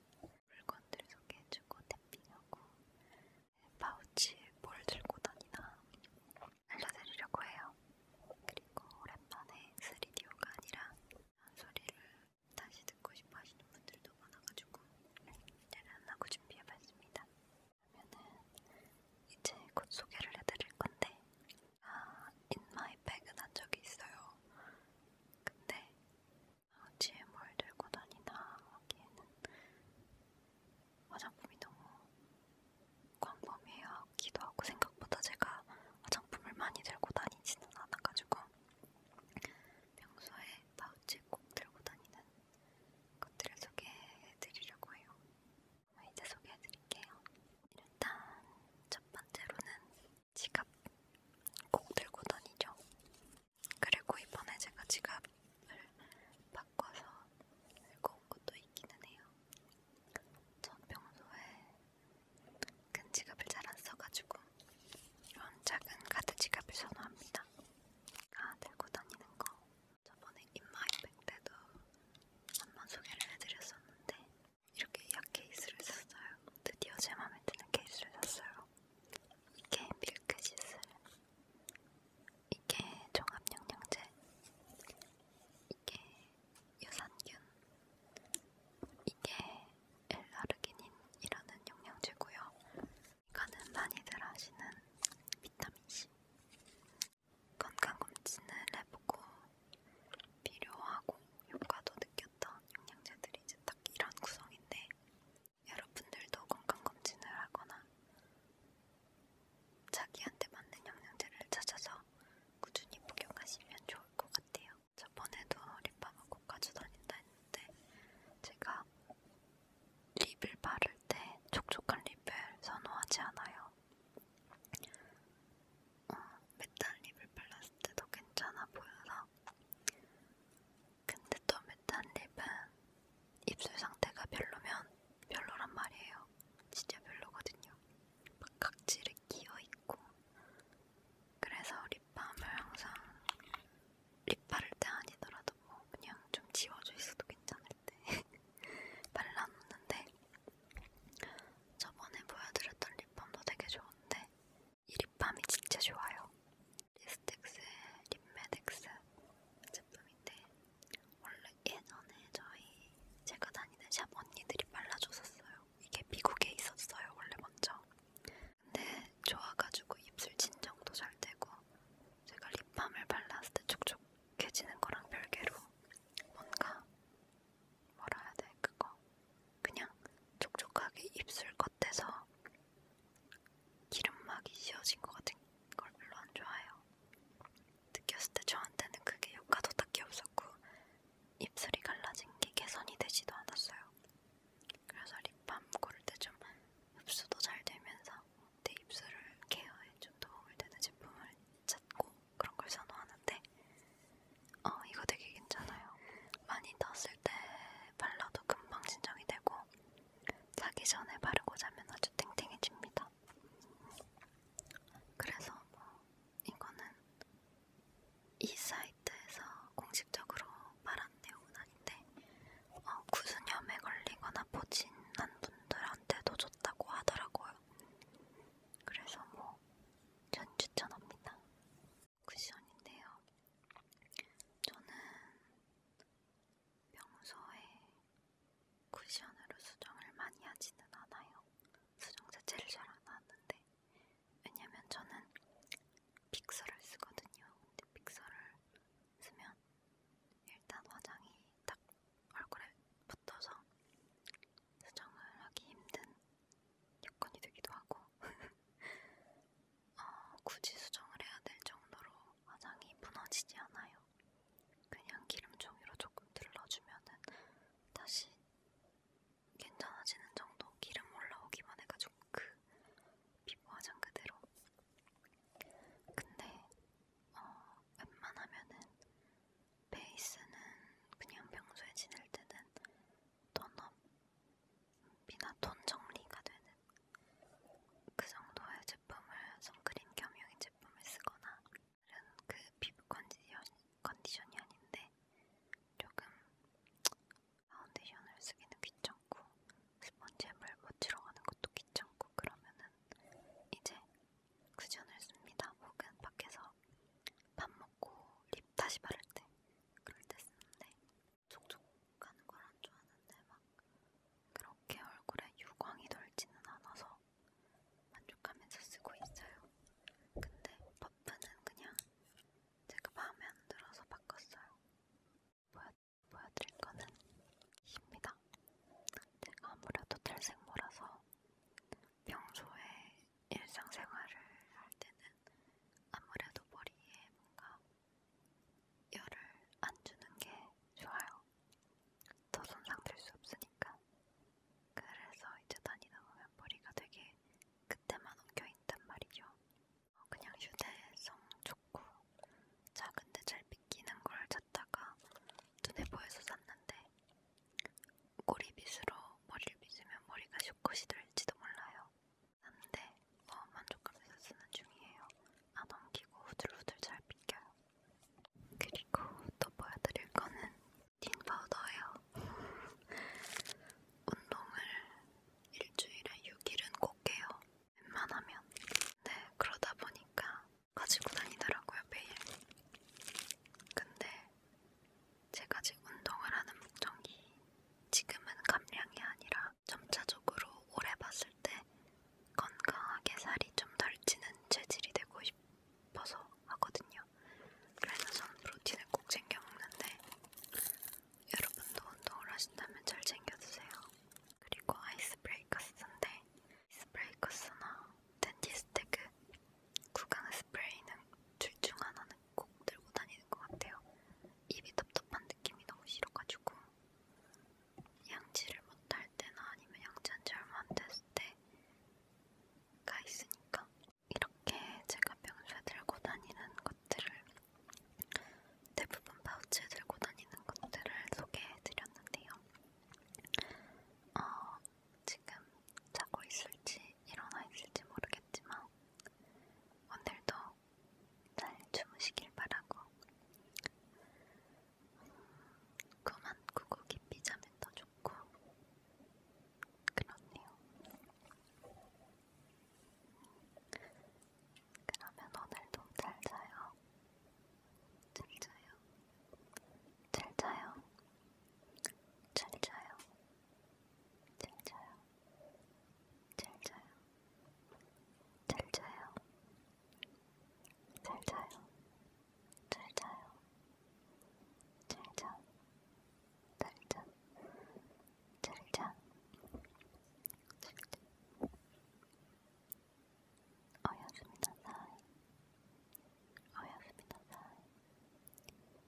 물건들 소개해주고 댐핑하고 파우치에 뭘 들고 다니나 알려드리려고 해요. 그리고 오랜만에 3D가 아니라 소리를 다시 듣고 싶어 하시는 분들도 많아가지고 대련하고 준비해봤습니다. 그러면은 이제 곧 소개를 해드릴 건데 아, 인마이 백은 한 적이 있어요. 근데 뒤에 뭘 들고 다니나 하기에는 화장품이 너무 광범위하기도 하고 생각보다 제가 화장품을 많이 들고 다니지는 않아가지고 평소에 파우치에 꼭 들고 다니는 것들을 소개해드리려고 해요. 이제 소개해드릴게요. 일단 첫 번째로는 지갑 꼭 들고 다니죠. 그리고 이번에 제가 지갑을 바꿔서 들고 온 것도 있기는 해요. 전 평소에 큰 지갑을 잘 안 써가지고 이런 작은 카드 지갑을 선호합니다. 아, 들고 다니는 거 저번에 인마이백 때도 한번 소개를 해드렸었는데 이렇게 약 케이스를 샀어요. 드디어 제 마음에 드는 케이스를 샀어요. 이게 밀크시슬, 이게 종합영양제, 이게 유산균, 이게 엘라르기닌이라는 영양제고요. 이거는 많이들 아시는 비타민C. 건강검진을 해보고 필요하고 효과도 느꼈던 영양제들이 이제 딱 이런 구성인데 여러분들도 건강검진을 하거나 자기한테 맞는 영양제를 찾아서 꾸준히 복용하시면 좋을 것 같아요. 저번에도 립밤을 꼭 가져다닌다 했는데 제가 립을 바를 때 촉촉한 립을 선호하지 않아요. 어, 메탈 립을 발랐을 때도 괜찮아 보여서 근데 또 메탄립은 입술 상태가 별로면 별로란 말이에요. 진짜 별로거든요. 막 각질이 끼어있고 그래서 립밤을 항상 립 바를 때 아니더라도 뭐 그냥 좀 지워져 있어도 괜찮을 때 발라놓는데 저번에 보여드렸던 립밤도 되게 좋은데 이 립밤이 진짜 좋아요. 리스텍스의 립메덱스 제품인데 원래 예전에 저희 제가 다니는 샵 언니들이 발라줬었어요. 이게 미국에 있었어요. 원래 먼저. 근데 좋아가지고 입술 진정도 잘 되고 제가 립밤을 발랐을 때 촉촉해지는 거랑 별개로 뭔가 뭐라 해야 돼 그거 그냥 촉촉하게 입술 겉에서 기름막이 씌워진 것 같은 걸 별로 안 좋아해요. 느꼈을 때 저한테는 그게 효과도 딱히 없었고 입술이 갈라진 게 개선이 되지도 않았어요. 그래서 립밤 고를 때 좀 흡수도 잘 되면서 내 입술을 케어에 좀 도움을 되는 제품을 찾고 그런 걸 선호하는데 어, 이거 되게 괜찮아요. 많이 떴을 때 발라도 금방 진정이 되고 자기 전에 바르고 자면 아주 탱탱해집니다. 그래서 뭐 이거는 이 사이트에서 공식적으로 말한 내용은 아닌데 어, 구수염에 걸리거나 포진한 분들한테도 좋다고 하더라고요. 그래서 뭐 전 추천합니다. 쿠션인데요. 저는 평소에 쿠션으로 수정을 많이 하지는 않아요. 수정 자체를 잘 안 하는데 왜냐면 저는 픽서를 쓰거든요. 근데 픽서를 쓰면 일단 화장이 딱 얼굴에 붙어서 수정을 하기 힘든 여건이 되기도 하고 어, 굳이 수정을 해야 될 정도로 화장이 무너지지 않아요. 그냥 기름 종이로 조금 들러주면은 다시 괜찮아지는 정도 기름 올라오기만 해가지고 그 피부 화장 그대로 근데 어, 웬만하면은 베이스는 그냥 평소에 지낼 때는 톤업 미나 톤 정리가 되는 그 정도의 제품을 선크림 겸용의 제품을 쓰거나 다른 그 피부 컨디션, 컨디션이 아닌데 조금 파운데이션을 쓰기는 귀찮고 스펀지에 물 묻히러 가는 것도 귀찮고 그러면은 이제 쿠션을 씁니다. 혹은 밖에서 밥 먹고 립 다시 바를 때 그럴 때 쓰는데 촉촉 하는 걸안 좋아하는데 막 그렇게 얼굴에 유광이 돌지는 않아서 만족하면서 쓰고 있어요. 근데 퍼프는 그냥 제가 마음에 안 들어서 바꿨어요. 보여, 보여드릴 거는 입니다. 제가 아무래도 탈색모라서 평소에 일상생활을 할 때는 아무래도 머리에 뭔가 열을 안 주는 게 좋아요. 더 손상될 수 없으니까. 그래서 이제 다니다 보면 머리가 되게 그때만 엉겨있단 말이죠. 어, 그냥 휴대성 좋고 작은데 잘 빗기는 걸 찾다가 눈에 보여서 샀는데 꼬리빗으로 머리를 빗으면 머리가 슈컷이 될지도 몰라요. 한데 너무 뭐 만족하면서 쓰는 중이에요. 안 엉키고 후들후들 잘 빗겨요. 그리고 또 보여드릴 거는 틴 파우더예요. 운동을 일주일에 6일은 꼭 해요. 웬만하면. 네, 그러다 보니까 가지고 다니더라고요, 매일. 근데 제가 지금 운동을 하는 목적이 지금은 감량이 아니라 점차적으로 오래 봤을 때 건강하게 살이 좀 덜 찌는 체질이 되고 싶어서 하거든요. 그래서 저는 프로틴을 꼭 챙겨 먹는데 여러분도 운동을 하신다면 잘 챙겨 드세요. 그리고 아이스브레이커스인데 아이스브레이커스나 덴티스테크 구강 스프레이는 둘중 하나는 꼭 들고 다니는 것 같아요. 입이 답답한 느낌이 너무 싫어가지고 양치를 못할 때나 아니면 양치한 지 얼마 안 됐을 때가 있으니까 이렇게 제가 평소에 들고 다니는 것들을 대부분 파우치에 들고 다니는 것들을 소개해드렸는데요. 어, 지금 자고 있을지 일어나 있을지 모르겠지만 오늘도 잘 주무시길 바라고 음, 그만 꾸고 깊이 자면 더 좋고 그렇네요. 그러면 오늘도 잘 자요. 잘 자요. 잘 자요. 잘 자요. 잘 자요. 잘 자요. 잘 자요. 잘 자요. 잘 자요. 잘 자. 잘 자. 잘 자. 어여스미다사이 어여스미다사이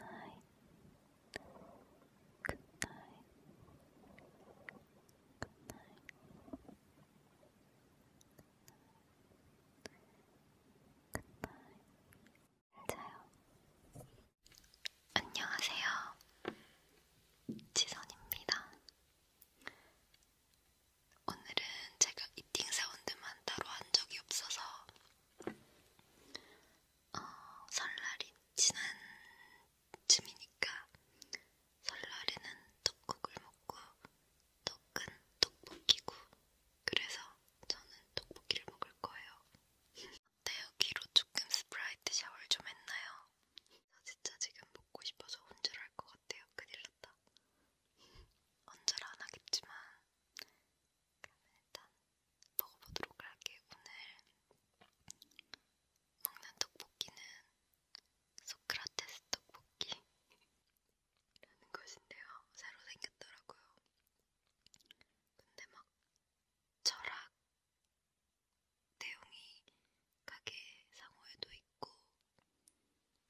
굿나잇 굿나잇 굿나잇 잘자요 안녕하세요 지선입니다 오늘은 제가 이팅 사운드만 따로 한 적이 없어서 어, 설날이 지난 쯤이니까 설날에는 떡국을 먹고 떡은 떡볶이고 그래서 저는 떡볶이를 먹을 거예요. 어때요? 귀로 조금 스프라이트 샤워를 좀 했나요? 저 진짜 지금 먹고 싶어서 혼절할 것 같아요. 큰일 났다. 혼절 안 하겠지만 그러면 일단 먹어보도록 할게. 오늘 먹는 떡볶이는 소크라테스 떡볶이라는 것인데요. 새로 생겼더라고요. 근데 막 철학 내용이 가게 상호에도 있고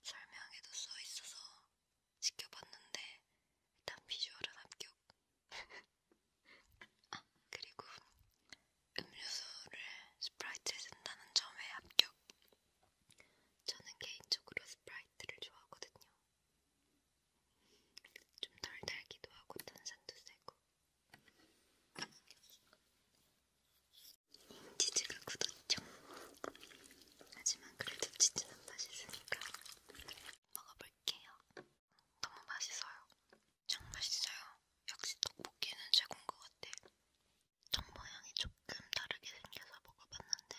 설명에도 써 있어서 지켜봤는데 일단 비주얼은 합격. 아, 그리고 음료수를 스프라이트에 쓴다는 점에 합격. 저는 개인적으로 스프라이트를 좋아하거든요. 좀 덜 달기도 하고 탄산도 세고. 치즈가 굳었죠. 하지만 그래도 치즈는 맛있으니까 먹어볼게요. 너무 맛있어요. 정말 맛있어요. 역시 떡볶이는 최고인 것 같아. 떡 모양이 조금 다르게 생겨서 먹어봤는데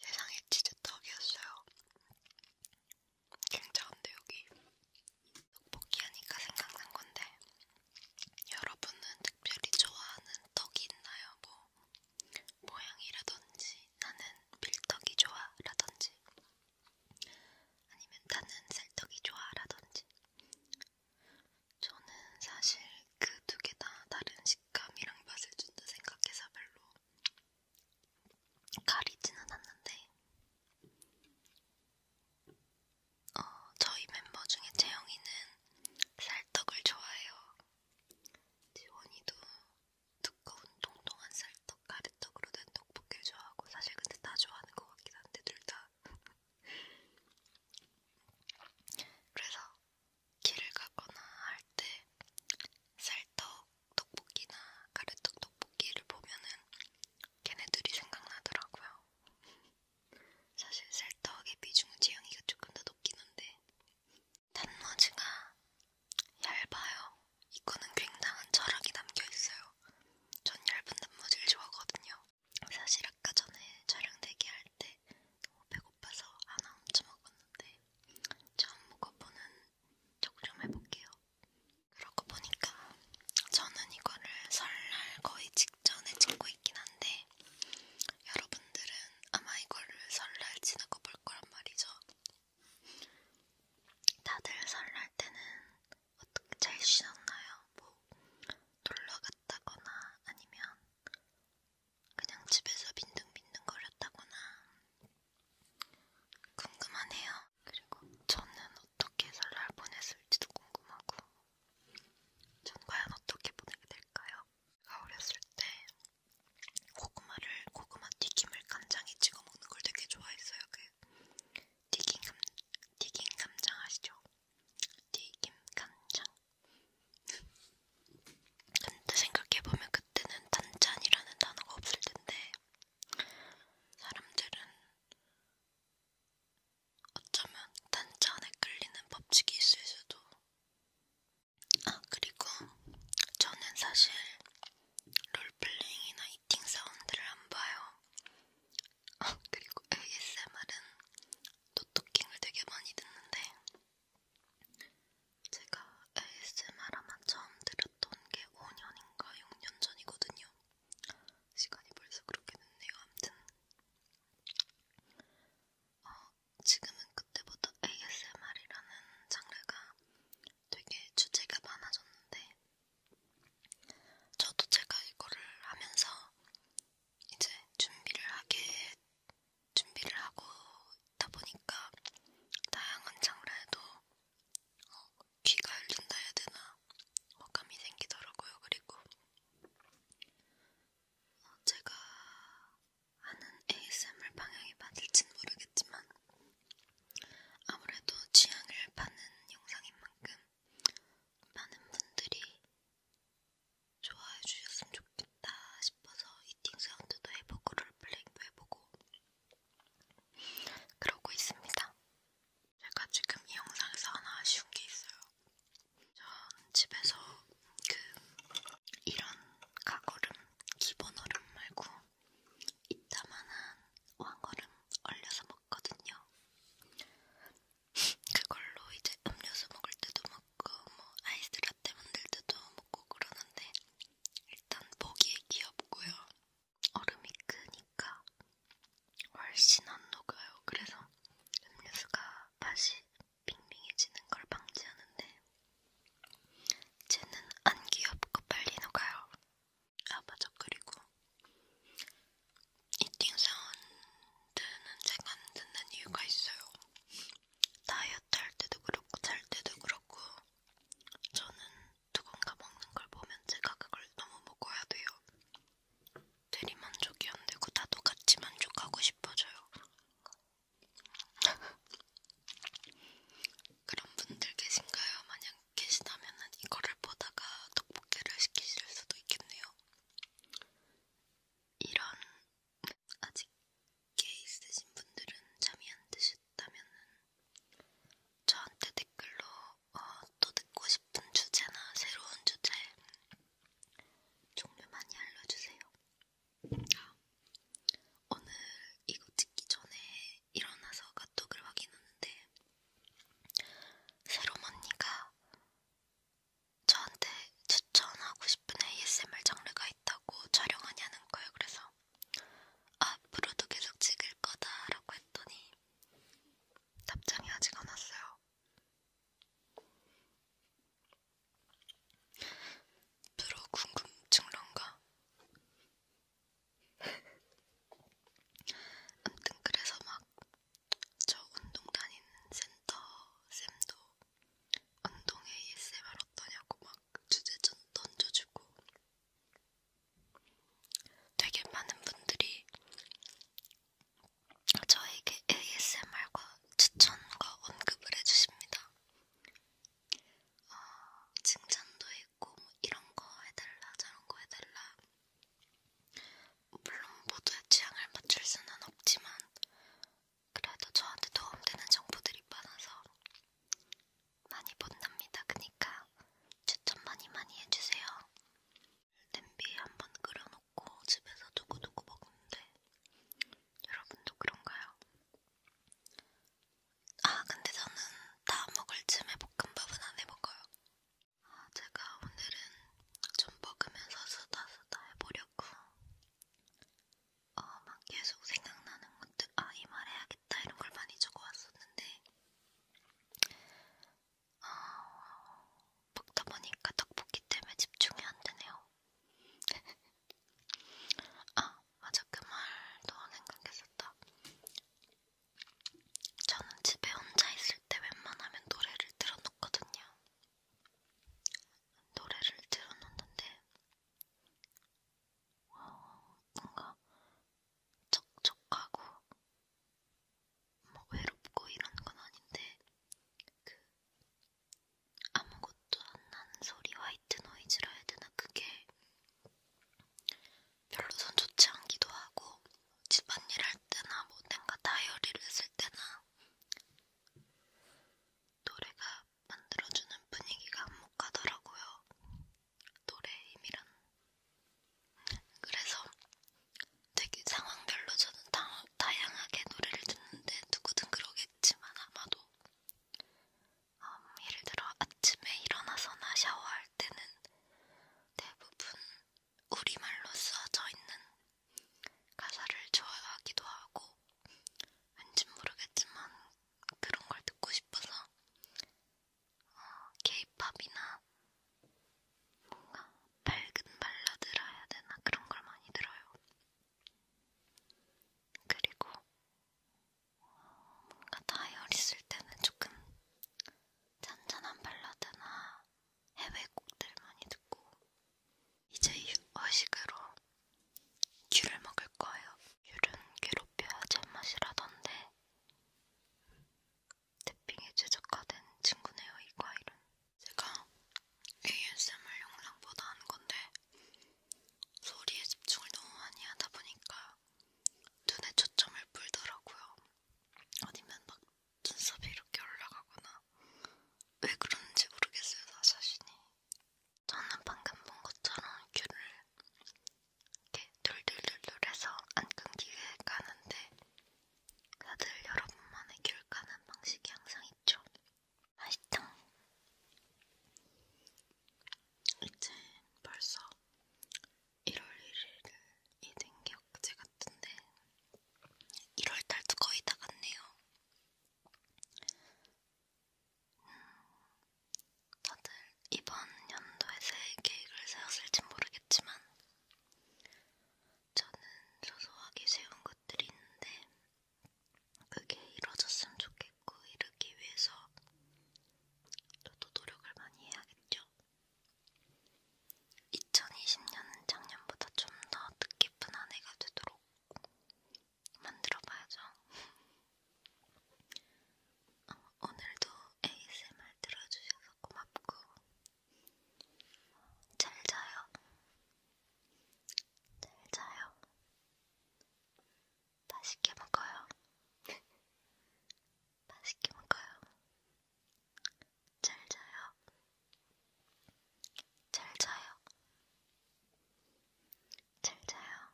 세상에 치즈떡이었어요. 굉장한데 여기 떡볶이 하니까 생각난 건데 여러분은 특별히 좋아하는 떡이 있나요? 뭐 모양이라든지 나는 밀떡이 좋아 라던지 아니면 나는 쌀떡이 좋아 라던지 저는 사실 그 두 개 다 다른 식감이랑 맛을 준다 생각해서 별로 가리지는 않는데 어, 저희 멤버 중에 재영이는 쌀떡을 좋아해요. 지원이도 두꺼운 통통한 쌀떡, 가래떡으로 된 떡볶이를 좋아하고 사실 근데 다 좋아하는 것 같긴 한데 둘 다 그래서 길을 가거나 할 때 쌀떡 떡볶이나 가래떡 떡볶이를 보면은 걔네들이 생각나더라고요. 사실 쌀떡의 비중은 지영이가 조금 더 높긴 한데 단무지가 얇아요. 이거는 굉장한 철학이 담겨있어요. 전 얇은 단무지를 좋아하거든요. 사실 아까 전에 촬영 대기할 때 너무 배고파서 하나 훔쳐 먹었는데 처음 먹어보는 척좀 해볼게요. 그러고 보니까 저는 이거를 설날 거의 직전에 찍고 있긴 한데 여러분들은 아마 이거를 설날 지나고 볼 거란 말이죠. 다들 설날 때는 어떻게 잘 쉬셨나요? 뭐 놀러 갔다거나 아니면 그냥 집에서 빈둥빈둥 거렸다거나 궁금하네요. 그리고 저는 어떻게 설날 보냈을지도 궁금하고 전 과연 어떻게 보내게 될까요? 어렸을 때 고구마를 고구마 튀김을 감장에 찍어 먹는 걸 되게 좋아했어요. 그 튀김 감 튀김 감장 아시죠? 튀김 감장. 근데 생각해 보면 그때는 단짠이라는 단어가 없을 텐데 사람들은 어쩌면 단짠에 끌리는 법칙이 있을 수도. 아 그리고 저는 사실 롤플레잉이나 이팅 사운드를 안 봐요. 아, 그리고 ASMR은 노토킹을 되게 많이 듣는데 제가 ASMR 아마 처음 들었던 게 5년인가 6년 전이거든요. 시간이 벌써 그렇게 됐네요. 아무튼 어, 지금은 그때보다 ASMR이라는 장르가 되게 주제가 많아졌는데 저도 제가 이거를 하면서 이제 준비를 하게 준비를 하고 있다 보니까 다양한 장르에도 어, 귀가 열린다 해야 되나 호감이 생기더라고요. 그리고 어, 제가 하는 ASMR 방향이 맞을진 모르겠지만 아무래도 취향을 파는 영상인 만큼 많은 분들이 좋아해 주셨으면 좋겠다 싶어서 이팅 사운드도 해보고 롤플레잉도 해보고 그러고 있습니다. 제가 지금 이 영상에서 하나 아쉬운 게 있어요. 전 집에서 그 이런 가거름, 기본 얼음 말고 이따만한 왕거름 얼려서 먹거든요. 그걸로 이제 음료수 먹을 때도 먹고 뭐 아이스 라떼 만들 때도 먹고 그러는데 일단 보기에 귀엽고요. 얼음이 크니까 훨씬 안 녹아요. 그래서 음료수가 맛이 빙빙해지는 걸 방지하는데 쟤는 안 귀엽고 빨리 녹아요. 아 맞아 그리고 이팅 사운드는 제가 안 듣는 이유가 있어요. 다이어트 할 때도 그렇고 잘 때도 그렇고 저는 누군가 먹는 걸 보면 제가 그걸 너무 먹어야 돼요. 대리만족이 안 되고 나도 같이 만족하고 싶어져요. 그런 분들 계신가요? 만약 계시다면은 이거를 보다가 떡볶이를 시키실 수도 있겠네요. 이런 아직 깨 있으신 분들은 잠이 안 드셨다면은 저한테 댓글로 어, 또 듣고 싶은 주제나 새로운 주제 종류 많이 알려주세요. 아, 오늘 이거 찍기 전에 일어나서 카톡을 확인하는데 새롬 언니가 저한테 추천하고 싶은 ASMR 장르가 있다고 촬영하냐는 거예요. 그래서 앞으로도 아, 계속 찍을 거다라고 했더니 답장이 아직 안 왔어요. 프로 궁금증런가? 아무튼 그래서 막 저 운동 다니는 센터 쌤도 운동 ASMR 어떠냐고 막 주제 좀 던져주고 되게 많은 분들이 저에게 ASMR과 추천과 언급을 해주십니다. 어, 칭찬도 있고 뭐 이런 거 해달라 저런 거 해달라 물론 모두의 취향을 맞출 수는 없지만 그래도 저한테 도움되는 정보들이 많아서 많이 본답니다. 그니까 추천 많이 많이 해주세요. 냄비에 한번 끓여놓고 집에서 두고두고 먹는데 여러분도 그런가요? 아 근데 저는 다 먹을 쯤에 볶음밥은 안 해먹어요. 아, 제가 오늘은 좀 먹으면서 수다 수다 해보려고. 어, 막 계속 생각나는 것들, 아, 이 말 해야겠다 이런 걸 많이 적어왔었는데, 어, 먹다 보니까 떡볶이 때문에 집중이 안 되네요. 아, 맞아. 그 말도 생각했었다. 저는 집에 혼자 있을 때 웬만하면 노래를 틀어놓거든요. 노래를 틀어놓는데 뭔가 척척하고 뭐 외롭고 이런 건 아닌데 그 아무것도 안 나는 소리 화이트 노이즈라 해야 되나 그게 별로 선 좋지 않기도 하고 집안일 할 때나 뭐 뭔가 다이어리를 쓸 때나 노래가 만들어주는 분위기가 안목하더라고요. 노래의 힘이란. 그래서 되게 상황별로 저는 다, 다양하게 노래를 듣는데 누구든 그러겠지만 아마도 음, 예를 들어 아침에 일어나서나 샤워할 때는 대부분 우리말로 쓰여져 있는 가사를 좋아하기도 하고 왠지 모르겠지만 그런 걸 듣고 싶어서 어, K-팝이나 뭔가 밝은 발라드라 해야 되나 그런 걸 많이 들어요. 그리고 뭔가 다이어리 쓸 때는 조금 잔잔한 발라드나 해외 곡들 많이 듣고 이제 어식으로 귤을 먹을 거예요. 귤은 괴롭혀야 제맛이라던데 태핑에 최적화된 친구네요, 이 과일은. 제가 ASMR 영상 보다 하는 건데 소리에 집중을 너무 많이 하다 보니까 눈에 초점을 불더라고요. 아니면 막 눈썹이 이렇게 올라가거나 왜 그런지 모르겠어요, 나 자신이. 저는 방금 본 것처럼 귤을 이렇게 돌돌돌돌해서 안 끊기게 까는데 다들 여러분만의 귤 까는 방식이 항상 있죠. 맛있죠? 이제 벌써 1월 1일 이 등격제 같은데 1월달도 거의 다 갔네요. 음, 다들 이번 연도에 새해 계획을 세웠을진 모르겠지만 저는 소소하게 세운 것들이 있는데 그게 이루어졌으면 좋겠고 이루기 위해서 저도 노력을 많이 해야겠죠. 2020년은 작년보다 좀 더 뜻깊은 한 해가 되도록 만들어봐야죠. 어, 오늘도 ASMR 들어주셔서 고맙고 잘 자요. 잘 자요. 맛있게 먹어요. 맛있게 먹어요. 잘 자요. 잘 자요. 잘 자요.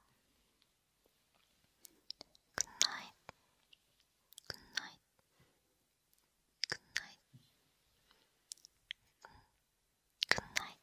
굿나잇. 굿나잇. 굿나잇. 굿나잇. 굿나잇.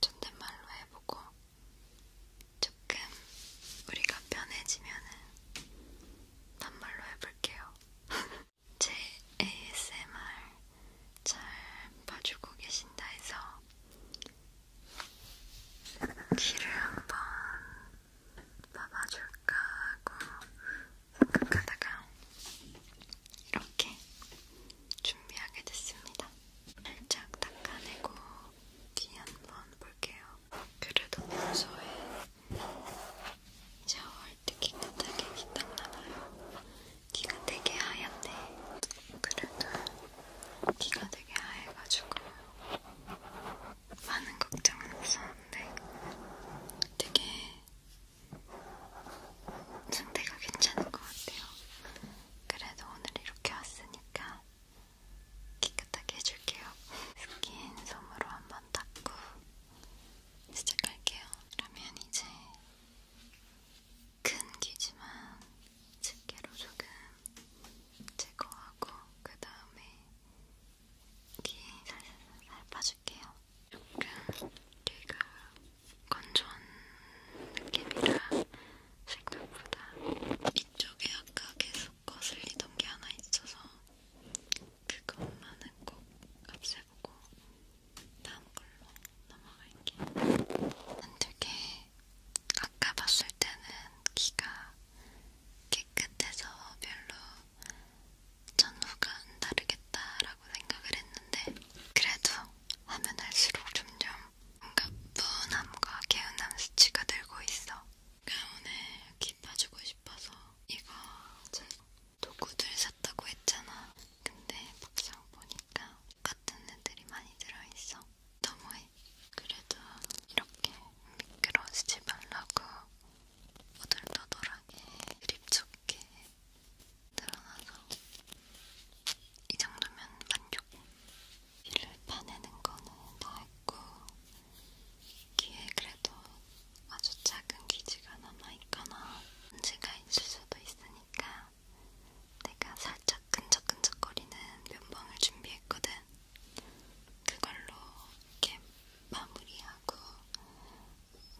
존댓말로 해보고 조금 우리가 편해지면은 단말로 해볼게요. 제 ASMR 잘 봐주고 계신다 해서 귀를 한번 봐봐줄까 하고 생각하다가 이렇게 준비하게 됐습니다. 살짝 닦아내고 뒤한번 볼게요. 그래도 평소에 샤워할 때 깨끗하게 귀 닦나봐요. 귀가 되게 하얗네. 그래도 귀가 되게 하얘가지고 많은 걱정은 없었는데 되게 상태가 괜찮은 것 같아요. 그래도 오늘 이렇게 왔으니까 깨끗하게 해줄게요. 스킨 솜으로 한번 닦고 시작할게요. 그러면 이제 큰 귀지만 집게로 조금 제거하고 그 다음에 귀 살살 빠줄게요. 조금 귀가 건조한 느낌이라 생각보다 밑쪽에 아까 계속 거슬리던 게 하나 있어서 그것만은 꼭 없애보고 다음 걸로 넘어갈게요. 되게 아까 봤을 때는 귀가 깨끗해서 별로 전후가 안 다르겠다라고 생각을 했는데 그래도 하면 할수록 점점 뭔가 분함과 개운함 수치가 늘고 있어. 그러니까 오늘 깊어지고 싶어서 이거 제 도구들 샀다고 했잖아. 근데 막상 보니까 같은 애들이 많이 들어있어. 너무해. 그래도 이렇게 미끄러지지 말라고 오돌도돌하게 그립 좋게 늘어나서 이 정도면 만족. 귀를 파내는 거는 다 했고 귀에 그래도 아주 작은 귀지가 남아있거나 문제가 있을 수도 있으니까 내가 살짝 끈적끈적거리는 면봉을 준비했거든. 그걸로 이렇게 마무리하고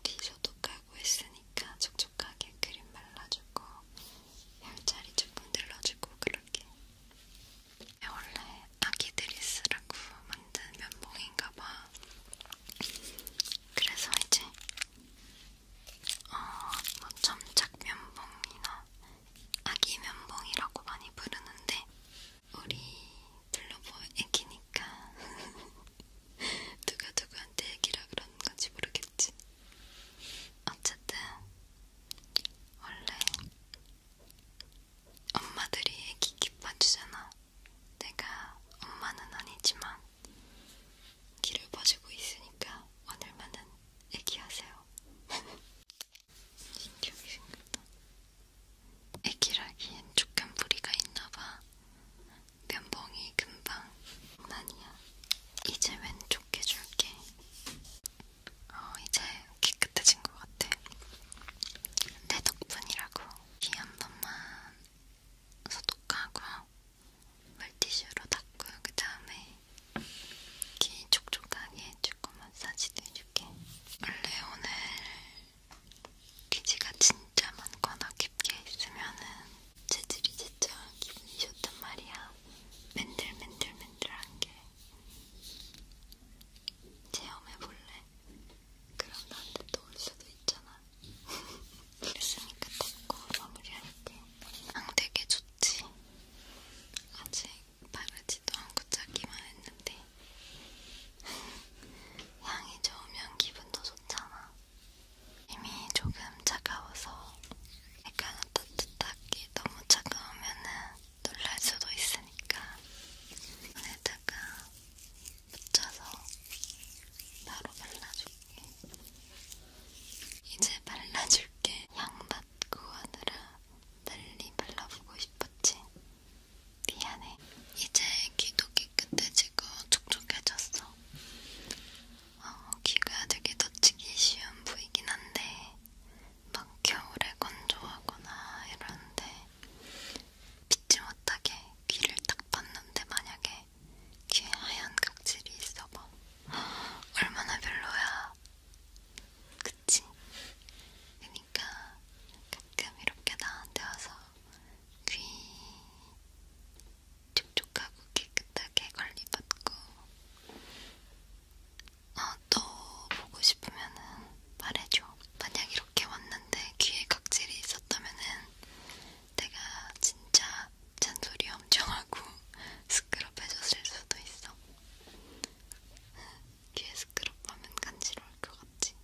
귀 소독하고 했으니까 촉촉하게 크림 발라주고 열자리 조금 눌러주고 그렇게 네, 원래 아기들이 쓰라고 만든 면봉인가봐 그래서 이제 어뭐 점착 면봉이나 아기 면봉이라고 많이 부르는데 우리 블루보 애기니까 누가 누구한테 애기라 그런건지 모르겠 모르겠지. 어쨌든 원래 엄마들이 애기 기뻐주잖아. 내가 엄마는 아니지만 길을 봐주고 있으니까 오늘만은 애기하세요. 신기하게 생겼다. 애기라기엔 조금 무리가 있나봐. 면봉이 금방 난이야. 이제 왼쪽 해줄게. 어, 이제 깨끗해진 것 같아. 내 덕분이라고. 귀한 번만 소독하고 물티슈로 닦고요. 그 다음에 귀 촉촉하게 해주고 마사지도 해줄게. 원래 오늘 귀지가 진짜 많거나 깊게 있으면은 재질이 진짜 기분이 좋단 말이야. 맨들맨들맨들한 게. 체험해볼래? 그럼 나한테 또올 수도 있잖아. 그랬으니까 덮고 마무리할게. 향 되게 좋지? 아직 바르지도 않고 짜기만 했는데. 향이 좋으면 기분도 좋잖아. 이미 조금 차가워서 약간 따뜻하게 너무 차가우면은 놀랄 수도 있으니까 손에다가 붙여서 바로 발라줄게. 이제 발라줄게. 향 맡고 하느라 빨리 발라보고 싶었지. 미안해. 이제 귀도 깨끗해지고 촉촉해졌어. 어, 귀가 되게 놓치기 쉬운 부위긴 한데 막 겨울에 건조하거나 이런데 빛지 못하게 귀를 딱 봤는데 만약에 귀에 하얀 각질이 있어봐 얼마나 별로야 그치? 그니까 가끔 이렇게 나한테 와서 귀 촉촉하고 깨끗하게 관리받고 어, 또 보고 싶으면은 말해줘. 만약 이렇게 왔는데 귀에 각질이 있었다면은 내가 진짜 잔소리 엄청 하고 스크럽 해줬을 수도 있어. 귀에 스크럽 하면 간지러울 것 같지?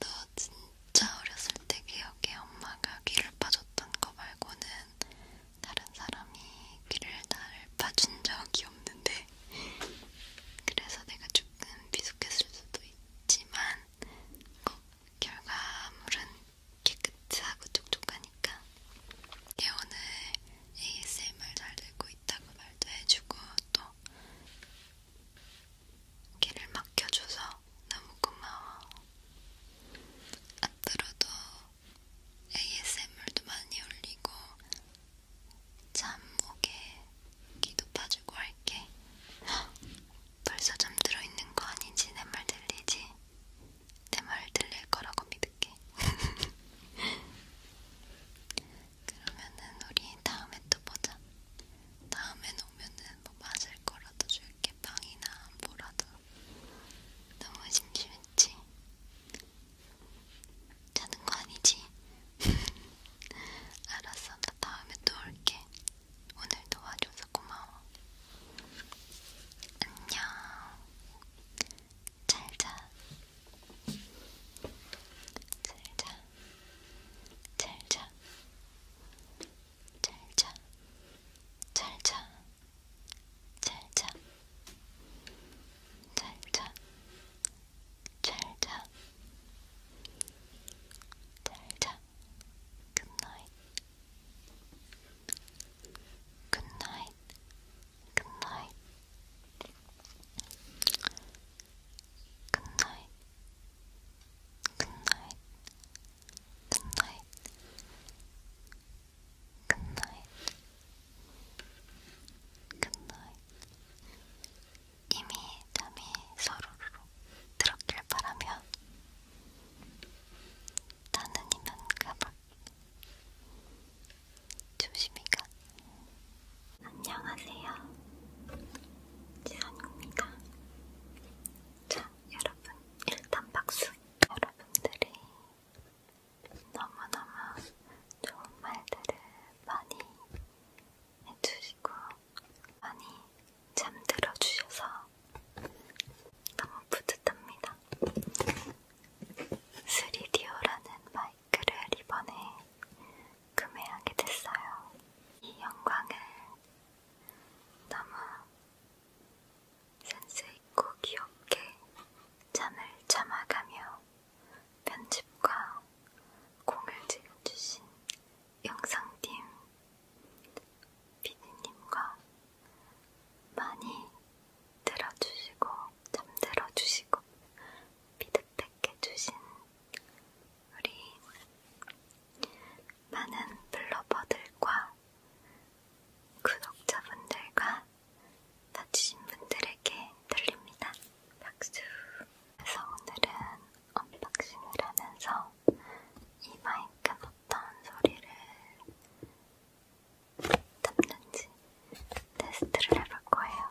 너 진짜 어렸을 때 기억에 엄마가 귀를 빠졌던 거 말고는 다른 사람이 귀를 날 봐준 적이 없는데 그래서 내가 조금 미숙했을 수도 있지만 꼭 어, 결과물은 깨끗하고 촉촉하니까 얘 오늘 ASMR 잘 들고 있다고 말도 해주고 또 길을 막혀줘서 너무 고마워 앞으로도 ASMR도 많이 올리고 잠목에 기도 빠지고 할게. 헉, 벌써 잠들어 있는 거 아니지? 내 말 들리지? 내말 들릴 거라고 믿을게. 그러면은 우리 다음에 또 보자. 다음에 오면은 뭐 마실 거라도 줄게. 맛있게 빵이나 뭐라도 너무 심심했지? 자는 거 아니지? 알았어, 나 다음에 또 올게. 오늘 도와줘서 고마워. 안녕. 잘 자. 잘 자. 잘 자. 잘 자. 잘 자. 잘 자. 잘자 잘자 잘자 잘자 굿나잇 굿나잇 굿나잇 굿나잇 굿나잇 굿나잇 굿나잇 굿나잇 이미 잠이 서로로 들었길 바라며 나는 이만 가볼 조심히 가 안녕하세요 지선입니다 자 여러분 일단 박수 여러분들이 너무너무 좋은 말들을 많이 해주시고 많이 잠들어 주셔서 너무 뿌듯합니다. 3DO라는 마이크를 이번에 구매하게 됐어요. 이 영광을 너무 센스있고 귀엽게 잠을 참아가며 편집과 공을 들여주신 영상팀 피디님과 많이 들어주시고 잠들어주시고 피드백해주신 우리 많은 블로버들과 구독자분들과 다치신 분들에게 들립니다. 박수! 그래서 오늘은 언박싱을 하면서 이 마이크는 어떤 소리를 듣는지 테스트를 해볼 거예요.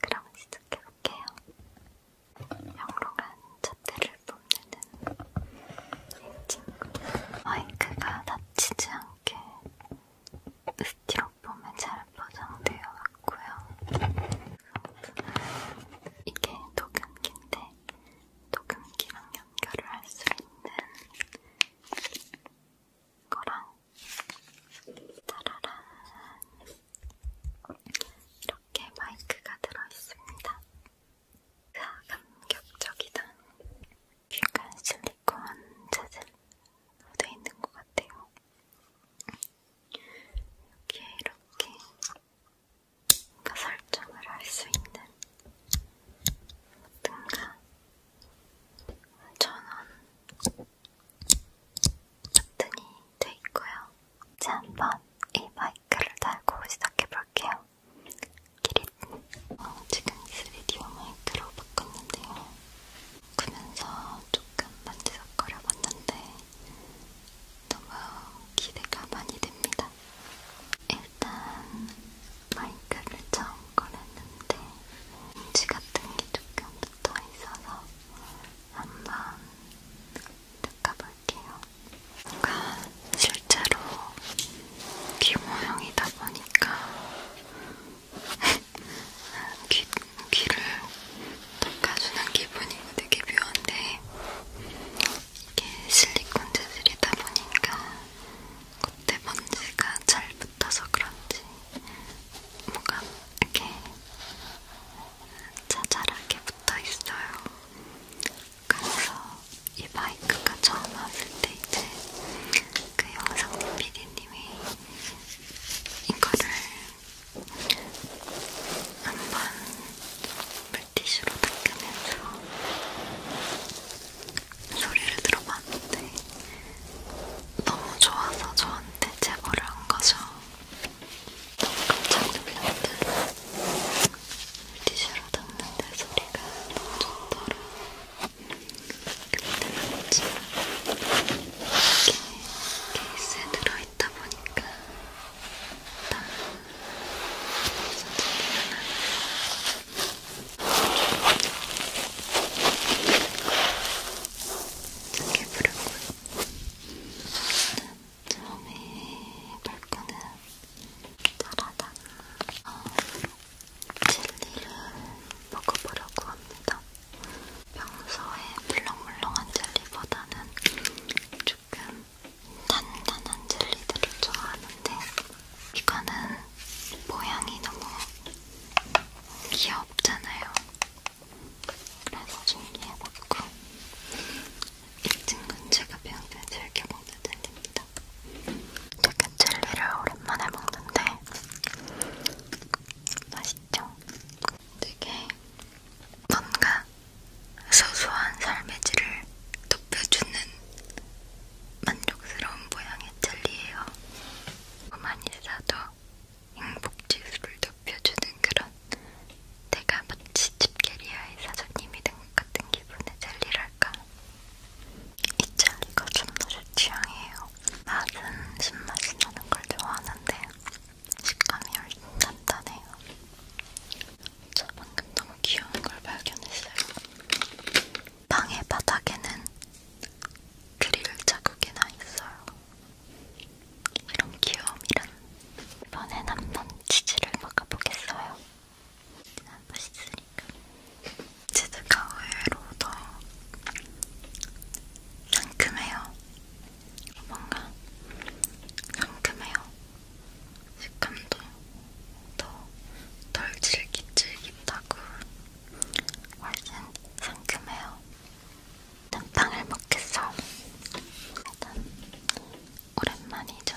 그럼 시작해볼게요. 영롱한 잣대를 뿜는 친구 마이크가 다치지 않게 스티로폼에 잘 포장되어 왔고요. 이게 도금기인데 도금기랑 연결을 할 수 있는 거랑 따라란 이렇게 마이크가 들어있습니다. 감격적이다. 약간 실리콘 재질 묻어 있는 것 같아요. 이렇게 이렇게 뭔가 설정을 할 수 있는 뭔가 천원 버튼이 돼 있고요. 이제 한번 이 마이크를 달고 시작해 볼게요. 키릿 어, 지금 3D용 마이크로 바꿨는데요. 그러면서 조금 만지작거려 봤는데 너무 기대가 많이 됩니다. 일단 마이크를 처음 꺼냈는데 봉지 같은 게 조금 붙어 있어서 한번 닦아볼게요. 실제로 귀 모형이다 보니까 귀, 귀를 닦아주는 기분이 되게 묘한데 이게 실리콘 재질이다 보니까 콧대 먼지가 잘 붙어서 그런지 뭐가 이렇게 자잘하게 붙어있어요. 그래서 이 마이크가 처음 왔을 때 이제 그 영상님 PD님이 이거를 한번 물티슈로 닦으면서 소리를 들어봤는데 너무 좋아서 저한테 제보를 한 거죠. 너무 깜짝 놀랐는데 물티슈 귀로 닿는데 소리가 너무 좋더라. 그런데 맞지만 이게 케이스에 들어있다 보니까 딱 선택이 많아요. 작게 부르고 처음에 볼 거는 따라다 어, 젤리를 먹어보려고 합니다. 평소에 물렁물렁한 젤리보다는 조금 단단한 젤리들을 좋아하는데 이거는 모양이 너무 귀엽잖아요. 그래서 준비해봤고 이 친구는 제가 평소에 즐겨 먹는 젤리입니다. 맛있다. 이렇게 젤리를 오랜만에 먹는데 맛있죠? 되게 뭔가 소소한 삶의 질을 높여주는 만족스러운 모양의 젤리예요. 많이 사도 행복지수를 높여주는 그런 내가 마치 집게리아의 사장님이 된 것 같은 기분의 젤리랄까? 이젤리가 좀더제 취향이에요. 맛은 신맛이 나는 걸 좋아하는데 식감이 훨씬 단단해요. 저 방금 너무 귀여운 걸 발견했어요. 방의 바닥에는 그릴 자국이 나 있어요. 이런 귀여움이란 이번엔 한번 치즈를 먹어보겠어요. 한 번씩 쓰니까 제드가 의외로 더 상큼해요 뭔가 상큼해요 식감도 더덜 질깃질깃하고 훨씬 상큼해요 일단 빵을 먹겠어 일단 오랜만이죠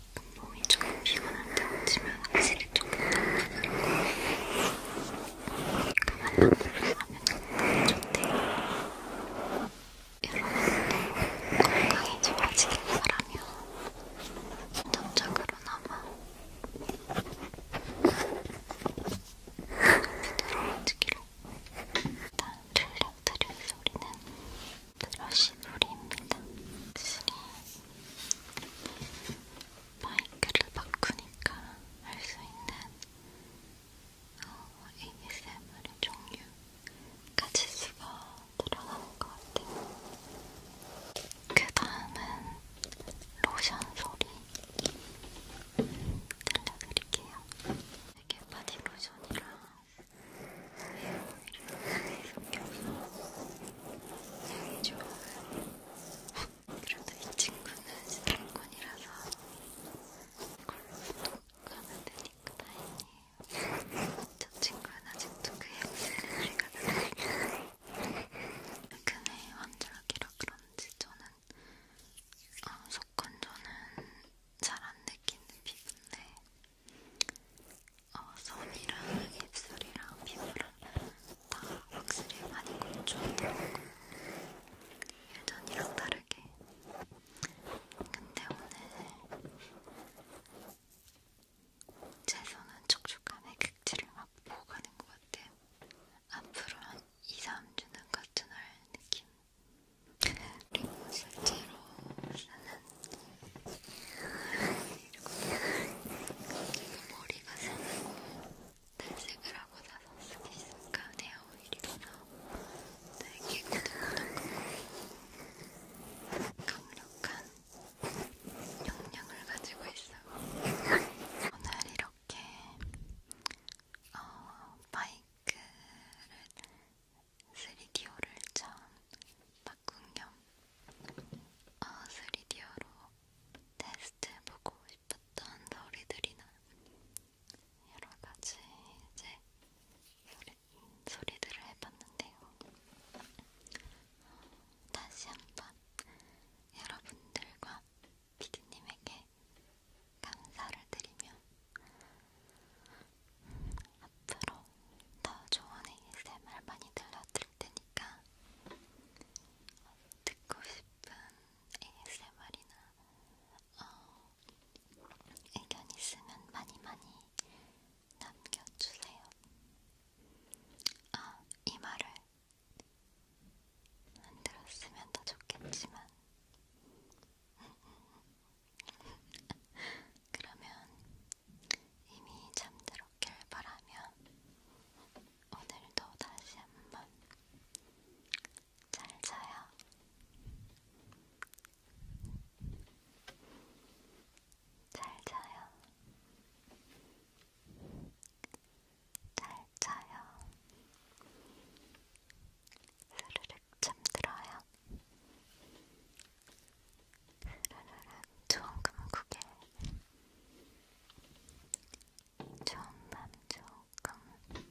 몸이 조금 피곤할 때 얹으면 확실히 조금 덜어드리고 그만한 걸로 하면 좋대요. 여러분도 건강이 좋아지길 바라며 점적으로나마 부드러워지기로 일단 들려드릴 소리는 브러쉬 놀이입니다. 확실히 마이크를 바꾸니까 할 수 있는 어, ASMR의 종류 가짓수가 늘어나는 것 같아요. 그 다음은 로션 소리 들려드릴게요. 이게 바디 로션이랑 향이 좋아요. 그래도 이 친구는 스타일권이라서 이걸로 가면 되니까 다행이에요. 저 친구는 아직도 그 향수를 가져가요. 근데 환절기라 그런지 저는 어, 속건조는 잘 안 느끼는 피부인데 어, 손이랑 입술이랑 피부랑 다 확실히 많이 건조하더라고요. 예전이랑 다르게. 근데 오늘 제 손은 촉촉함의 극치를 맛보고 가는 것 같아요. 앞으로 한 2, 3주는 같은 날 느낌. 그리고 실제로 쓰는 머리가 새고 탈색을 하고 나서 스킨스니까 헤어오일이라서 되게 고독고독하고 강력한 영양을 가지고 있어요. 오늘 이렇게 어, 마이크를 3D오를 처음 바꾼 겸 아, 어, 3D오로 테스트해보고 싶었던 소리들이나 여러가지 이제 소리, 소리들을 해봤는데요. 어, 다시 한번 여러분들과 피디님에게 감사를 드리며 앞으로 더 좋은 ASMR 많이 들려드릴 테니까 듣고 싶은 ASMR이나 어, 의견 있으면 많이 많이 남겨주세요. 아, 이 말을 안 들었으면 더 좋겠지만 그러면 이미 잠들었길 바라며 오늘도 다시 한번 잘 자요. 잘 자요. 잘 자요. 스르륵 잠들어요. 라라라 좋은 감국에 좋은 밤 좋은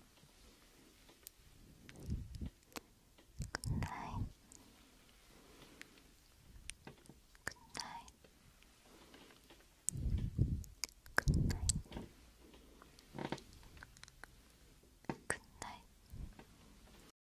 굿나잇 굿나잇 굿나잇 굿나잇